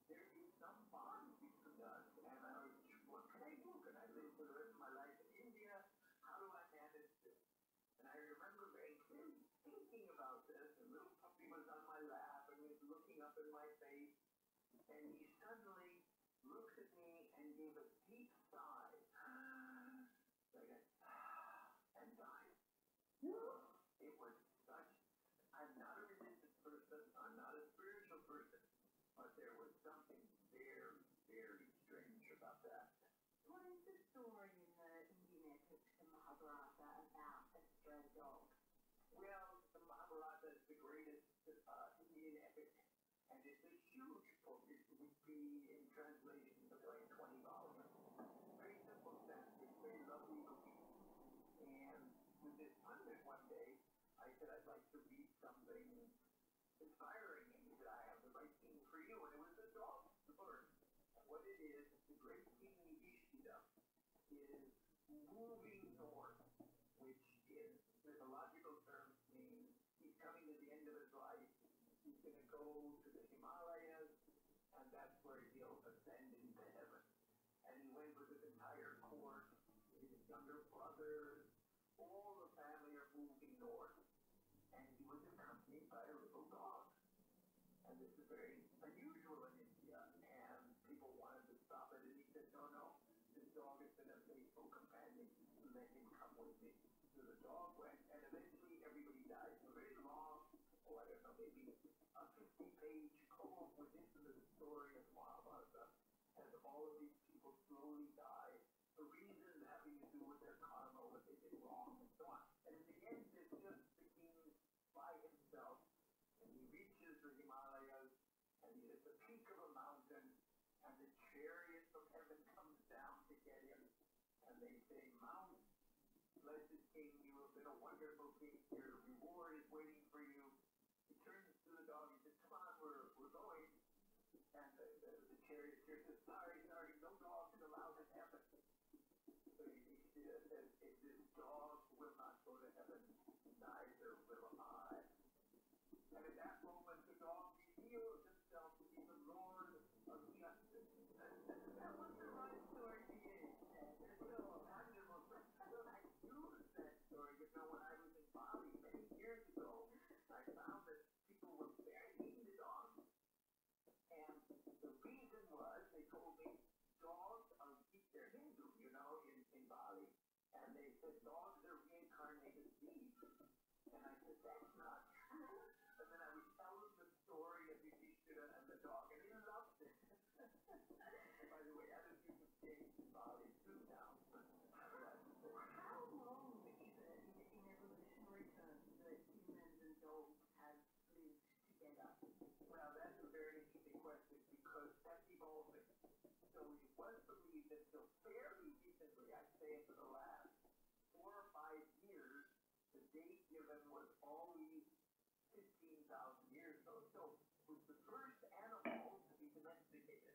D: There is some bond between us. And I was, what can I do? Can I live for the rest of my life in India? How do I manage this? And I remember very clearly thinking about this. The little puppy was on my lap and was looking up in my face. And he suddenly looks at me and gave a deep sigh. like a, and died. It was such, I'm not a religious person, I'm not a spiritual person, but there was something very, very strange about that.
B: What is the story in the Indian epic, the Mahabharata,
D: about a stray dog? Well, the Mahabharata is the greatest that are in Epic. And it's a huge book. It would be in translation between 20 volumes. Very simple sense. It's very lovely looking. And with this pundit one day, I said, I'd like to read something inspiring. And he said, I have the right thing for you. And it was the dog bird. What it is, the great King Ishida is moving north, which is, with a logical term, means he's coming to the end of his life. He's going to go to the Himalayas, and that's where he'll ascend into heaven. And he went with his entire court, his younger brothers, all the family are moving north. And he was accompanied by a little dog. And this is very unusual in India, and people wanted to stop it, and he said, no, no, this dog has been a faithful companion who let him come with me. So the dog went, and eventually everybody died. It's a very long, oh, I don't know, maybe a 50-page column within the story of Mahabharata, and all of these people slowly died. The reason having to do with their karma, what they did wrong, and so on. And in the end, it's just the king by himself, and he reaches the Himalayas, and he is the peak of a mountain, and the chariot of heaven comes down to get him, and they say, Mount, blessed King, you have been a wonderful king. Your reward is waiting for you. He turns to the dog and says, Come on, we're, we're going. And the, the, the charioteer says, Sorry, sorry, no dog is allowed in heaven. So he, he says, If this dog
C: will not go to heaven, neither will I. And at that
D: moment, the dog revealed himself to be the Lord of Justice. That the right story to use. It's so wonderful. So I used that story you know, when I was in Bali many years ago, I found that people were very mean to dogs. And the reason was, they told me, dogs are, they Hindu, you know, in, in Bali. And they said, dogs are reincarnated thieves. And I said, that's not true. And then I was telling the story of Yudhishthira and the dog, and he loved it. and by the way, other people change the body too now. How long is it in evolutionary terms that humans and dogs have lived together? Well, that's a very interesting question because that's evolving. So it was for me that until fairly recently, I'd say for the last four or five years, the date given was always 15,000 years ago. So it was the first animal to be domesticated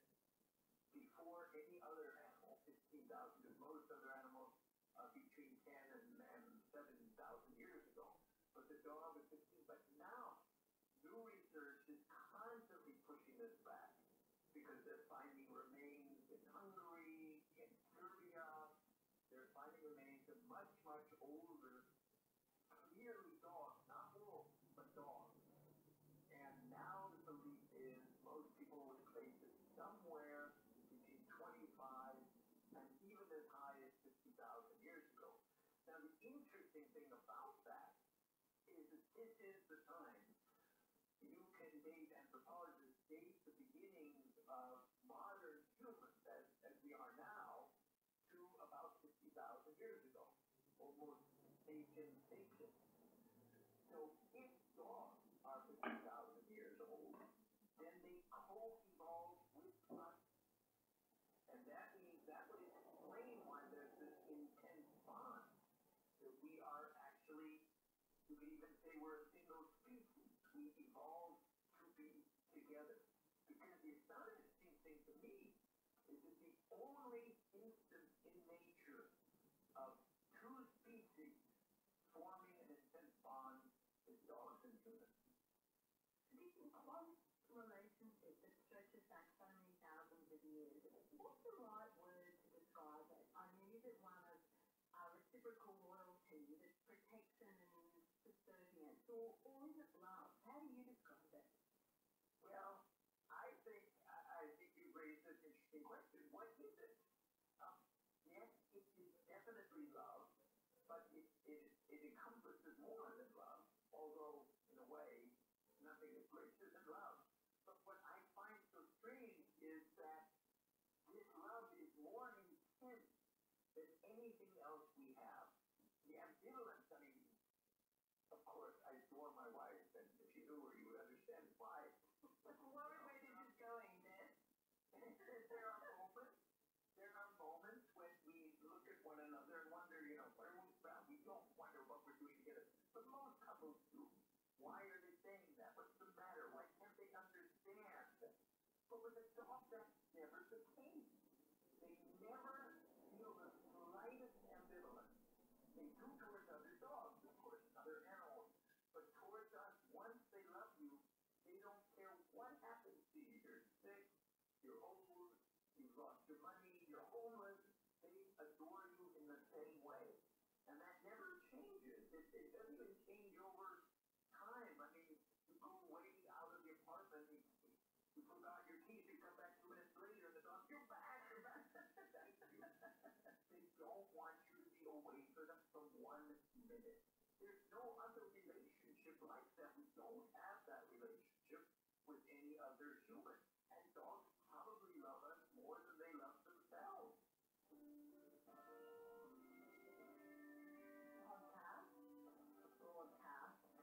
D: before any other animal, 15,000, because most other animals uh, between 10 and, and 7,000 years ago. But the dog was 15. But now, new research is constantly pushing this back because they're finding remains in Hungary, in Serbia. They're finding remains of much, much older, clearly dogs, not wolves, but dogs. And now the belief is most people would place it somewhere between 25 and even as high as 50,000 years ago. Now, the interesting thing about that is that this is the time you can date anthropologists, date the beginning of modern humans as, as we are now to about 60,000 years ago, almost ancient ancient. So if dogs are 50,000 years old, then they co-evolved with us and that means that would explain why there's this intense bond that we are actually, you could even say we're a single species. We evolved to be together. Because the astonishing thing to me is that the only instance in nature of two species forming an intense bond is dogs and humans. Isn't it close? relationship that stretches back so many thousands of years. What's
B: the right word to describe it? I mean, is it one of uh, reciprocal loyalty, that's protection and subservience, or, or is it love? How do you describe
D: it? Well, I think I, I think you raised an interesting question. What is it? Um, yes, it is definitely love, but it, it it encompasses more than love. Although, in a way, Nothing is greater than love. But what I find so strange is that this love is more intense than anything else we have. The ambivalence, I mean, of course, I adore my wife, and if you knew her, you would understand why. But what a way this is going, then. there are moments, there are moments when we look at one another and wonder, you know, where are we from? We don't wonder what we're doing together. But most couples do. Why are they saying that? What's the matter? Why can't they understand? But with a dog, that's never the case. They never feel the slightest ambivalence. They do towards other dogs, of course, other animals. But towards us, once they love you, they don't care what happens to you. You're sick, you're old, You've lost your money. You're homeless. They adore you in the same way. And that never changes. It, it doesn't even change over time. I mean, you go way out of the apartment. You, you forgot your keys. You come back two minutes later. And the dog, you're back. You're back. they don't want you to be away for them for one minute. There's no other relationship like that. We don't have that relationship with any other human. And dogs probably love us more than they love themselves.
C: Podcast.
D: Broadcast.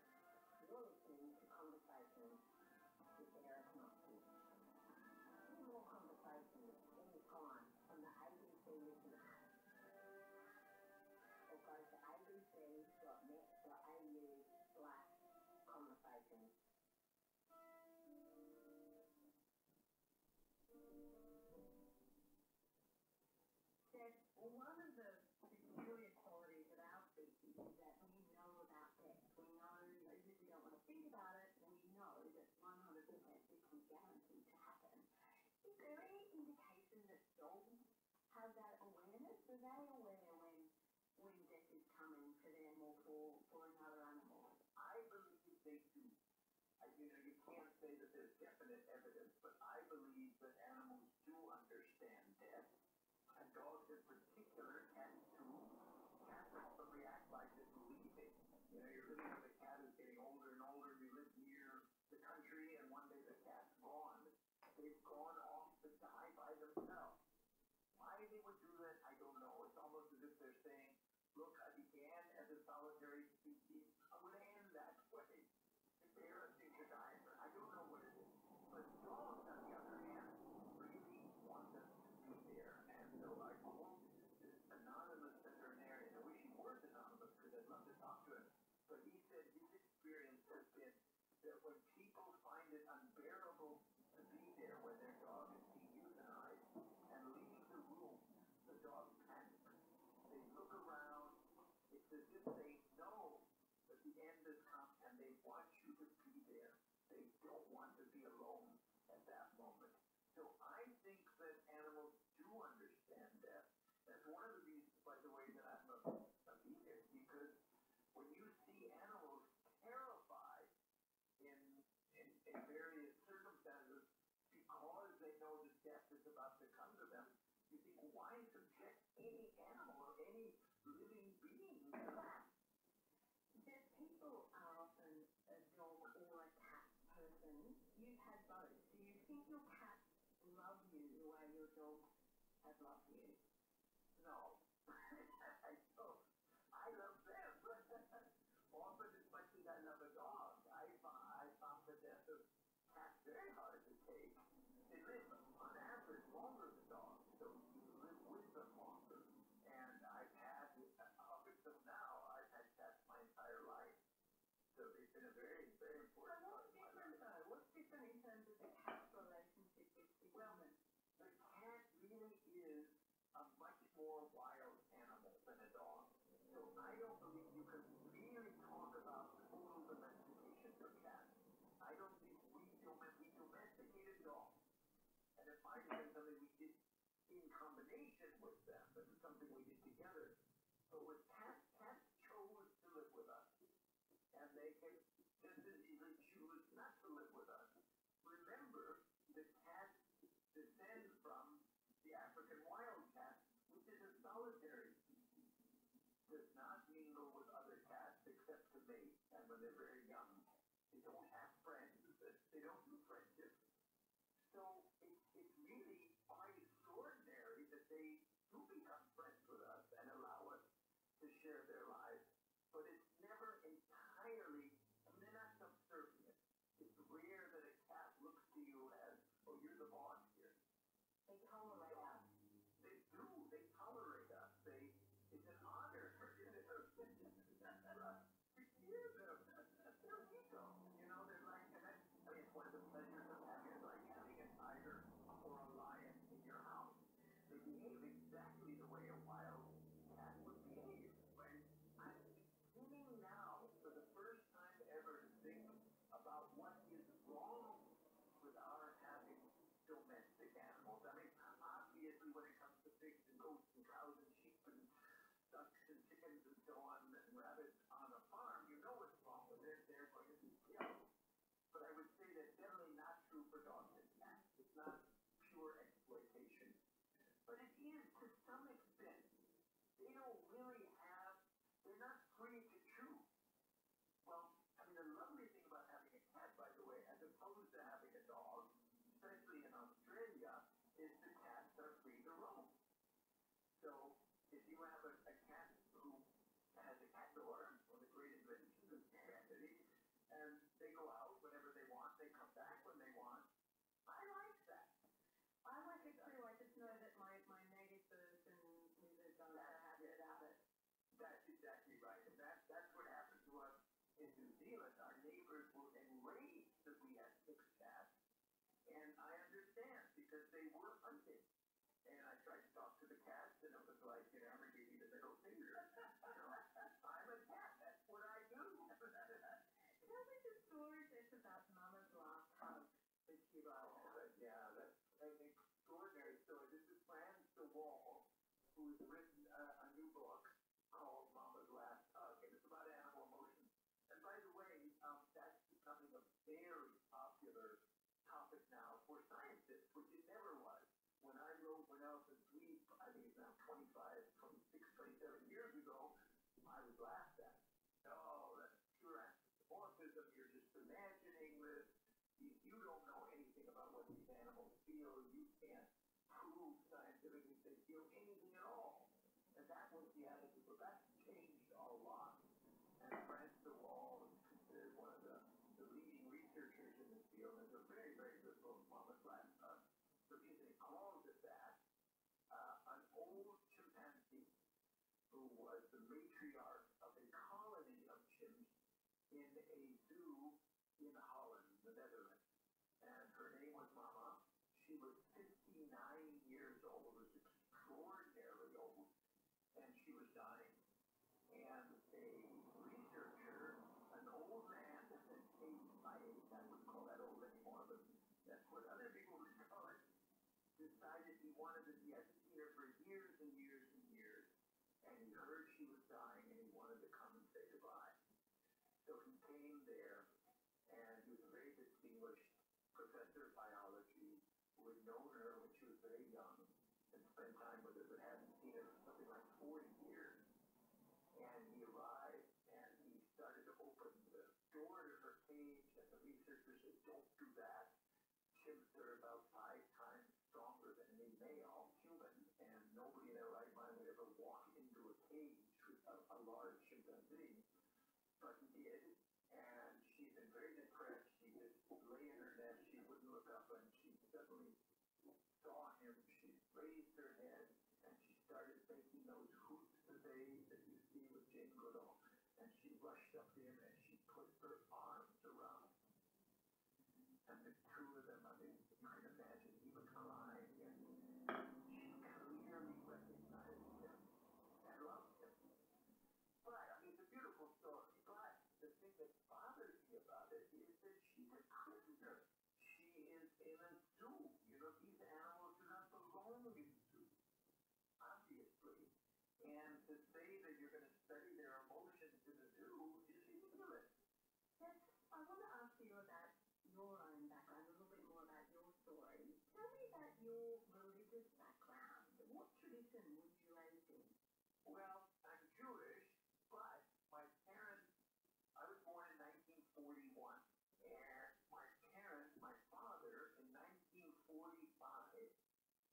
D: You're listening to Conversations with Eric Moxie. Hear more conversations anytime on the ABC Listen app. Or go to abc.net.au slash conversations. Well, one of the peculiar qualities of our species is that we know about death. We know, even if we don't want to think about it, we know that 100% this is guaranteed to happen. Is there any indication that dogs have that awareness? Are they aware when when death is coming for them or for, for another animal? I believe they do. I, you know, you can't say that there's definite evidence, but I believe that animals do understand death. And dogs in particular can too. Cats probably act like they believe it. You know, you're looking at the cat who's getting older and older, you live near the country, and one day the cat's gone. They've gone off to die by themselves. Why they would do that, I don't know. It's almost as if they're saying, look, I began as a solitary species. I'm going to end that way. Embarrassing to die. I don't know what it is. But dogs, on the other hand, really want us to be there. And so I quote this anonymous veterinarian. I wish he was anonymous because I'd love to talk to him. But he said his experience has been that when people find it unbearable to be there when their dog is being euthanized and leave the room, the dog panics. They look around. It's as if they know that the end is come and they want you to be there. They don't want to be alone at that moment. So I think that animals do understand that. That's one of the reasons, by the way, that I'm a, a vegan, because when you see animals terrified in, in, in various circumstances because they know that death is about to come to them. You think, why subject any animal or any living being to that? That people are often a dog or a cat person. You've had both. Do you think your cats love you the way your dogs have loved you? No. I love them. Often as much as I love a dog, I, I found that death of cats very hard to take. They live on average longer than dogs, so you live with them longer. And I've had, up until now, I've had cats my entire life. So they've been a very, very important so part of my life. What's different in terms of the cat relationship with the well, woman? The cat really is a much more wild animal than a dog. So I don't believe you can really talk about total domestication of cats. I don't think we, dom- we domesticated dogs. And it might have been something we did in combination with them, but it's something we did together. But with cats, cats chose to live with us. And they can just as easily choose not to live with us. Remember, the cat descends from the African wildcat, which is a solitary species. Does not mingle with other cats except to mate, and when they're very young, they don't have friends. They don't do friendships. So it, it's really quite extraordinary that they do become friends with us and allow us to share their lives but it's never entirely, I mean, they're not subservient. It's rare that a cat looks to you as, oh, you're the boss here. They tolerate us. They do. They tolerate us. They,
C: it's an honor. right. We give them
D: their ego. You know, they're like, and I, I mean, it's one of the pleasures of having, like, having a tiger or a lion in your house to behave exactly the way a wild cat would behave. When I'm beginning now, for the first time ever, to think about what is wrong with our having domestic animals. I mean, obviously, when it comes to pigs and goats and cows and sheep and ducks and chickens and so on, and rabbits on a farm, you know what's wrong with it. They're going to be killed. But I would say that's definitely not true for dogs and cats. It's not pure exploitation but it is to some extent. They don't really have, they're not free to choose. Well, I mean, the lovely thing about having a cat, by the way, as opposed to having a dog, especially in Australia, is the cats are free to roam. So if you have a, a cat who has a cat daughter, one of the greatest inventions of humanity, and they go out whenever they want, they come back when they want. I like that.
B: I like it too. I just know that my, my
D: neighbors and music don't have it out it. That's exactly right. And that, that's what happened to us in New Zealand. Our neighbors were enraged that we had six cats. And I understand because they were hunting. And I tried to talk to the cats and it was like, you know, I'm giving you the middle finger. you know, I'm a cat that's what I do. that was a story that's about Mama's last hug that she wrote. Oh, but yeah, that's an extraordinary story. This is Fran DeWall, who's written a, a new book called Mama's Last Hug, and it's about animal emotion. And by the way, um, that's becoming a very popular topic now for scientists, which it never was when I wrote When Elephants
C: Weep, I think it's now 25, 26, 27 years ago, I was laughed at.
D: Oh, that's pure anthropomorphism. You're just imagining this. You, you don't know anything about what these animals feel. You can't prove scientifically they feel anything at all. And that was the attitude. But that's changed a lot. And France de Waal is considered one of the, the leading researchers in this field. There's a very, very good book, Mama Flat. Uh, because it calls it that, uh, an old chimpanzee who was the matriarch of a colony of chimps in a zoo in Holland, the Netherlands. And her name was Mama. She was 59 years old, was extraordinarily old, and she was dying. And a researcher, an old man, in age, my age, I wouldn't call that old anymore, but that's what other people would call it, decided he wanted to be, I'd seen her for years and years and years, and he heard she was dying and he wanted to come and say goodbye. So he came there, and he was a very distinguished professor of biology who had known her when she was very young and spent time with her but hadn't seen her for something like 40 years. And he arrived and he started to open the door to her cage, and the researchers said, don't do that. Chimps are about five times stronger than any male human, and nobody in their right mind would ever walk into a cage with a, a large chimpanzee, but he did, and she's been very depressed. She just lay in her nest, she wouldn't look up, and she suddenly saw him, she raised her head and she started making those hoots today that you see with Jane Goodall.
C: And she rushed up to him and she put her arms around him. And
D: the two of them, I mean, you can imagine, he was crying and she clearly recognized him and loved him. But, I mean, it's a beautiful story, but the thing that bothers me about it is that she's a prisoner. She is in a zoo. You know, these animals do not belong in zoos, obviously. And to say that you're going to study their emotions in a zoo is ignorant. Yes, I want to ask you about your own background, a little bit more about your story. Tell me about your religious background. What tradition were you raised Well, I'm Jewish, but my parents I was born in 1941, and my parents, my father, in 1945,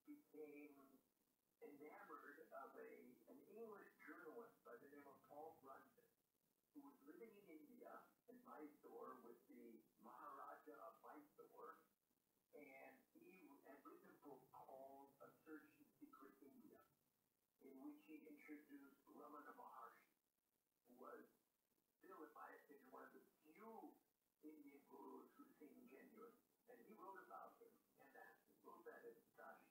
D: became enamored of a an English journalist by the name of Paul Brunson, who was living in India in Mysore with the Maharaja of Mysore, and he had written a book called A Search in Secret India, in which he introduced Ramana Maharshi was still, in my opinion, one of the few Indian gurus who seemed genuine. And he wrote about him, and that wrote that in, gosh,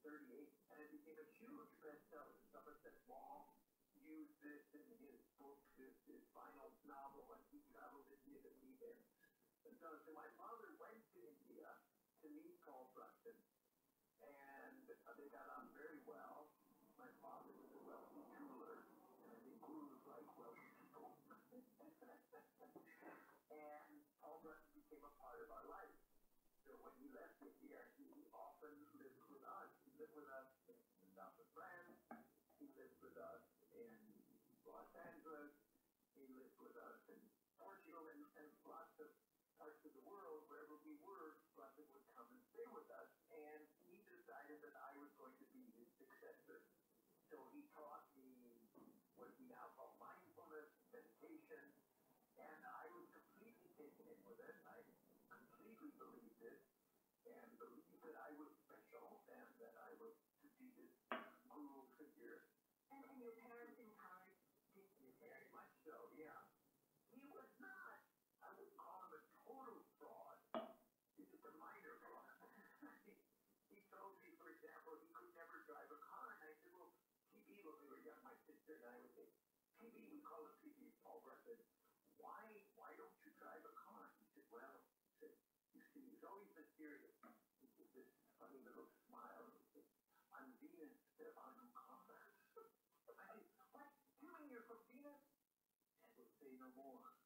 D: 1938, and it became a huge bestseller. Someone said, Wong used this in his book, his, his final novel, when he traveled India to meet him. And so, so my father went to India to meet Paul Brunson, and uh, they got on very well. My father was a wealthy jeweler, and I think gurus like wealthy people. and all that became a part of our life. So when he left India, he often lived with us. He lived with us in the south of France. He lived with us in Los Angeles. He lived with us in Portugal and, and lots of parts of the world, wherever we were, Blessed would come and stay with us. And he decided that I was going to be his successor. So he taught me what we now call mindfulness, meditation, and I was completely taken in with it. I completely believed it and believed that I was special and that I was to be this guru figure. And, and your parents encouraged you? Very much so, yeah. He was not I would call him a total fraud. He's just a minor fraud. he, he told me, for example, he could never drive a car. And I said, well, PB, when we were young, my sister and I would say, PB, we call him PB, Paul Breton. Why, why don't you drive a car? He said, well, he said, you see, he's always mysterious. He said, this funny little smile. He said, I'm Venus, they're on combat. What? You mean you're from Venus? I would say no more.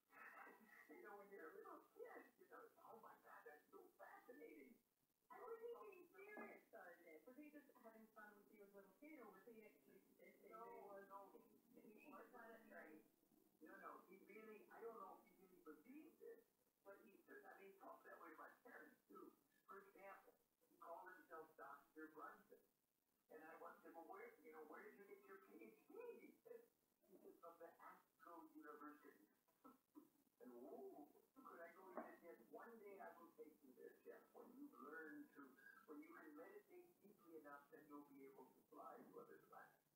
D: you know, when you're a little kid, you know, oh my God, that's so fascinating. I was he being serious about it?
B: Was he just having
D: fun with you as a little kid, or was he actually just no, was, no, he was not a right? No, no, he really, I don't know if he really believed it, but he said, I mean, he talked that way about parents, too. For example, he called himself Dr. Brunson. And I once said, well, where, you know, where did you get your PhD? He said, he said from the Astro University. and whoa, could I go there? Yes, one day I will take you there, Jeff. When you learn to, when you can meditate deeply enough, then you'll be able to fly to other planets.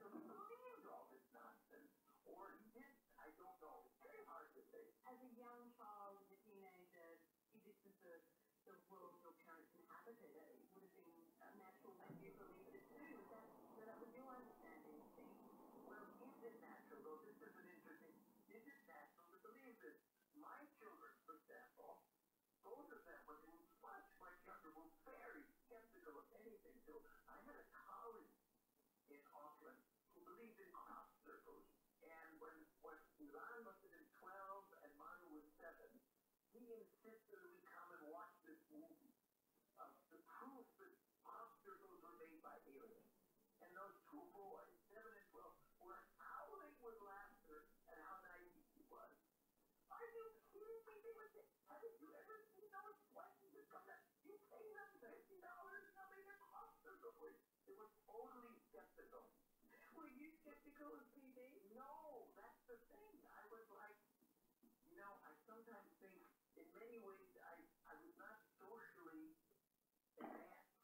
D: So he believed all this nonsense, or he didn't. I don't know. It's very hard to say.
B: As a young child, a teenager, you just
D: observed the world your parents inhabited. It would have been natural that you believed it too. Is that, so that was your understanding of things. Well, is it natural? Well, this is an interesting. Is it natural to believe this? My children, for example, both of them were much, much younger, were very skeptical of anything. So I had a colleague in Auckland who believed in crop circles. And when, when Ilan must have been 12 and Manu was 7, he insisted that we come and watch this movie. Uh, the proof that crop circles were made by aliens. And those two boys, 7 and 12, were howling with laughter at how naive he was. Are you kidding me? They would say, haven't you ever seen those questions that come back? You pay them $50 and they'll make a crop circle for you. It was totally skeptical.
B: Were you skeptical of TV?
D: No, that's the thing. I was like, you know, I sometimes think in many ways I, I was not socially advanced.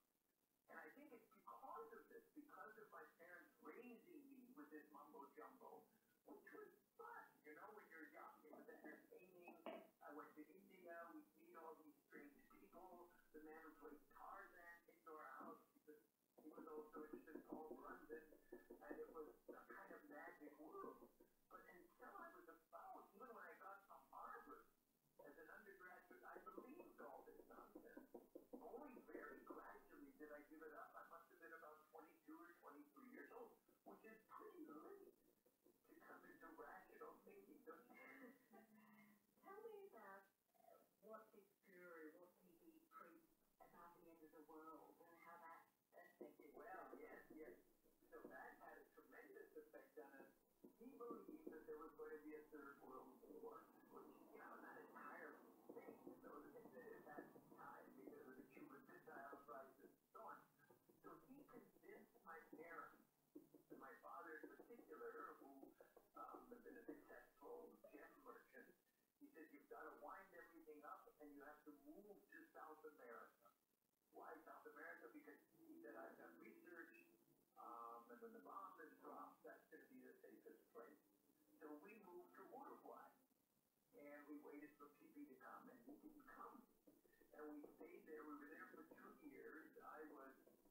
D: And I think it's because of this, because of my parents raising me with this mumbo jumbo, which was fun, you know, when you're young. It was entertaining. I went to India. We meet all these strange people. The man who played Tarzan into our house, he was also interested in Paul Brunson, and it was a kind of magic world. But until I was about, even when I got to Harvard as an undergraduate, I believed all this nonsense. Only very gradually did I give it up. I must have been about 22 or 23 years old, which is pretty late to come into rational thinking, do you? Tell me about what did Guru, what did he preach about the end of the world and how that affected? Well, yes, yes. So that had a tremendous effect on us. He believed that there was going to be a third world war, which, you know, that entire thing, those at that time, because of the Cuban Missile Crisis and so on. So he
C: convinced my parents to my father in particular, who um, has been a
D: successful gem merchant, he said, you've got to wind everything up and you have to move to South America. Why South America? Because he said, I've done research, um, and when the bomb is dropped, that's going to be the safest place. So we moved to Uruguay, and we waited for PP to come, and he didn't come. And we stayed there. We were there for two years. I was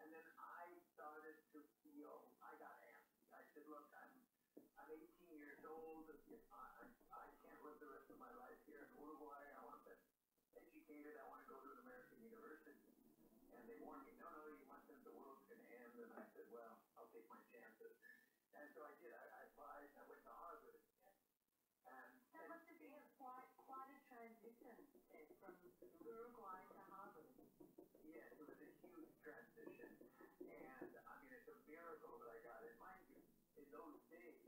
D: And then I started to feel I got antsy. I said, look, I'm I'm 18 years old. I, I can't live the rest of my life here in Uruguay. I want to get educated. I want to go to an American university. And they warned me, no, no, you must think the world's going to end. And I said, well, I'll take my chances. And so I did. I, I applied. I went to Harvard. And, and that must have been quite, quite a transition transition from Uruguay to Harvard. Yes, it was a huge transition. And I mean, it's a miracle that I got it. Mind you, in those days,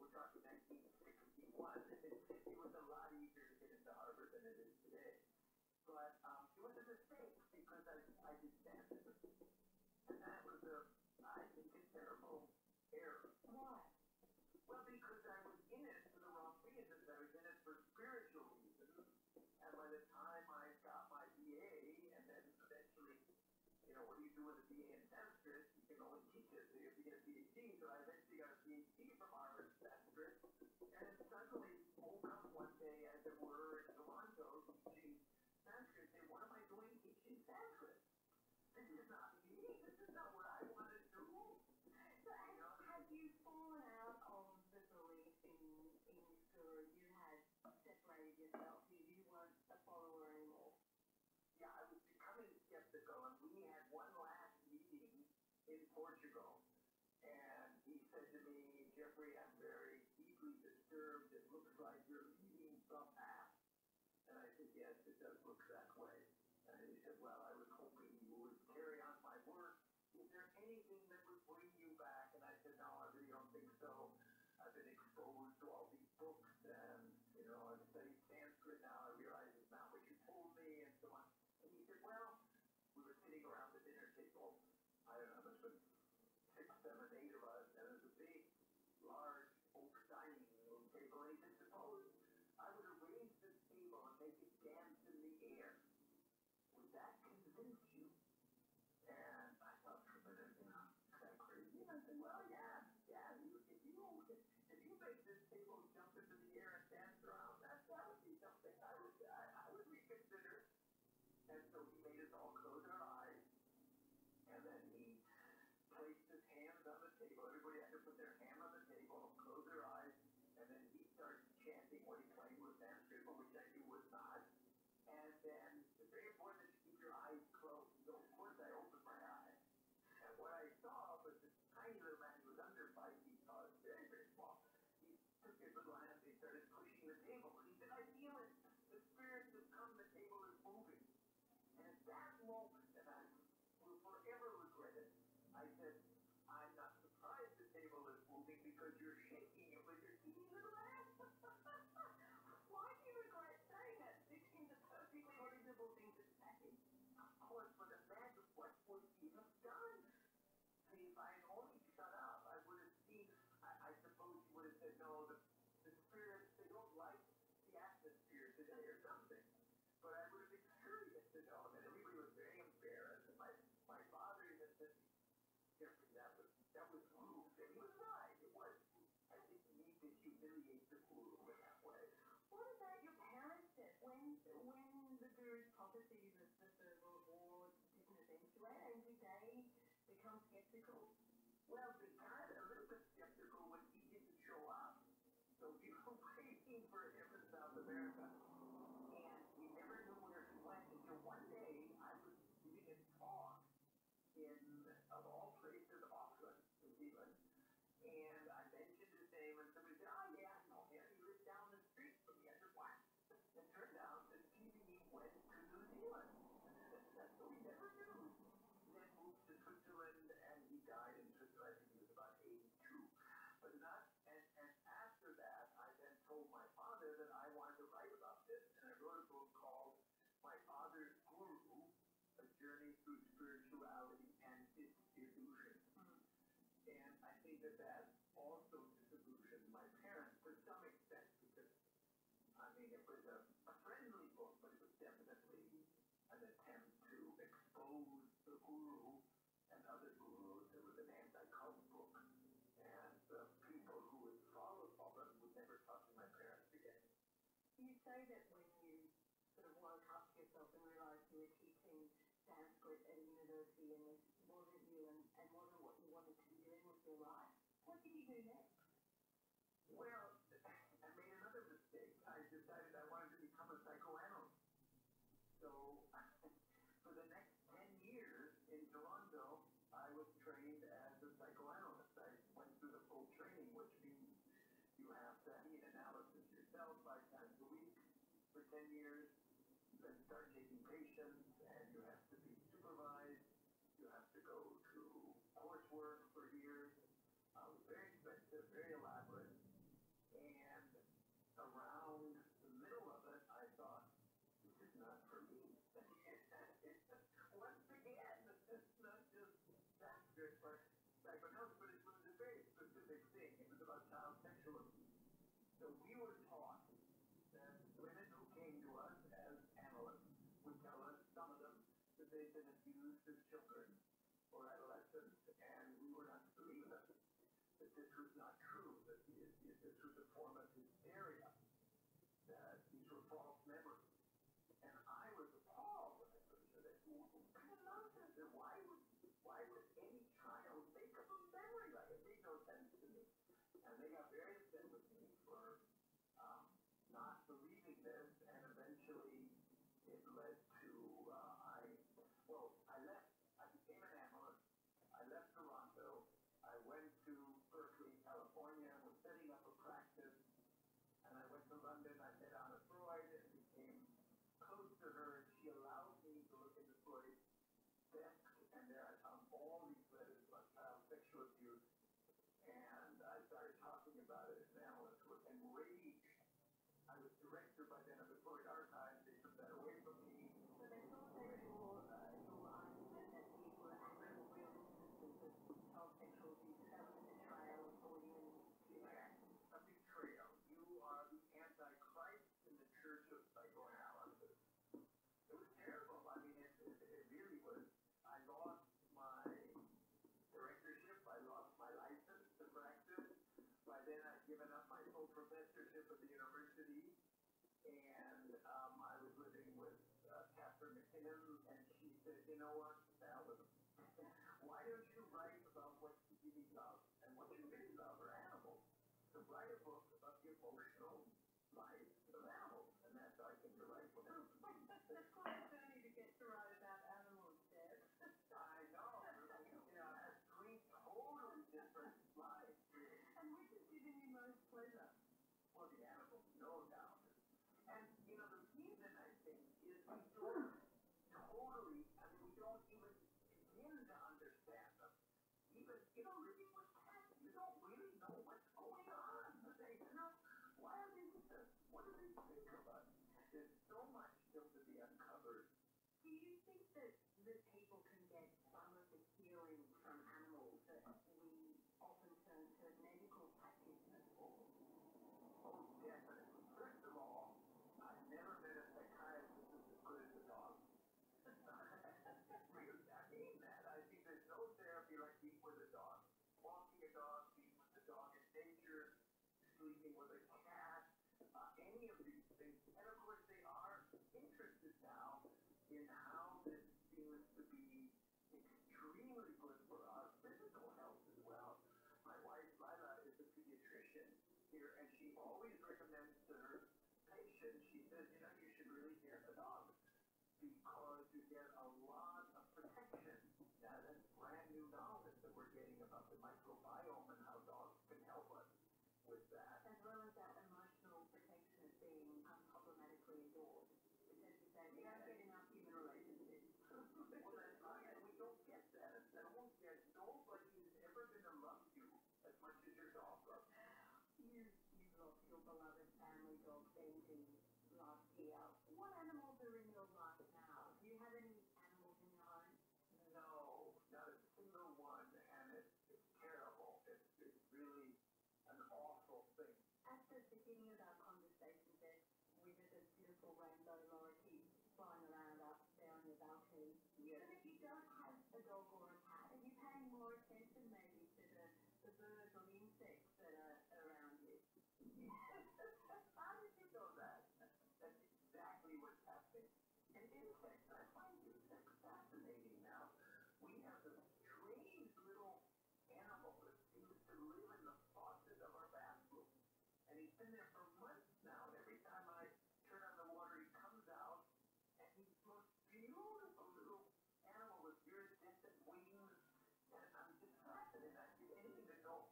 D: we're talking 1961, it was a lot easier to get into Harvard than it is today. But um, it was a mistake because I, I did Sanskrit. And that was a, I think, a terrible error. Why?
C: Well, because I was in it for the wrong reasons. I was in it for spiritual reasons.
D: And by the time I got my BA, and then eventually, you know, what do you do with a BA in Sanskrit? You can only teach it. So you have to get a PhD. So I eventually got a PhD from Harvard Sanskrit. And suddenly, woke up one day, as it were, in Toronto, teaching Sanskrit. And what am I doing teaching Sanskrit? This is not me. This is not what I want to do. So Anna, have you fallen out of the belief in, in this guru? You had separated yourself. You, you weren't a follower anymore. Yeah, I was becoming skeptical, and we had one last meeting in Portugal. And he said to me, Jeffrey, I'm very deeply disturbed. It looks like you're leading the path. And I said, yes, it does look that way. And then he said, well, I was hoping you would carry on my work. Is there anything that would bring you back? And I said, no, I really don't think so. I've been exposed to all these books and, you know, I've studied Sanskrit now. I realize it's not what you told me and so on. And he said, well, we were sitting around the dinner table. I don't know, this was six, seven, eight of us. And it was a big, large oak dining room table. And he said, suppose I would raise this table and make it dance in the air. Would that convince you? And I thought for a minute, you know, is that crazy? And I said, well, yeah, yeah, if you, if you make this table jump into the air and dance around, that, that would be something I would, I would reconsider. And so he made us all close our eyes, and then he placed his hands on the table. Everybody had to put their hand on the table, close their eyes, and then he starts chanting what he claimed was basketball, which I knew was not. And then it's very important that you keep your eyes closed. So of course I opened my eyes. And what I saw was this tiny little man who was under five feet tall, very, very small. He took his little hand and he started pushing the table. And he said, I feel it. The spirits have come, the table is moving. And at that moment that I was will forever regret it. I said, I'm not surprised the table is moving because you're shaking it with your teeny little ass. Why do you regret saying that? It seems a perfectly reasonable thing to say. Of course, but imagine what would he have done? I mean, if I had only shut up, I would have seen, I, I suppose you would have said, no, the, the spirits, they don't like the atmosphere today or something. But I was curious to know, and everybody was very embarrassed. And my, my father even said, Jeffrey, that was, that was rude. And he was right. It was. I didn't need to humiliate the guru in that way. What about your parents then? When, when the guru's prophecies of the verbal or didn't eventuate, and did they become skeptical? Well, they got a little bit skeptical when he didn't show up. So we were waiting for him in South America. And we never knew where he went until one day I was giving a talk in, of all places, Auckland, New Zealand. And I mentioned his name, and somebody said, Oh, yeah, I know him. He lives down the street from me. I said, What? It turned out that TV went to New Zealand. so we never knew. He then moved to Switzerland, and he died in Switzerland. He was about 82. But not and, and after that, I then told my father that I wanted to write about this, and I wrote a book called My Father's Guru, A Journey Through Spirituality and Its Illusion. Mm-hmm. And I think that that also disillusioned my parents to some extent, because, I mean, it was a, a friendly book, but it was definitely an attempt to expose the guru and other gurus. There was an anti-cult book, and the people who would follow all them would never talk to my parents again. You say that when you sort of woke up to yourself and realised you were teaching Sanskrit at a university and this wasn't you and, and wasn't what you wanted to be doing with your life. What did you do next? Well, I made another mistake. I decided I wanted to become a psychoanalyst. So for the next 10 years in Toronto, I was trained as a psychoanalyst. I went through the full training, which means you have to need analysis yourself five times a week for 10 years. You then start taking patients, and you have to be supervised. You have to go through coursework for years. Uh, it was very expensive, very elaborate. And around the middle of it, I thought, this is not for me. Once again, it's not just that good for psychoanalysis, but it was a very specific thing. It was about child sexual abuse. So we were taught that women who came to us as analysts would tell us, some of them, that they'd been abused as children or adolescents, and we were not to believe them that this was not true, that this was a form of hysteria, that these were false memories. And I was appalled when I listened to this. Kind of nonsense. And why would, why would any child make up a memory? Like, it made no sense to me. And they got very upset with me for um, not believing this, and eventually it led to, uh, I, well, I left, I became an analyst, I left Toronto. I went to Berkeley, California, and was setting up a practice. And I went to London. I met Anna Freud and became close to her. She allowed me to look into Freud's desk, and there I found all these letters about child sexual abuse. And I started talking about it, and Anna was enraged. I was direct registered by then, I've been putting our time, they took that away from me. So there's no sexual, uh, law that people that have real instances of child sexual abuse that was in the trial or even A betrayal. Uh, you are the Antichrist in the Church of Psychoanalysis. It was terrible. I mean, it, it, it really was. I lost my directorship. I lost my license to practice. By then, I'd given up my full professorship at the university, and um, I was living with uh, Catherine McKinnon, and she said, you know what, Alan, why don't you write about what you really love? And what you really love are animals. So write a book about the emotional life of animals, and that's how I came to write for them. That's quite a journey to get to write about animals, Deb. I know. You know, that's three totally different lives. And which is giving you most pleasure? Well, the animals know about it. And, you know, the reason I think is we don't totally, I mean, we don't even begin to understand them. Even, you know, really what's happening. You don't really know what's going on. They, you know, why are they with us? What do they think of us? There's so much still to be uncovered. Do you think that, that people can get some of the healing from animals that we often turn to medical practitioners for? Oh, definitely. First of all, I've never met a psychiatrist who's as good as a dog. really, I mean that. I think there's no therapy like being with a dog. Walking a dog, being with a dog in nature, sleeping with a cat, uh, any of these things. And of course, they are interested now in how this seems to be extremely good for our physical health as well. My wife, Lila, is a pediatrician here, and she always recommends to her patients, she says, you know, you should really get a dog because you get a lot of protection. Now, that's brand new knowledge that we're getting about the microbiome and how dogs can help us with that. As well as that emotional protection of being unproblematically adored. Because you say, we don't get enough human relationships. well, that's right, and we don't get that. And won't get nobody is ever going to love you as much as your dog loves you. You, you lost your beloved family dog, Benji, last year. What animals are in your life now? Do you have any animals in your home? No, not a single one, and it's it's terrible. It's, it's really an awful thing. At the beginning of our conversation, that we did this beautiful rainbow lorikeet flying around up there on your balcony. Yes. But if you don't have a dog or a cat, are you paying more attention maybe to the, the birds or the insects that are around you? How did you know that? That's exactly what's happening. And in fact, I find insects fascinating now. We have this strange little animal that seems to live in the faucet of our bathroom. And he's been there for months now, and every time I turn on the water, he comes out, and he's the most beautiful little animal with iridescent wings. And I'm just fascinated. I did anything to know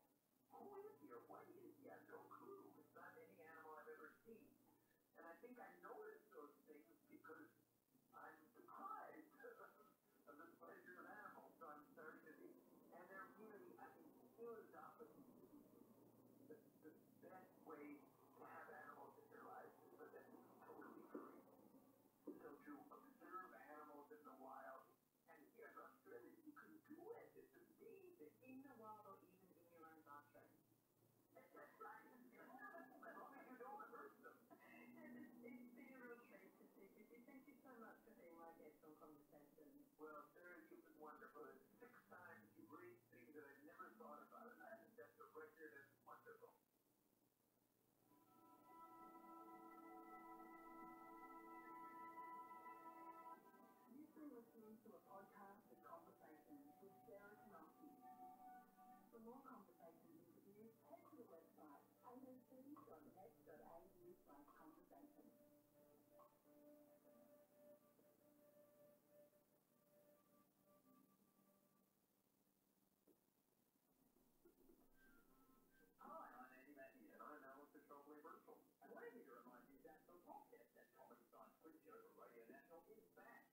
D: who is he or what is he. I have no clue. It's not any animal I've ever seen. And I think I notice those things because I'm deprived of the pleasure of animals. So I'm starting to be, and they're really, I mean, food is not the, the, the best way to have animals in your life, but that's totally free. So to observe animals in the wild, and here in Australia, you can do it. It's amazing. In the wild or even in your own backyard. Well, Sarah, you've been wonderful. It's six times you raised things that I never thought about, and I think that's a record that's wonderful. You've been listening to a podcast of the conversations with Sarah Kanofsky. For more conversations interviews, head to the website amc.net.au slash conversations. Hi, I'm Andy Matthew, and I'm Alice Petroli Bristol. I'm glad to remind you that the podcast that Comedy Science Quiz Show from Radio National is back.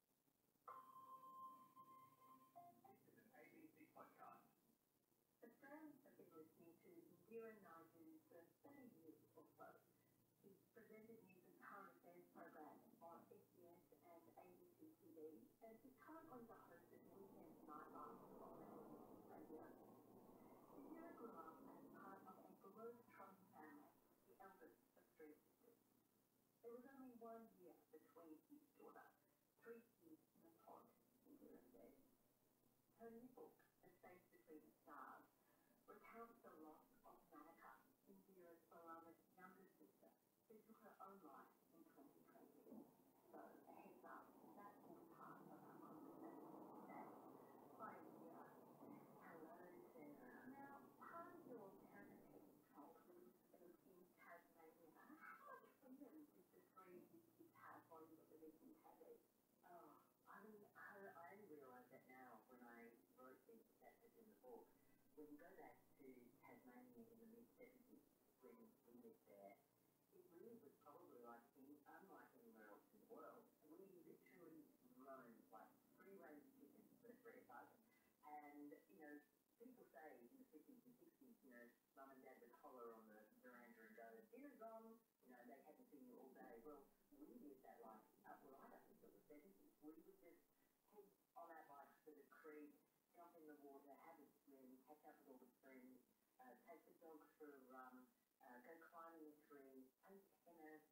D: The firm has been listening to Indira Naidu for 30 years or so. She's presented news and current affairs programs on SBS and ABC TV, and she's currently the host of Weekend Nightlife on ABC Radio. Indira grew up as part of a Glorious Trump family, the eldest of three sisters. There was only one year between each daughter, three years in a pod in Irlandale. Her new book, A Space Between the Stars, recounts the loss of Manika, Indira Balama's younger sister, who took her own life in 2020. So, a heads up, that is part of our conversation today. Hi, Indira. Hello, Sarah. Now, how do your parents when
E: you go back to Tasmania in the mid 70s, when we lived there, it really was probably like any,
D: unlike anywhere else in the world. We literally roamed like free range chickens
E: for the free apartment. And, you know, people say in the 50s and 60s, you know, mum and dad would holler on the veranda and go, dinner's on, you know, they hadn't seen you all day. Well, we lived that life, uh, well, I don't think it was 70s. We would just head on our bikes to the creek, jump in the water, have a swim, catch up with all the friends, uh, take the dog for a run, uh, go climbing a tree, play tennis,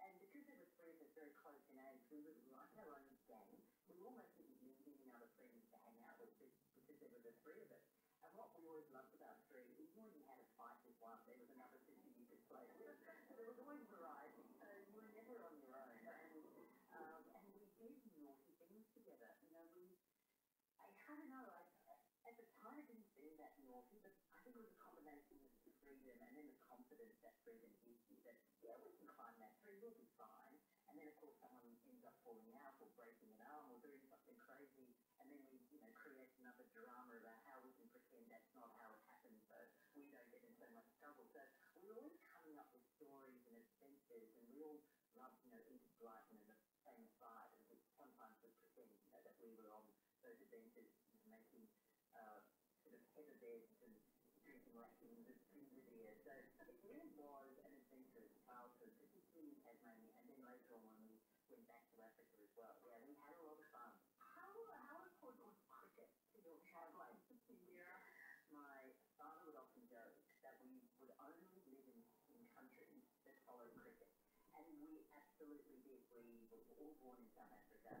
E: and because there were three of us very close in age, we were like our own gang. We almost didn't need any other friends to hang out with because there were the three of us. And what we always loved about three is when you had a fight with one, there was another sister you could play with. So there was
D: always variety. So you were never on your own. And, um, and we did naughty things together. You know, we,
E: I, I don't know, I, at the time it didn't seem that naughty, but I think it was a combination of the freedom and then the confidence that freedom gives you that yeah, we can climb that tree, we'll be fine. And then, of course, someone ends up falling out or breaking an arm or doing something crazy. And then we, you know, create another drama about how we can pretend that's not how it happened, so we don't get in so much trouble. So we're always coming up with stories and adventures, and we all love, you know, into life and the same side. And we sometimes we pretend, you know, that we were on those adventures, making uh, sort of hesitant and drinking lessons as previous So it really was an adventurous childhood, particularly in Tasmania, and then later on when we went back to Africa as well. Yeah, we had a lot of fun.
D: How, how important was cricket to your child life, Vera? My father would often joke that we would only live in, in countries that followed cricket. And we absolutely did. We were all born in South Africa.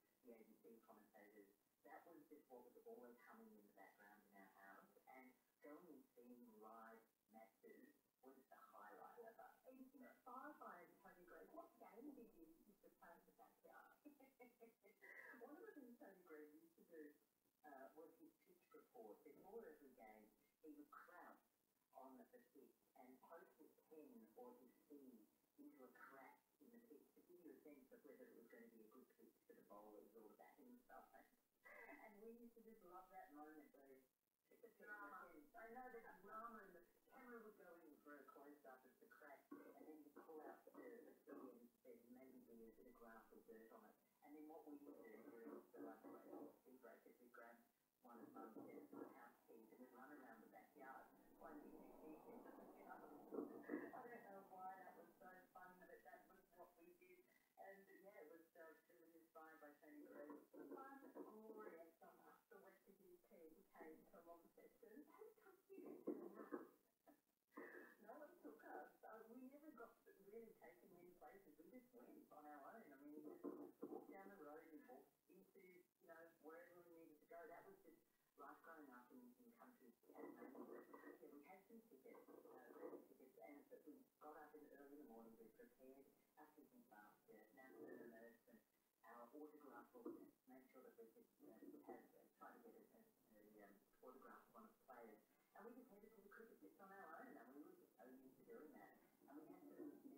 E: is where the big comment is that was just what was always humming in the background in our house, and going and seeing live matches was the
D: highlight of it. And you know, firefighters Tony Green, what game did you used to play in the backyard?
E: One of the things Tony Green used to do uh, was his pitch report. Before every game, he would crouch on the pitch and poke
D: his pen or his seed you were correct in the piece, but you knew then but whether it was going to be a good piece for the bowlers or the batting side. and we used to just love that moment where the drama. I know the drama and the camera would go in for a close
E: up of the crack and then you pull out the earth and there's maybe there's a bit of grass or dirt on it. And then what we would do is the like the breakers we grab one of mum's
D: and cage and would run around the backyard one evening weekend at the I don't know why that was so fun, but that was what we did. And yeah, it was uh, really inspired by Tony Gray. The one Gloria from the West UK came to a long session. How come you No one took us. So we never got really taken many places. We just went on our own. I mean, we just walked down the road and walked into you know, wherever we needed to go. That was just life growing up in, in country. we had some tickets, uh, tickets, and we got up in early morning, we prepared our picnic basket, napkin and
E: our autograph book, made sure that we could, you to get a, a, a um, autograph of And we just headed to the cricket on our own, and we were just used to doing that. And we had some members who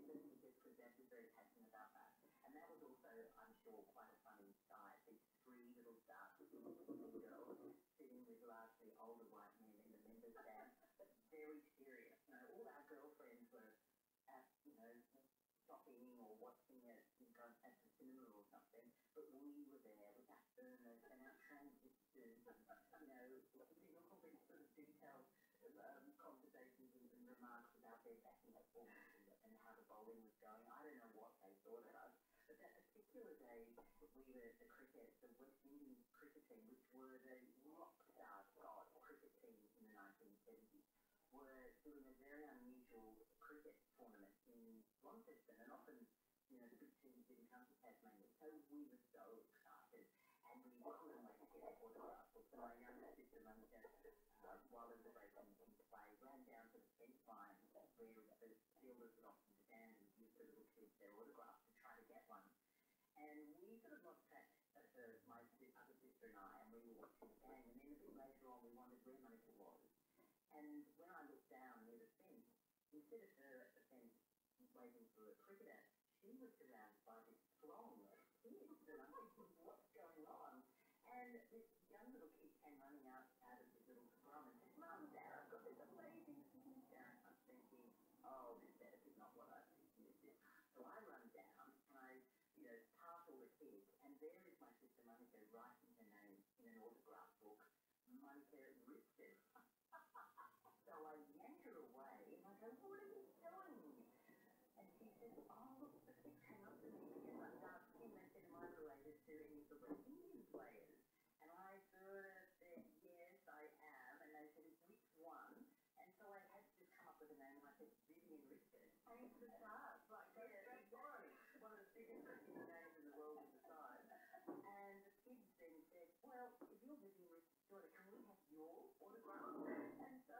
E: very passionate about that. And that was also,
D: I'm sure, quite a funny sight. These three little dark girls sitting with
E: largely older white men in the members' stand, but very serious. You know, all our girlfriends were at, you know, shopping or watching it at the cinema or something, but we were there with our burners and our transistors and, you know,
D: all these sort of detailed um, conversations and, and remarks about their backing awful and how the bowling was going. I don't know what they thought of us. But that particular day, we were the cricket, the West Indian cricket team, which were the rock stars God cricket team in the 1970s, were doing a very unusual cricket tournament in Launceston. And often, you know, the big teams didn't come to Tasmania. So we were so excited. And we were couldn't wait to get our photographs. So my younger sister, Mum, said, as well as the breakup of the play, ran down to the fence line where the Steelers would often stand and give the little kids their autographs to try to get one. And we sort of lost track, uh, the, my other sister and I, and we were watching the game. And then a bit later on, we wondered where Monica was. And when I looked down near the fence, instead of her at the fence waiting for a cricketer, she was surrounded by this throng of confused and I'm like, what's going on? And this young little kid came running out, out of his little scrum and said, Mum, Dad, I've got this amazing thing down. I'm thinking, oh,
E: this better be not what I think this is. So I run down and I, you know, pass all the kids and there is my sister Monica writing her name in an autograph book,
D: Monica Richard. so I yank her away and I go, what are you doing? and features oh, all of the channels and media like that in that cinema related to the West players. And I sort I am. And they said, one? And so I had to come up with a name and I said, Vivian Richards. the stars, like, go yeah, One of the biggest Indian names in the world the time. And the kids then said, if you're Vivian Richards' daughter, can we have your autograph? And so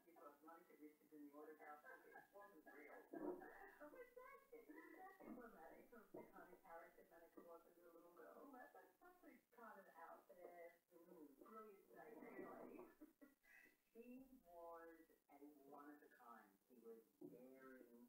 D: because lunch initiative in the order now it wasn't real. But that is that emblematic of the kind of character Manica was as a little girl. Oh, that, that's something kind of out there, mm-hmm. brilliant day, really. she was a one of a kind. She was daring and,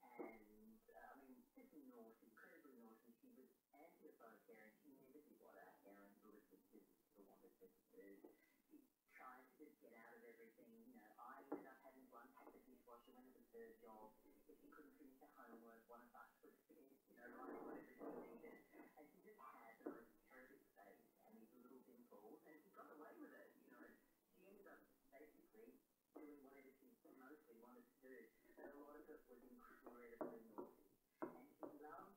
D: uh, I mean, just naughty, incredibly naughty. She was and to the fellow parent, he knew this is what our errand was, which is the one that's just food. He tried to just get out of everything. You know, I ended up having to unpack the dishwasher when it was her job. If she couldn't finish her homework, one of us would finish, you know, like whatever she needed. And she just had the most terrific face and these little dimples, and she got away with it, you know. She ended up basically doing whatever she mostly wanted to do, but a lot of it was incredibly naughty and she loves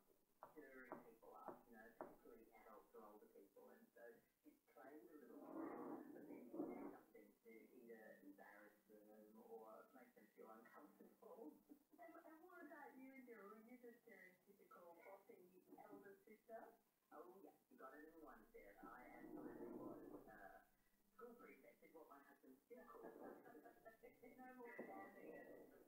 D: stirring people up, you know, particularly adults or older people, and so she's trained a little bit for people to do something to either embarrass them or make them feel uncomfortable. and, and what about you, Indira? Were you the stereotypical bossy elder sister? Oh, yes, you got it in one, Sarah. I absolutely was. Uh, school prefect is what my husband still calls no more standing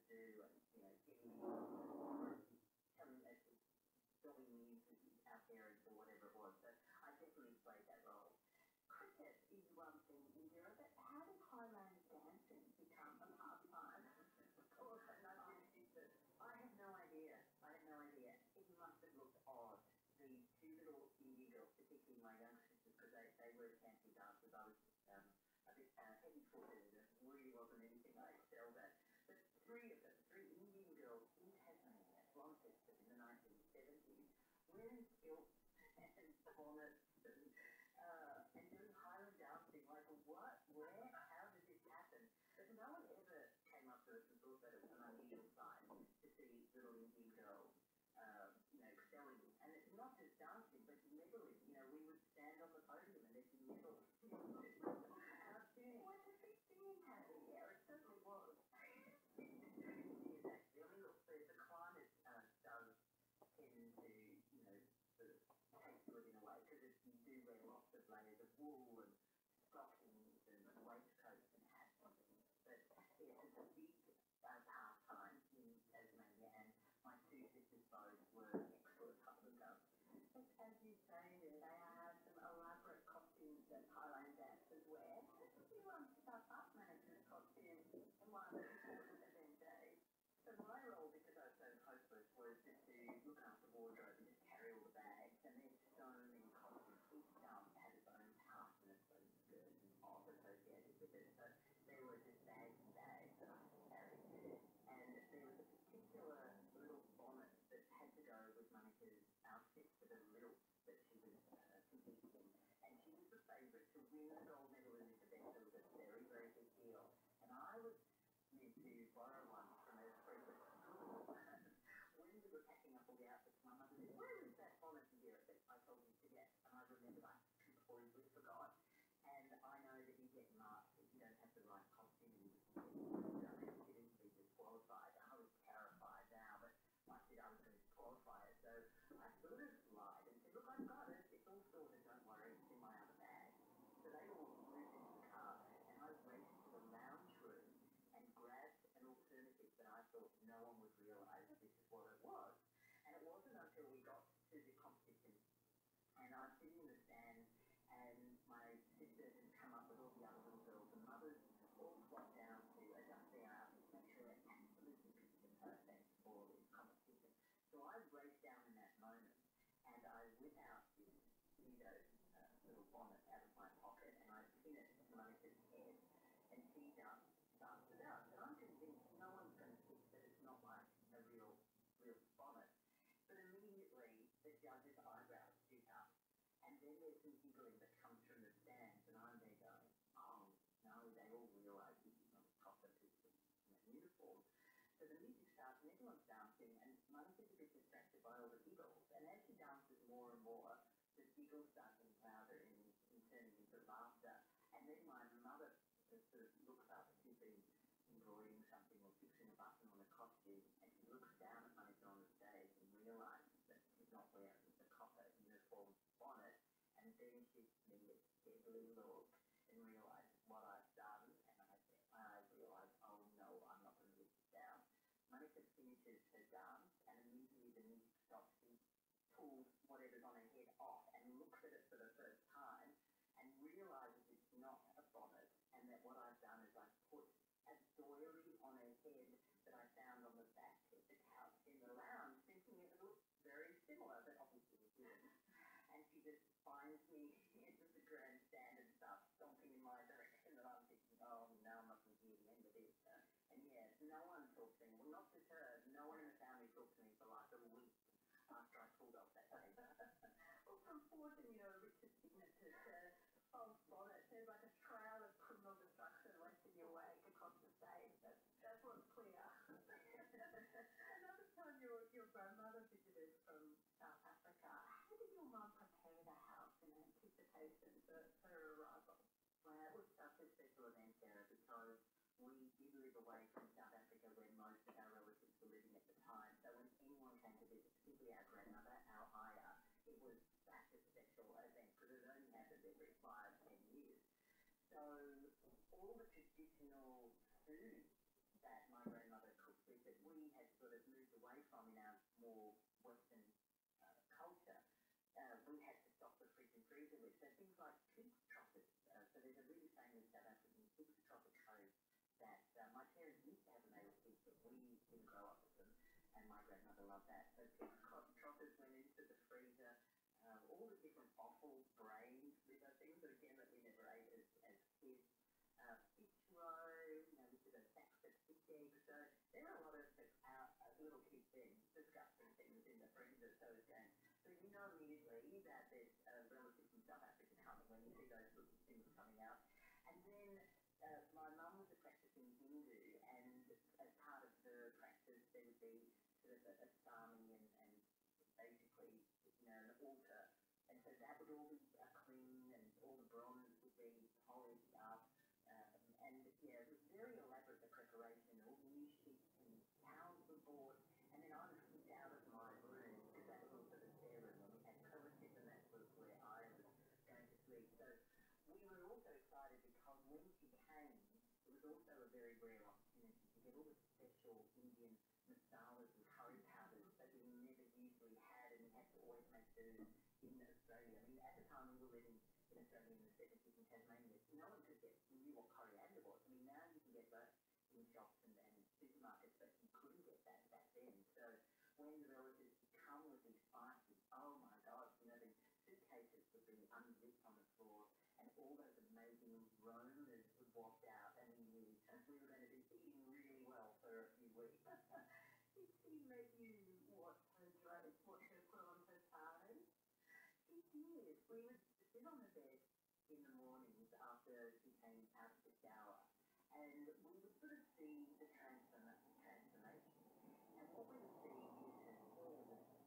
D: to do, and, you know, getting or telling us going music out there and whatever it was. So I definitely played that role. Cricket is one thing in Europe, but how did Highland dancing become a pastime? Well, another instance, I have no idea. I have no idea. It must have looked odd. These two little Indian girls, particularly my young sisters, because they, they were fancy dancers. I was um, of this uh, heavy footed, there really wasn't anything like Zelda. But three of them, three Indian girls in Tasmania, Launceston in the 1970s, wearing kilts and bonnets and, uh, and doing Highland dancing, like
E: what, where, how did this happen? But no one ever came up to us and thought that it was an unusual sight to see little Indian girls uh, you know, excelling. And it's not just dancing, but meddling. You know, we would stand on the podium and they'd meddle. it was a big thing
D: in Harry, yeah, it certainly was. layers of wool and stockings
E: and waistcoats and hats and things. But yeah, it's a big about half time in Tasmania, and my two sisters' bows were next to a couple of girls.
D: But as you say there, they are some elaborate costumes that Thailand dancers wear. You want to start up management costumes in one of the important event days. So my role, because I was a hostess, was just to look after wardrobe and just carry all the bags, and there's so many costumes. Each um, has its own task and its own skills and off associated with it. So there were just bags and bags that I could carry. And there was a particular little bonnet that had to go with Monica's outfit for the little that she was uh, competing in. And she was the favourite to win the gold medal in this event. It was a very, very big deal. And I was meant to borrow one from a
E: frequent school. when we were packing up all the outfits, my mother said, where is that bonnet, dear, that I told you to get? And I remembered I completely forgot. And I know that you get marked if you don't have the right costume and you can get considered to be disqualified. I was terrified now, but I said I was going to disqualify it. So I sort of
D: lied and said, look, I've got it. It's all sorted. Don't worry. It's in my other bag. So they all moved into the car, and I went to the lounge room and grabbed an alternative that I
E: thought no one would realise this is what it was. And it wasn't until we got to the competition and I've seen the stand, and my sisters have come up with all the other little girls and mothers, all swapped down to adjusting our outfits, make sure they're absolutely picture perfect for this competition. So I raced down in that moment, and I whip out this Nido uh, little bonnet out of my pocket, and I pin it to
D: Monica's head, and she jumps, dances out. And I'm convinced no one's going to think that it's not like a real we're from it. But immediately, the judge's eyebrows shoot up. And then there's some giggling that comes from the stands, and I'm there going, oh, no, they all realise this is not a proper system in uniform. So the music starts, and everyone's dancing, and Monica's a bit distracted by all the giggles. And as she dances more and more, the giggles start getting louder and, and turning into laughter. And then my mother looks up if you've been embroidering something or fixing a button on a costume, and he looks down upon it on the stage and realises that he's not wearing the copper
E: uniform bonnet, and then gives me a deadly look and realises what I've done, and I, I realise, oh no, I'm not going to live this down. Monica finishes her dance, and immediately the music stops. She pulls
D: whatever's on her head off and looks at it for the first time, and realizes it's not a
E: bonnet and that what I've done is I've put a doily on her head that I found on the back of the couch in the lounge thinking it looked very similar but obviously it
D: didn't. And she just finds me into the grandstand and starts stomping in my
E: direction and I'm thinking, oh no, I mustn't remember this. And yes, no one talked to me. Well, not just her. No one in the family talked to me for like a week after I pulled off that paper.
D: well, from forging, you know, Richard signature to false bonnet, there's like um, a trail of criminal destruction left in your wake across the stage. That's, that's what's clear. Um, Another time your, your grandmother visited from South Africa. How did your mum prepare the house in anticipation for her arrival? Well, it was
E: such a special event, Sarah, because we, we move away from South Africa where most of our relatives were living at the time. So when anyone came to visit, particularly our grandmother, our Aya, it was such a special event because it only happens every five, ten years. So
D: all the traditional food that my grandmother cooked with
E: that we had sort of moved away from in our more Western uh, culture, uh, we had to stock the fridge and freezer with. So things like pizza tropics. Uh, so there's a really
D: famous South African six tropic home that uh, my parents used to have when they were kids, but we didn't grow up with them, and my grandmother loved that. So six tropics went into the freezer, um, all the different offal, brains, these are things that again that we never ate as, as kids. Uh, fish roe, you know, we did a sack of fish eggs. So there are a lot of our, uh, little kid things, disgusting things in the freezer. So again, so you know
E: immediately that there's uh, when I was in South African Houses, when you see those sorts of things coming out. And then uh, my mum was a practicing Hindu, and as part of her practice, there would be sort of a, a sami and, and basically, you know, an altar. And so that would all be uh, clean, and all the bronze would be polished up. Um, and, you know, it was very elaborate, the preparation, all new sheets and down the board, and then I was kicked out of my room because that was also the spare room and we had coverages, and that was where I was going to sleep. So we were also excited because when she came, it was also a very rare opportunity to get all the special Indian masalas and curry powders that we never usually had, and we had to always make do in Australia. I mean, at the time we were living in Australia in the 70s in Tasmania, no one could get, knew what coriander was. I mean, now you can get those in shops and, and supermarkets, but you couldn't get that back then. So when the relatives come with these spices, oh my God, you know, the suitcases would be unzipped on the floor and all those amazing aromas would waft out and we knew we were going to be eating really well for a few weeks.
D: Did she let you watch her dress, watch her put on her sarong?
E: She did. We would sit on her bed in the mornings after she came out of the shower. And we would sort of see the transform- transformation.
D: And what we would see is her hair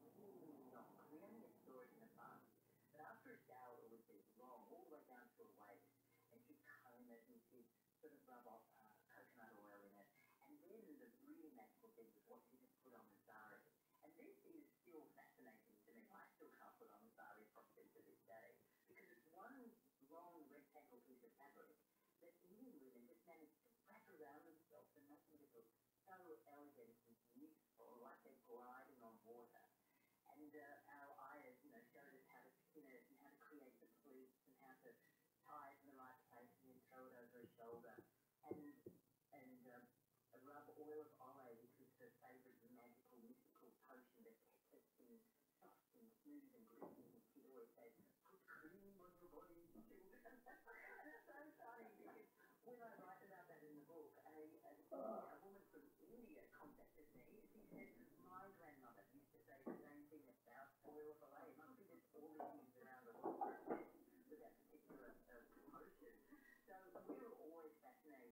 D: was really long. We only saw it in the bath. But after a shower, it would be long, all the way down to her waist. And she'd comb it and she'd sort of rub off uh, coconut oil in it. And then the really magical thing was what she just put on the sari. And this is it's still fascinating to me. I still can't put on Zari properly to this day because it's one long rectangle piece of fabric that many women just manage to wrap around themselves and nothing that looks so elegant
E: and useful, like they're gliding on water. And uh, our ayahs, you know, showed us how to spin it and how to create the pleats and how to tie it in the right place and then throw it over a shoulder and and um, rub oil of olive, which was
D: her favourite magical mystical potion that has been stuffed in smoothed and green. she always says, put cream on your body, so funny because
E: when I write about that in the book, a, woman from India contacted me. She said, my grandmother used to say the same thing about oil for must be
D: just
C: all the things around the world with that particular uh, So we were always fascinated